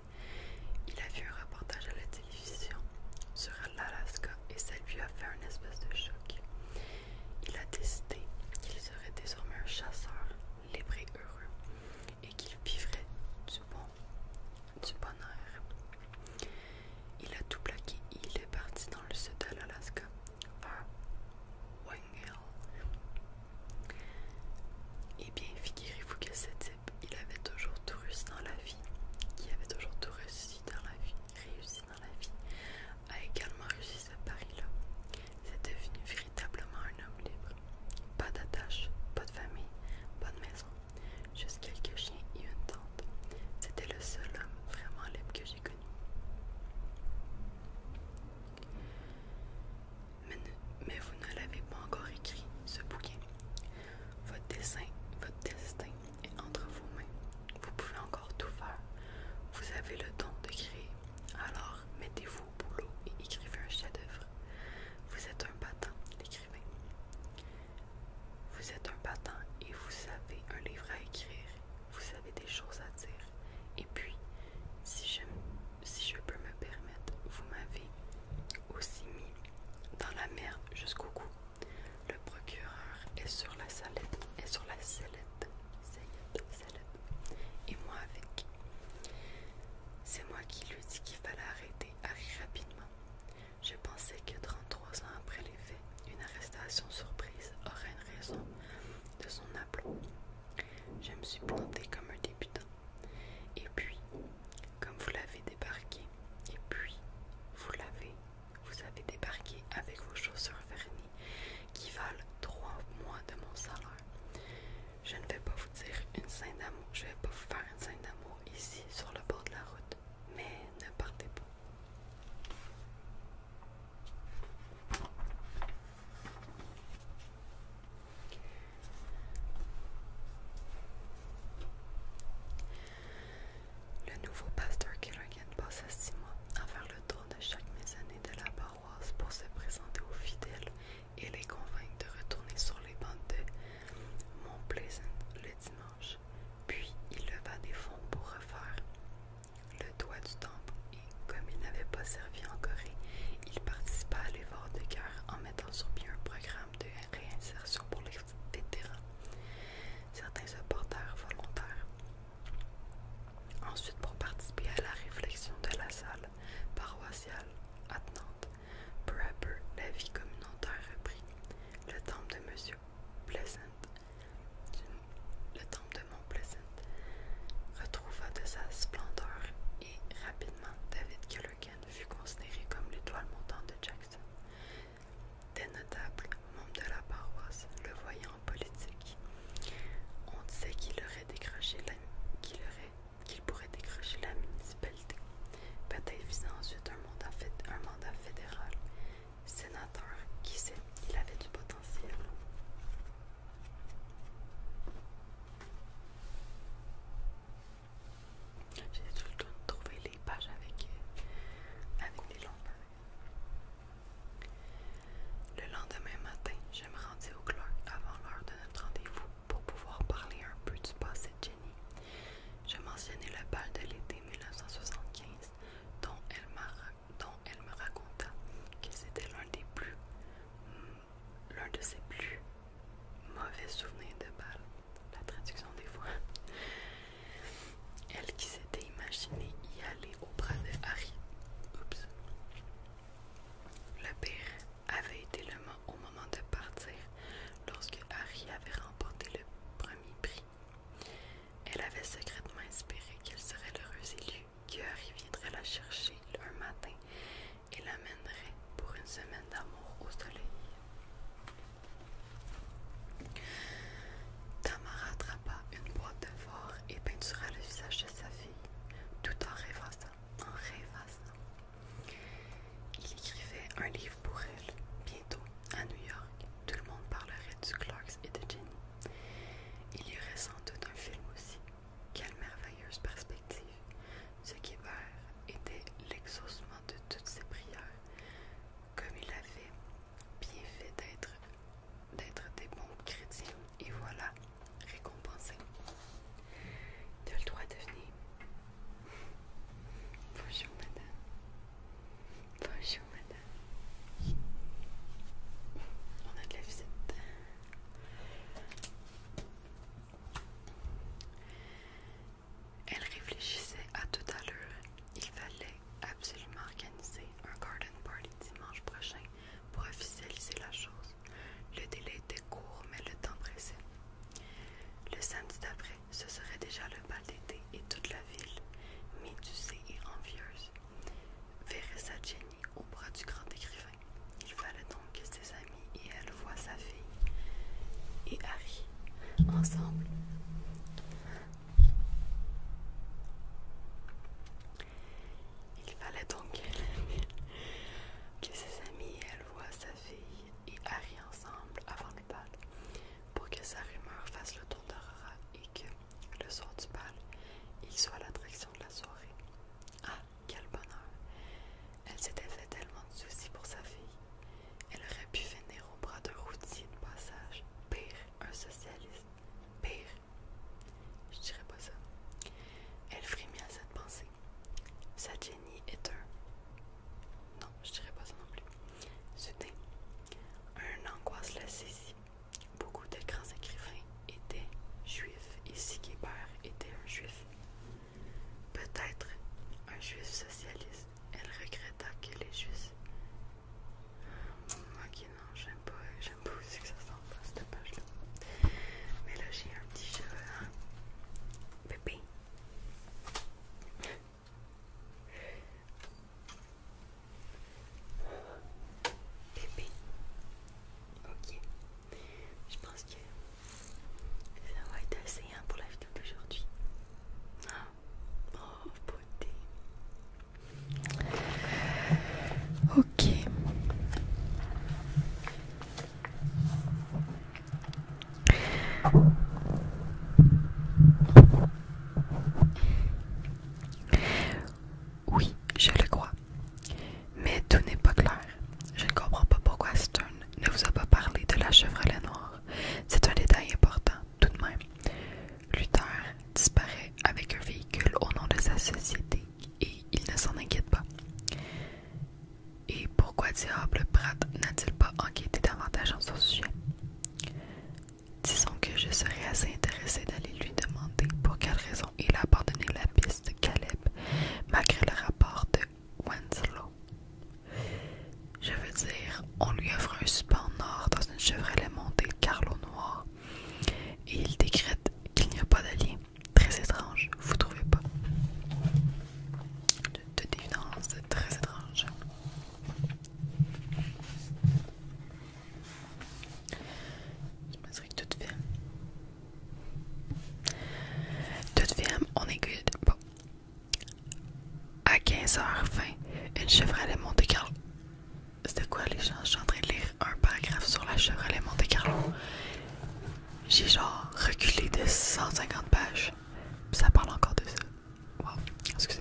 Il a vu un reportage à la télévision sur l'Alaska et ça lui a fait un espèce de choc. Il a décidé qu'il serait désormais un chasseur libre et heureux et qu'il vivrait du bon, du bonheur. Il a tout plaqué et il est parti dans le sud de l'Alaska et eh bien, figurez-vous que ce type, il avait toujours tout réussi dans la vie. qui avait toujours tout réussi dans la vie, réussi dans la vie, a également réussi ce pari-là. C'est devenu véritablement un homme libre. Pas d'attache, pas de famille, pas de maison, juste quelques chiens et une tante. C'était le seul homme vraiment libre que mais, vous ne l'avez pas encore écrit, ce bouquin. Votre dessin, votre destin est entre vos mains. Vous pouvez encore tout faire. Vous avez le don de créer. Alors, mettez-vous au boulot et écrivez un chef-d'œuvre. Vous êtes un battant, l'écrivain. Vous êtes un battant et vous savez un livre à écrire. Vous avez des choses à dire. Et puis, si je, si je peux me permettre, vous m'avez aussi mis dans la mer jusqu'au cou. Le procureur est sur la salette, est sur la sellette, et moi avec. C'est moi qui lui dis qu'il fallait arrêter Harry rapidement. Je pensais que 33 ans après les faits, une arrestation surprise aurait une raison de son aplomb. Je me suis plantée comme un débutant. Et puis, comme vous l'avez débarqué, et puis vous l'avez, vous avez débarqué avec vos chaussures vernies qui valent trois mois de mon salaire. Je ne vais pas vous dire une scène d'amour, je vais pas vous faire une scène d'amour ici sur le bord de la route, mais ne partez pas. Le nouveau pasteur Kerrigan passa six mois à faire le tour de chaque maisonnée de la paroisse pour se présenter aux fidèles et les convaincre de retourner sur les bancs de Mont le dimanche. Puis il leva des fonds pour refaire le doigt du temple, et, comme il n'avait pas servi en Corée, il participa à l'effort de guerre en mettant sur pied un programme de réinsertion pour les vétérans. Certains supporters volontaires. Ensuite, pour participer à la réflexion de la salle paroissiale attenante, peu à la vie communautaire reprit. Le temple de M. Pleasant le temple de Mont Pleasant retrouva de sa splendeur et rapidement David Callaghan fut considéré comme l'étoile montante de Jackson. Des notables membres de la paroisse le voyant en politique. On disait qu'il aurait décroché la qu'il pourrait décrocher la municipalité. Peut-être visant ensuite un mandat, un mandat fédéral. Sénateur, qui sait, il avait du potentiel. J'ai tout le temps trouvé les pages avec, euh, avec des Le lendemain matin, je me rendis au club avant l'heure de notre rendez-vous pour pouvoir parler un peu du passé de Jenny. Je mentionnais le bal de l'été 1975 dont elle m'a dont elle me raconta que c'était l'un des plus hmm, l'un de ses plus mauvais souvenirs de balle, la traduction des fois. Elle qui s'était imaginée y aller au bras de Harry. Oups. Le pire avait été le mot au moment de partir, lorsque Harry avait remporté le premier prix. Elle avait secrètement espéré qu'elle serait l'heureuse élue Cœur, il viendrait la chercher un matin et l'amènerait pour une semaine d'amour au soleil. Tamara attrapa une boîte de fort et peintura le visage de sa fille, tout en rêvassant, en rêvassant. Il écrivait un livre pour elle. Bientôt, à New York, tout le monde parlerait du Clarks et de Jenny. Il y aurait sans doute un film aussi. Quelle merveilleuse perspective! Ce qui va était l'exaucement de toutes ses prières, comme il avait bien fait d'être D'être des bons chrétiens, et voilà, récompensé. Tu as le droit de venir. Bonjour, madame. Bonjour, madame. On a de la visite. Elle réfléchissait à tout à l'heure. Il fallait absolument organiser un garden party dimanche prochain pour officialiser la chose. Le délai était court, mais le temps pressait. Le samedi d'après, ce serait déjà le bal d'été et toute la ville, médusée et envieuse, verrait sa Jenny au bras du grand écrivain. Il fallait donc que ses amis et elle voient sa fille et Harry ensemble. Il fallait donc que ses amis et elle voient sa fille et Harry ensemble avant le bal pour que sa rumeur fasse le tour d'Aurora et que le soir du bal, il soit l'attraction de la soirée. Ah, quel bonheur! Elle s'était fait tellement de soucis pour sa fille. Elle aurait pu finir au bras de routier de passage. Pire, un socialiste. Pire. Je dirais pas ça. Elle frémit à cette pensée. Sa génie est un. Non, je dirais pas ça non plus. C'était un angoisse la saisit. Beaucoup de grands écrivains étaient juifs et Siguebert était un juif. Peut-être un juif socialiste. Elle regretta qu'elle est Moi, Ok, non, j'aime pas, j'aime pas aussi que ça s'en cette page-là. Mais là, j'ai un petit cheveu, hein? Bébé. Bébé. Ok. Je pense que ça va être assez hein, pour la vidéo d'aujourd'hui. Ah. Oh, beauté. Ok. Oui, je le crois. Mais tout n'est pas clair. Je ne comprends pas pourquoi Stern ne vous a pas parlé de la Chevrolet noire. C'est un détail important, tout de même. Luther disparaît avec un véhicule au nom de sa société et il ne s'en inquiète pas. Et pourquoi diable Pratt n'a-t-il pas enquêté davantage sur ce sujet? Disons que je serais assez intéressé d'aller lui demander pour quelle raison il a abandonné la piste de Caleb malgré le rapport de Winslow. Je veux dire, on lui offre un support nord dans une Chevrolet montée Carlo noir et il décrète qu'il n'y a pas d'allié Très étrange, vous trouvez pas De, très étrange. Tout que toute film. Toute film, on est good. Bon. À 15h20, une Chevrolet Monte Carlo. C'était quoi les gens? Je suis en train de lire un paragraphe sur la Chevrolet Monte Carlo. J'ai genre reculé de 150 pages. ça parle encore de ça. Wow, excusez.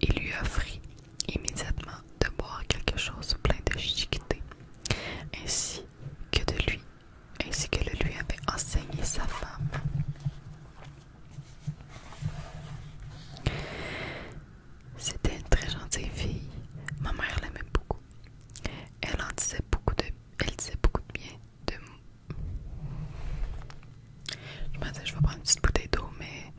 Il lui offrit immédiatement de boire quelque chose plein de chiqueté, ainsi que de lui, ainsi que le lui avait enseigné sa femme. C'était une très gentille fille. Ma mère l'aimait beaucoup. Elle en disait beaucoup de, elle disait beaucoup de bien de... Je me disais, je vais prendre une petite bouteille d'eau, mais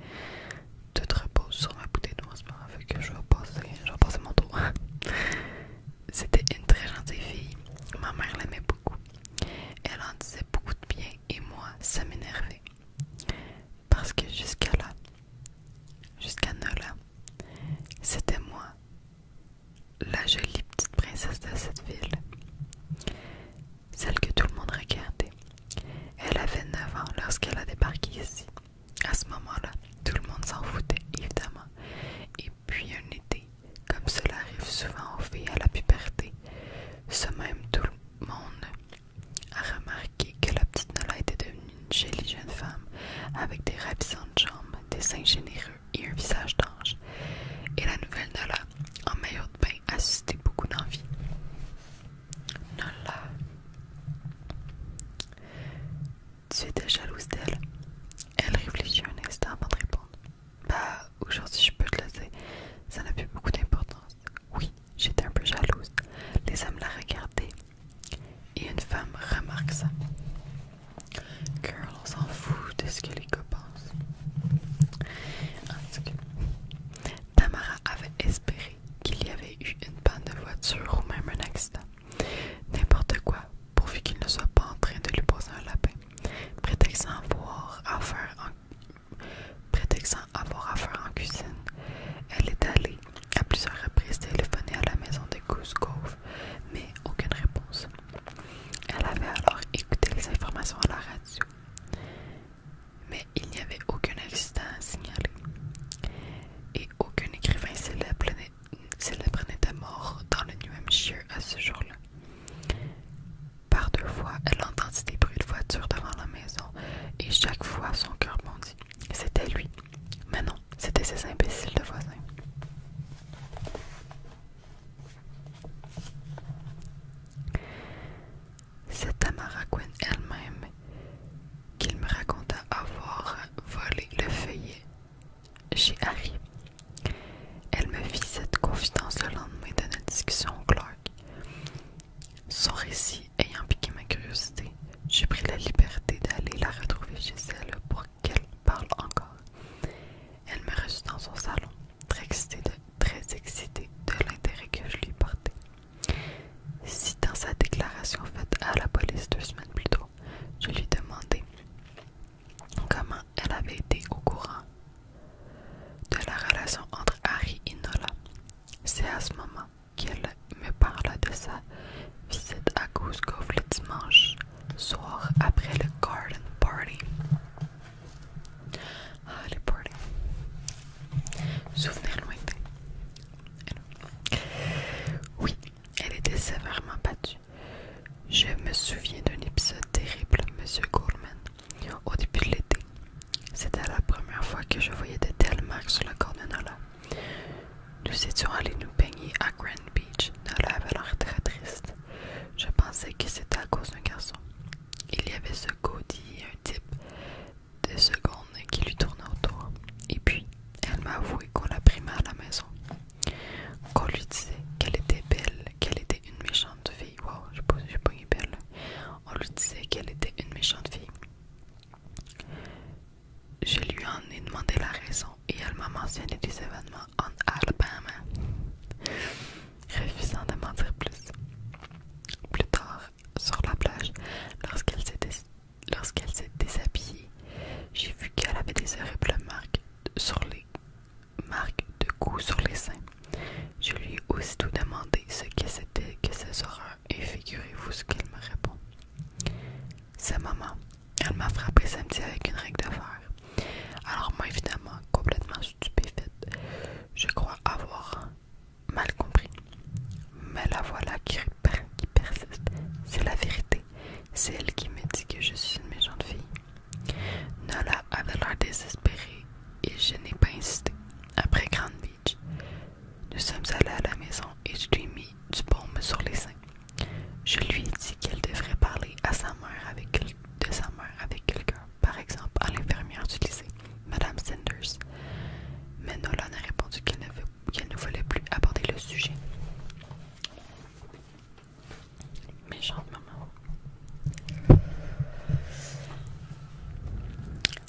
tout repose sur ma bouteille d'eau C'est pas moment, fait que je vais passer, je vais mon dos C'était une très gentille fille, ma mère l'aimait beaucoup. Elle en disait beaucoup de bien et moi, ça m'énervait. Parce que jusqu'à là, jusqu'à là, c'était moi la jolie petite princesse de cette ville, celle que tout le monde regardait. Elle avait 9 ans lorsqu'elle a débarqué ici. À ce moment-là, tout le monde s'en foutait, évidemment. Et puis un été, comme cela arrive souvent aux filles à la puberté, ce même tout le monde a remarqué que la petite Nola était devenue une jolie jeune femme, avec des ravissantes jambes, des seins généreux et un visage d'ange, et la nouvelle Nola, en maillot de bain, a suscité beaucoup d'envie. Nola, tu étais jalouse d'elle Elle réfléchit un instant avant de répondre. Bah, aujourd'hui, je peux te le dire, ça n'a plus beaucoup d'importance. Oui, j'étais un peu jalouse. Les hommes la regardaient, et une femme remarque ça. Girl, on s'en fout de ce que les gars pensent. Ah, Tamara avait espéré qu'il y avait eu une panne de voiture ou même un accident. N'importe quoi, pourvu qu'il ne soit pas en train de lui poser un lapin. Prétextant avoir affaire en, Prétextant avoir affaire en cuisine, elle est allée à plusieurs reprises téléphoner à la maison de Goose mais aucune réponse. Elle avait alors écouté les informations à la radio, mais il n'y avait aucun accident à signaler et aucun écrivain célèbre n'était mort dans le New Hampshire à ce jour-là. Par deux fois, elle entendit des bruits de voiture devant la maison et chaque fois son cœur bondit. C'était lui. Mais non, c'était ces imbéciles de voisins. C'est Tamara Quinn elle-même qu'il me raconta avoir volé le feuillet chez Harry. Elle me fit cette confidence le lendemain de notre discussion au Clark. Son récit ayant piqué ma curiosité, j'ai pris la liberté d'aller la retrouver chez elle pour qu'elle parle encore. Elle me reçut dans son salon, très excitée de, l'intérêt que je lui portais. Citant sa déclaration faite à la police deux semaines plus tôt, je lui demandais comment elle avait été au courant de la relation entre Harry et Nola. C'est à ce moment qu'elle me parla de sa visite à Goose Cove le dimanche soir après le garden party. Ah, les Oui, elle était sévèrement battue. Je me souviens d'un épisode terrible, Monsieur Goldman, au début de l'été. C'était la première fois que je voyais de telles marques sur le corps de Nala Nous étions allés nous baigner à Grand Beach. dans avait l'air très triste. Je pensais que c'était à cause d'un garçon. Il y avait ce gaudy un type de seconde qui lui tournait autour. Et puis, elle m'a avoué qu'on la primait à la maison. Qu'on lui disait qu'elle était belle, qu'elle était une méchante fille. Waouh, je pas belle. On lui disait qu'elle était une méchante fille. Je lui en ai demandé la raison et elle m'a mentionné des événements en Alabama, refusant de mentir plus. Plus tard, sur la plage, lorsqu'elle s'est déshabillée, j'ai vu qu'elle avait des horribles marques sur les marques de coups sur les seins. Je lui ai aussitôt demandé ce que c'était que ces horreurs et figurez-vous ce qu'elle me répond. Sa maman. Elle m'a frappé samedi avec une règle de Alors moi évidemment, complètement stupéfaite. Je crois avoir mal compris. Mais la voilà qui, persiste. C'est la vérité. C'est elle qui me dit que je suis une méchante fille. Nola avait l'air désespérée et je n'ai pas insisté. Après Grand Beach, nous sommes allés à la maison et je lui ai mis du baume sur les seins. Je lui ai dit qu'elle devrait parler à sa mère avec, de sa mère avec quelqu'un par exemple à l'infirmière du lycée, Madame Sanders. Mais Nolan a répondu qu'elle ne, ne voulait plus aborder le sujet. Méchante maman.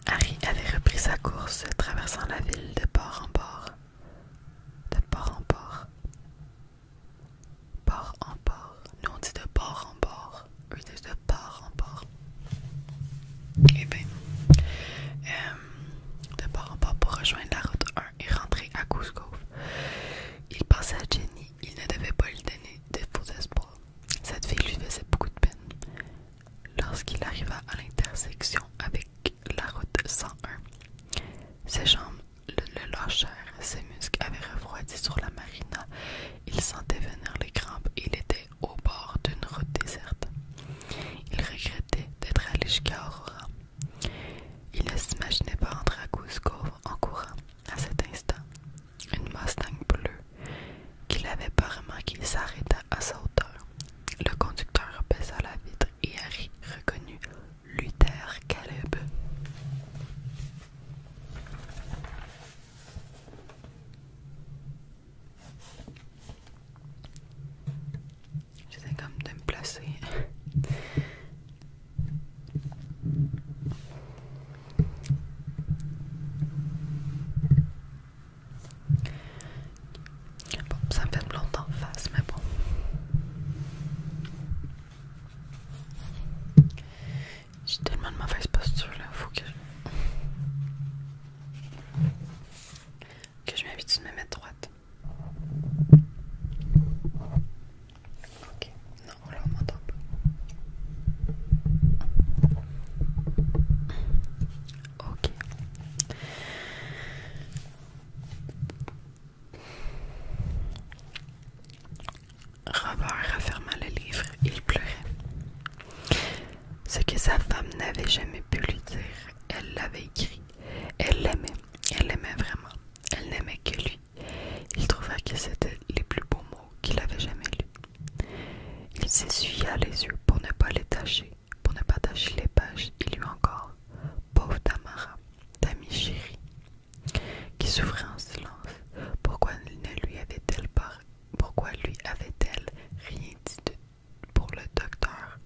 Harry avait repris sa course, traversant la ville de port en port. De port en port. Port en port. Nous on dit de port en port. Eux disent de port en port. Et eh bien, euh, de port en port pour rejoindre la route 1 et rentrer à Cosgrove. Il pensait à Jenny. Il ne devait pas lui donner de faux espoirs. Cette fille lui faisait beaucoup de peine. Lorsqu'il arriva à l'intersection avec la route 101, ses jambes le, le lâchèrent, ses muscles avaient refroidi sur la marina il sentait venir les crampes et il était au bord d'une route déserte. Il regrettait d'être allé jusqu'à Aurora. Il ne s'imaginait pas entrer à Goose en courant. À cet instant, une Mustang bleue qu'il avait pas qu'il s'arrêta à sa hauteur. Le conducteur baissa la vitre et Harry reconnut Luther Caleb. J'essaie comme de me placer. Bon, ça fait longtemps en face, mais bon. J'ai tellement de mauvaise posture là, il faut que je, que je m'habitue de me mettre droite. Ok, non, là on m'entend pas. Ok. Robert referma le livre, il pleurait. Ce que sa femme n'avait jamais pu lui dire, elle l'avait écrit. Elle l'aimait, elle l'aimait vraiment. Elle n'aimait que lui. Il trouva que c'était les plus beaux mots qu'il avait jamais lus. Il s'essuya les yeux pour ne pas les tacher, pour ne pas tacher les pages. Il lut encore Pauvre Tamara, ta chérie, qui souffrait en silence. Pourquoi ne lui avait-elle pas pourquoi lui avait-elle rien dit pour le docteur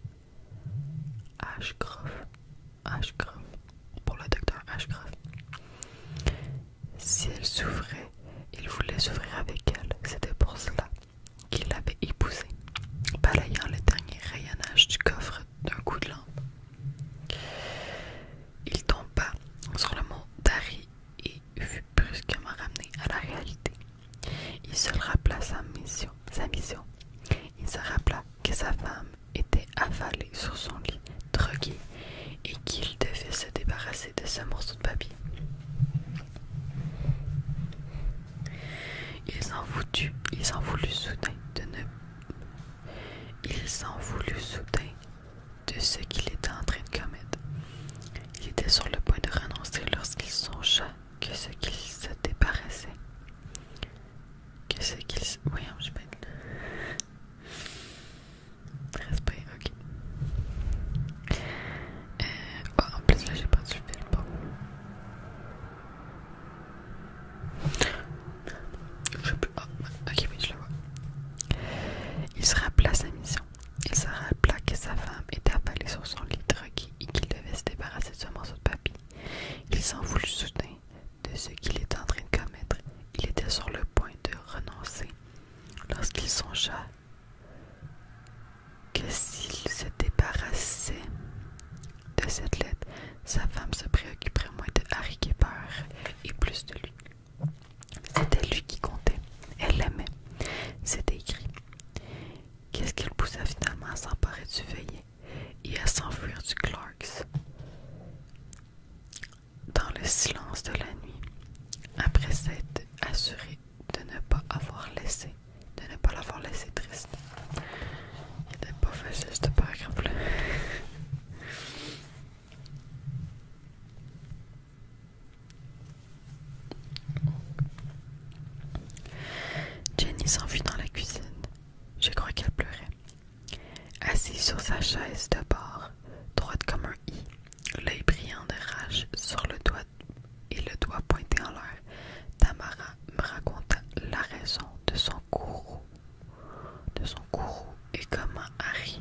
Ashcroft? Ashcroft. Pour le docteur Ashcroft. Si elle souffrait, il voulait souffrir avec elle. C'était pour cela qu'il l'avait épousée, balayant le dernier rayonnage du coffre d'un coup de lampe. Il tomba sur le mot d'Ari et fut brusquement ramené à la réalité. Il se rappela sa mission. Sa mission. Il se rappela que sa femme était avalée sur son lit, droguée, et qu'il devait se débarrasser de ce morceau de papier. Il s'en voulut, il s'en voulut soudain de ne. Il s'en voulut soudain de ce qu'il était en train de commettre. Il était sur le point de renoncer lorsqu'il songea que ce qu'il se débarrassait. Que ce qu'il se. je vais. Respect, ok. oh, en plus, là, j'ai pas du film. Je sais plus. Oh, ok, oui, je le vois. Il se rappela sa mission. Il se rappela que sa femme était affalée sur son lit drogué et qu'il devait se débarrasser de ce morceau de papier. Il s'en voulut soudain de ce qu'il était en train de commettre. Il était sur le point de renoncer lorsqu'il songea que s'il se débarrassait de cette lettre, sa femme se préoccuperait moins de Harry Kipper et plus de lui. C'était lui qui comptait. Elle l'aimait. C'était écrit. Qu'est-ce qui poussa finalement à s'emparer du veillé et à s'enfuir du Clarks dans le silence de la nuit, après s'être assuré de ne pas avoir laissé, de ne pas l'avoir laissé triste. Il n'était pas facile te parle Jenny s'enfuit dans la cuisine. Je crois qu'elle pleurait. Assise sur sa chaise de bord, droite comme un i, l'œil brillant de rage sur le doigt et le doigt pointé en l'air, Tamara me raconta la raison de son courroux, de son courroux et comment Harry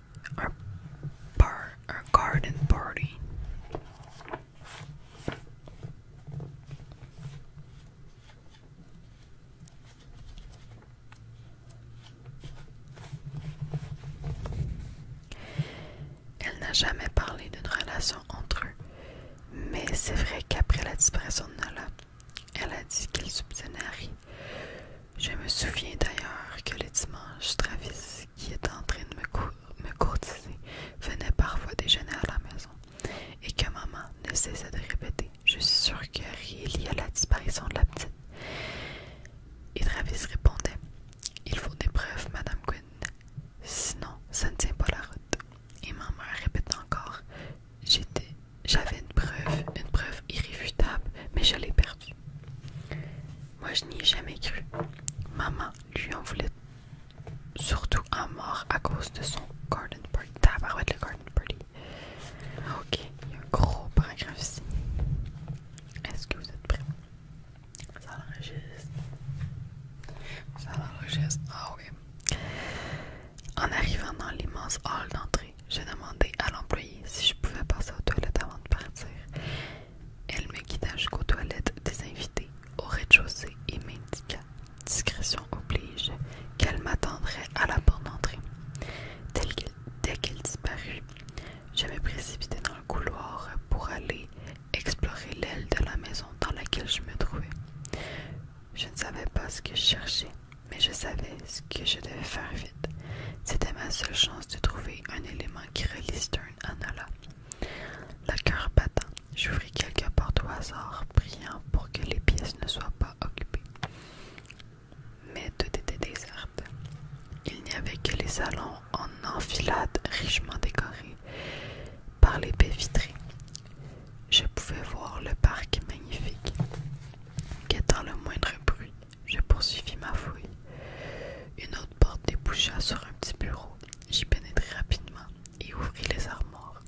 un, garden party. Elle n'a jamais parlé d'une relation entre eux, mais c'est vrai qu'après la disparition de Nola, elle a dit qu'il soupçonnait Harry je me souviens d'ailleurs que le dimanche, Travis, qui était en train de me, courtiser, venait parfois déjeuner à la maison, et que maman ne cessait de répéter Je suis sûre que rien a la disparition de la petite. Et Travis répondait Il faut des preuves, Madame Quinn, sinon ça ne tient pas la route. Et Maman répétait encore J'avais une preuve, une preuve irréfutable, mais je l'ai perdue. Moi, je n'y ai jamais cru. Maman lui en voulait surtout à mort à cause de son garden party. Okay, le garden party. Ok, il y a un gros paragraphe ici. Est-ce que vous êtes prêts? Ça l'enregistre. Ça l'enregistre. Ah oui. En arrivant dans l'immense hall d'entrée, j'ai demandé à l'employé si je pouvais passer aux toilettes avant de partir. Elle me guida jusqu'aux toilettes des invités, au rez-de-chaussée et m'indiqua, discrétion oblige, qu'elle m'attendrait à la porte d'entrée. Dès qu'elle disparut, je me précipitai dans le couloir pour aller explorer l'aile de la maison dans laquelle je me trouvais. Je ne savais pas ce que je cherchais, mais je savais ce que je devais faire vite. C'était ma seule chance de trouver un élément qui réalise un La cœur battait. j'ouvris quelques portes au hasard, priant pour que les pièces ne soient pas occupées. Mais tout était déserte. Il n'y avait que les salons en enfilade richement décorés par les baies vitrées. Je pouvais voir le parc magnifique, guettant le moindre bruit, je poursuivis ma fouille. Une autre porte déboucha sur un petit bureau. J'y pénétrai rapidement et ouvris les armoires.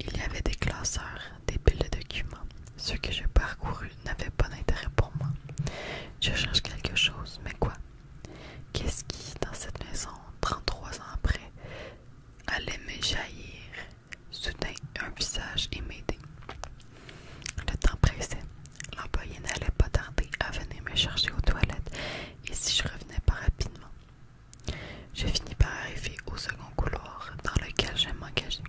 Il y avait des classeurs, des piles de documents. Ceux que je parcourus n'avaient pas d'intérêt pour moi. Je change quelque chose, mais quoi Qu'est-ce qui, dans cette maison, 33 ans après, allait me jaillir Soudain, un visage m'aider Le temps pressait. L'employé n'allait pas tarder à venir me chercher aux toilettes et si je revenais pas rapidement. Je finis par arriver au second couloir dans lequel j'ai m'engagé.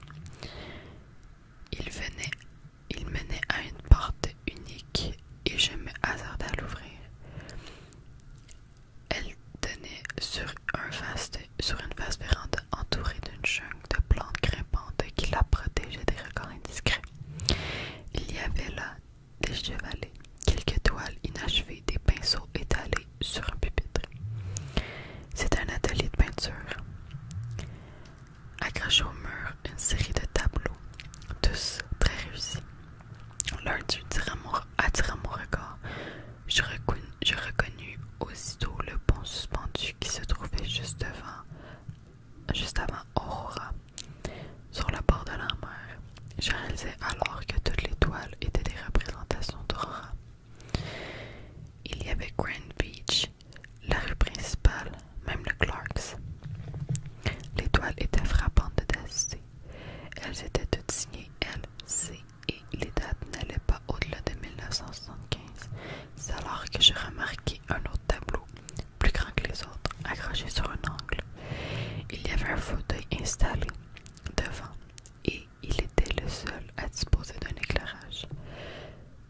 Il venait, il menait à une porte unique et je me hasardais à l'ouvrir. Elle tenait sur, un vaste, sur une vaste véranda entourée d'une jungle de plantes grimpantes qui la protégeaient des regards indiscrets. Il y avait là des chevalets, quelques toiles inachevées, des pinceaux étalés sur un pupitre. C'est un atelier de peinture. Accroché au mur, une série de tableaux, tous très réussis. L'un d'eux attira mon regard. Je, je reconnus aussitôt le pont suspendu qui se trouvait juste devant, juste avant Aurora, sur la bord de la mer. Je réalisais alors que toutes les toiles étaient des représentations d'Aurora. Il y avait Grand Beach, la rue principale, même le Clarks. Les toiles étaient frappantes de DC. Elles étaient toutes signées LC et les dates n'allaient pas au-delà de 1975. C'est alors que je remarquais un autre tableau plus grand que les autres, accroché sur un angle. Il y avait un fauteuil installé devant et il était le seul à disposer d'un éclairage.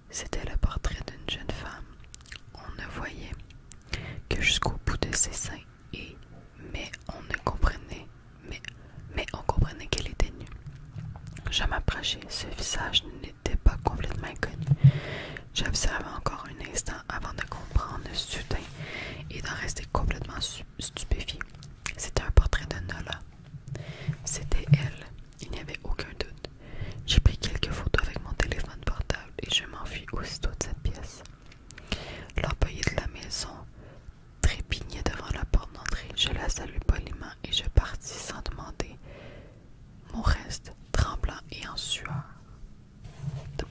C'était le portrait d'une jeune femme. On ne voyait que jusqu'au bout de ses seins et mais on ne comprenait mais mais on comprenait qu'elle était nue. Je m'approchais, ce visage n'était pas complètement inconnu. J'observais encore un instant avant de comprendre soudain et d'en rester complètement stupéfié. C'était un portrait de Nola. C'était elle, il n'y avait aucun doute. J'ai pris quelques photos avec mon téléphone portable et je m'enfuis aussitôt de cette pièce. L'employé de la maison trépignait devant la porte d'entrée. Je la salue poliment et je partis sans demander mon reste tremblant et en sueur de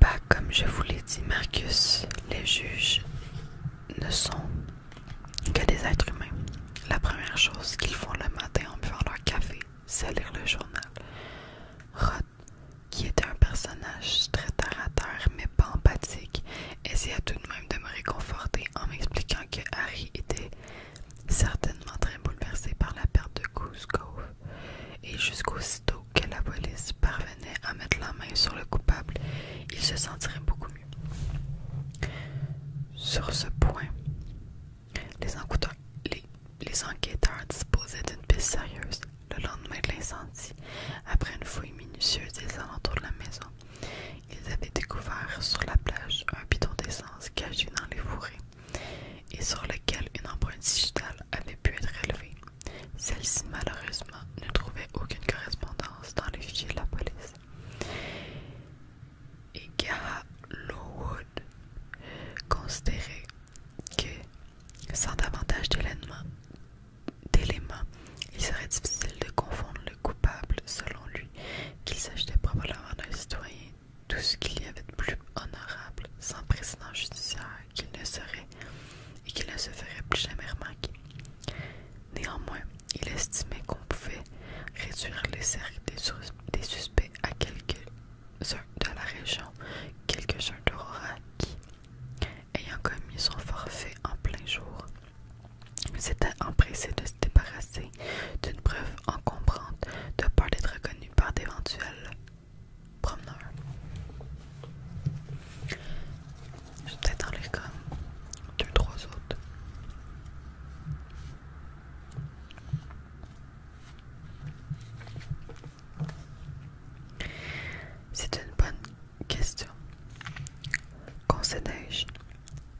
Pas comme je vous l'ai dit, Marcus, les juges ne sont que des êtres humains. La première chose qu'ils font le matin en buvant leur café, c'est lire le journal. roth qui était un personnage très tarateur mais pas empathique, essaya tout de même de me réconforter en m'expliquant que Harry était certainement très bouleversé par la perte de Goose et Et jusqu'aussitôt que la police parvenait à mettre la main sur le coupable, il se sentirait beaucoup sur ce point, les enquêteurs, disposaient d'une piste sérieuse le lendemain de l'incendie. Après une fouille minutieuse des alentours de la maison, ils avaient découvert sur la plage un bidon d'essence caché dans les fourrés et sur lequel une empreinte digitale avait pu être relevée. Celle-ci, malheureusement, ne trouvait aucune correspondance dans les fichiers de la police et Gara Lowood considérait que, sans davantage d'éléments, il serait difficile de confondre le coupable, selon lui, qu'il s'agissait probablement d'un citoyen, tout ce qu'il y avait de plus honorable, sans précédent judiciaire, qu'il ne serait et qu'il ne se ferait plus jamais remarquer. Néanmoins, il estimait qu'on pouvait réduire les cercles des, suspects à quelques-uns de la région, quelques-uns d'Aurora qui, ayant commis son forfait en plein jour, s'était empressé de se débarrasser d'une preuve encombrante de peur d'être reconnu par d'éventuels promeneurs. Je vais peut-être deux, trois autres. C'est une bonne question. Concédai-je.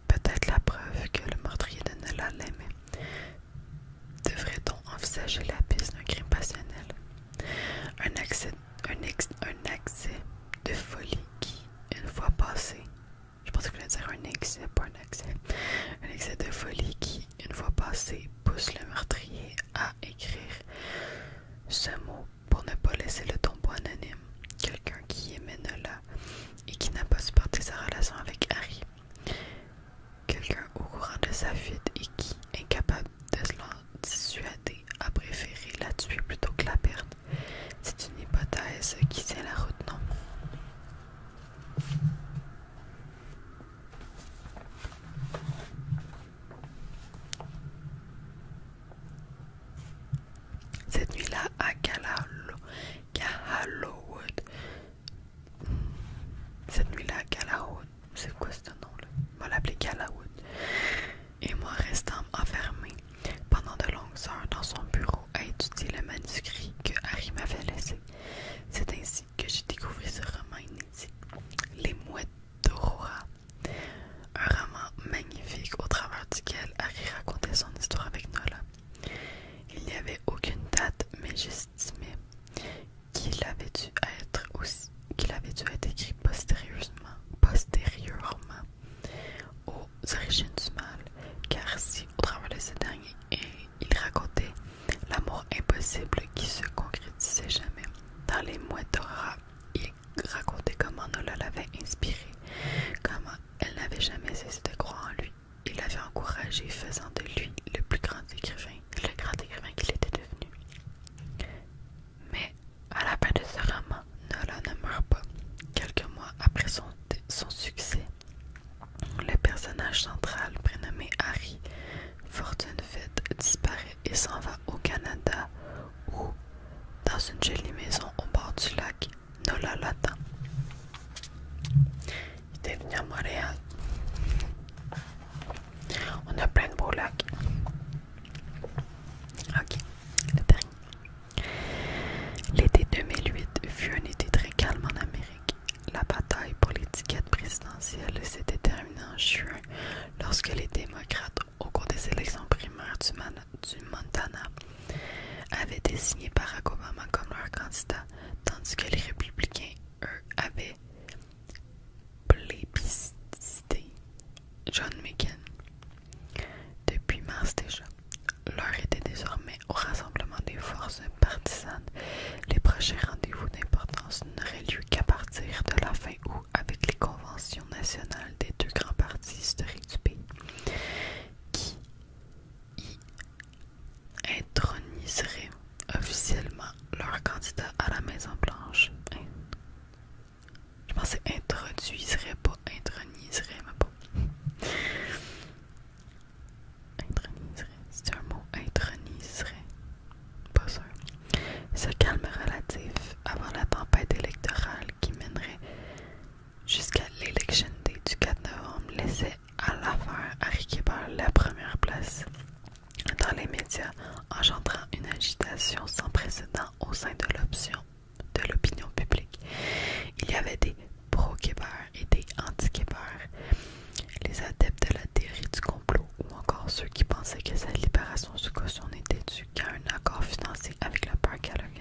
Peut-être la preuve que le meurtrier de nella l'aimait. Devrait-on envisager la piste d'un crime passionnel un accès, un accès de folie qui, une fois passé, je pensais que je voulais dire un excès, pas un excès, un excès de folie qui, une fois passé, pousse le meurtrier à écrire ce mot pour ne pas laisser le tombeau anonyme. Quelqu'un qui aimait Nola et qui n'a pas supporté sa relation avec Harry. Quelqu'un au courant de sa fuite et qui, incapable de se l'en dissuader, a préféré la tuer plutôt que la perdre. C'est une hypothèse qui tient la route, non Cette nuit-là à Callowwood. Cette nuit-là à Callowwood. C'est quoi ce nom-là On va l'appeler Callowwood. Et moi, restant enfermé pendant de longues heures dans son bureau à étudier le manuscrit que Harry m'avait laissé. C'est ainsi que j'ai découvert ce roman inédit, Les Mouettes d'Aurora. Un roman magnifique au travers duquel Harry racontait son histoire avec Nola. Il n'y avait aucune date, mais j'estimais qu'il avait dû être qu'il avait dû être écrit postérieurement aux origines du mal, car si au travers de ce dernier, il racontait l'amour impossible qui se concrétisait jamais. Dans les mois d'Aura, il racontait comment Nola l'avait inspiré, comment elle n'avait jamais cessé de croire en lui. Il l'avait encouragé, faisant de lui le plus grand écrivain, le grand écrivain qu'il était devenu. Mais à la fin de ce roman, Nola ne meurt pas. Quelques mois après son son succès. Le personnage central, prénommé Harry fortune Fortunefed, disparaît et s'en va au Canada où, dans une jolie maison au bord du lac, Nola l'attend. Il est venu à Montréal. On a plein de beaux lacs. Ok, L'été 2008 fut un été très calme en Amérique. La bataille pour l'étiquette présidentielle s'était terminée en juin lorsque les démocrates, au cours des élections primaires du, Montana, avaient désigné Barack Obama comme leur candidat, tandis que les républicains, eux, avaient plébiscité John McCain. Depuis mars déjà, L'heure était désormais au rassemblement des forces partisanes. Les prochains rendez-vous d'importance n'auraient lieu qu'à partir de la fin août avec les conventions nationales des deux grands partis historiques du pays, qui y introniseraient officiellement leur candidat à la Maison-Blanche. Hein? Je pensais introduiserait pas, introniserait, mais pas c'est un mot introniserait, pas sûr. Ce calme relatif avant la tempête électorale qui mènerait jusqu'à l'élection du 4 novembre laissait à l'affaire Harry la première place dans les médias, engendrant une agitation sans précédent au sein de l'option de l'opinion publique. Il y avait des pro-Québécois et des anti-Québécois, les adeptes de la théorie du complot ou encore ceux qui pensaient que cette libération sous caution n'était due qu'à un accord financier avec la parc Halloween.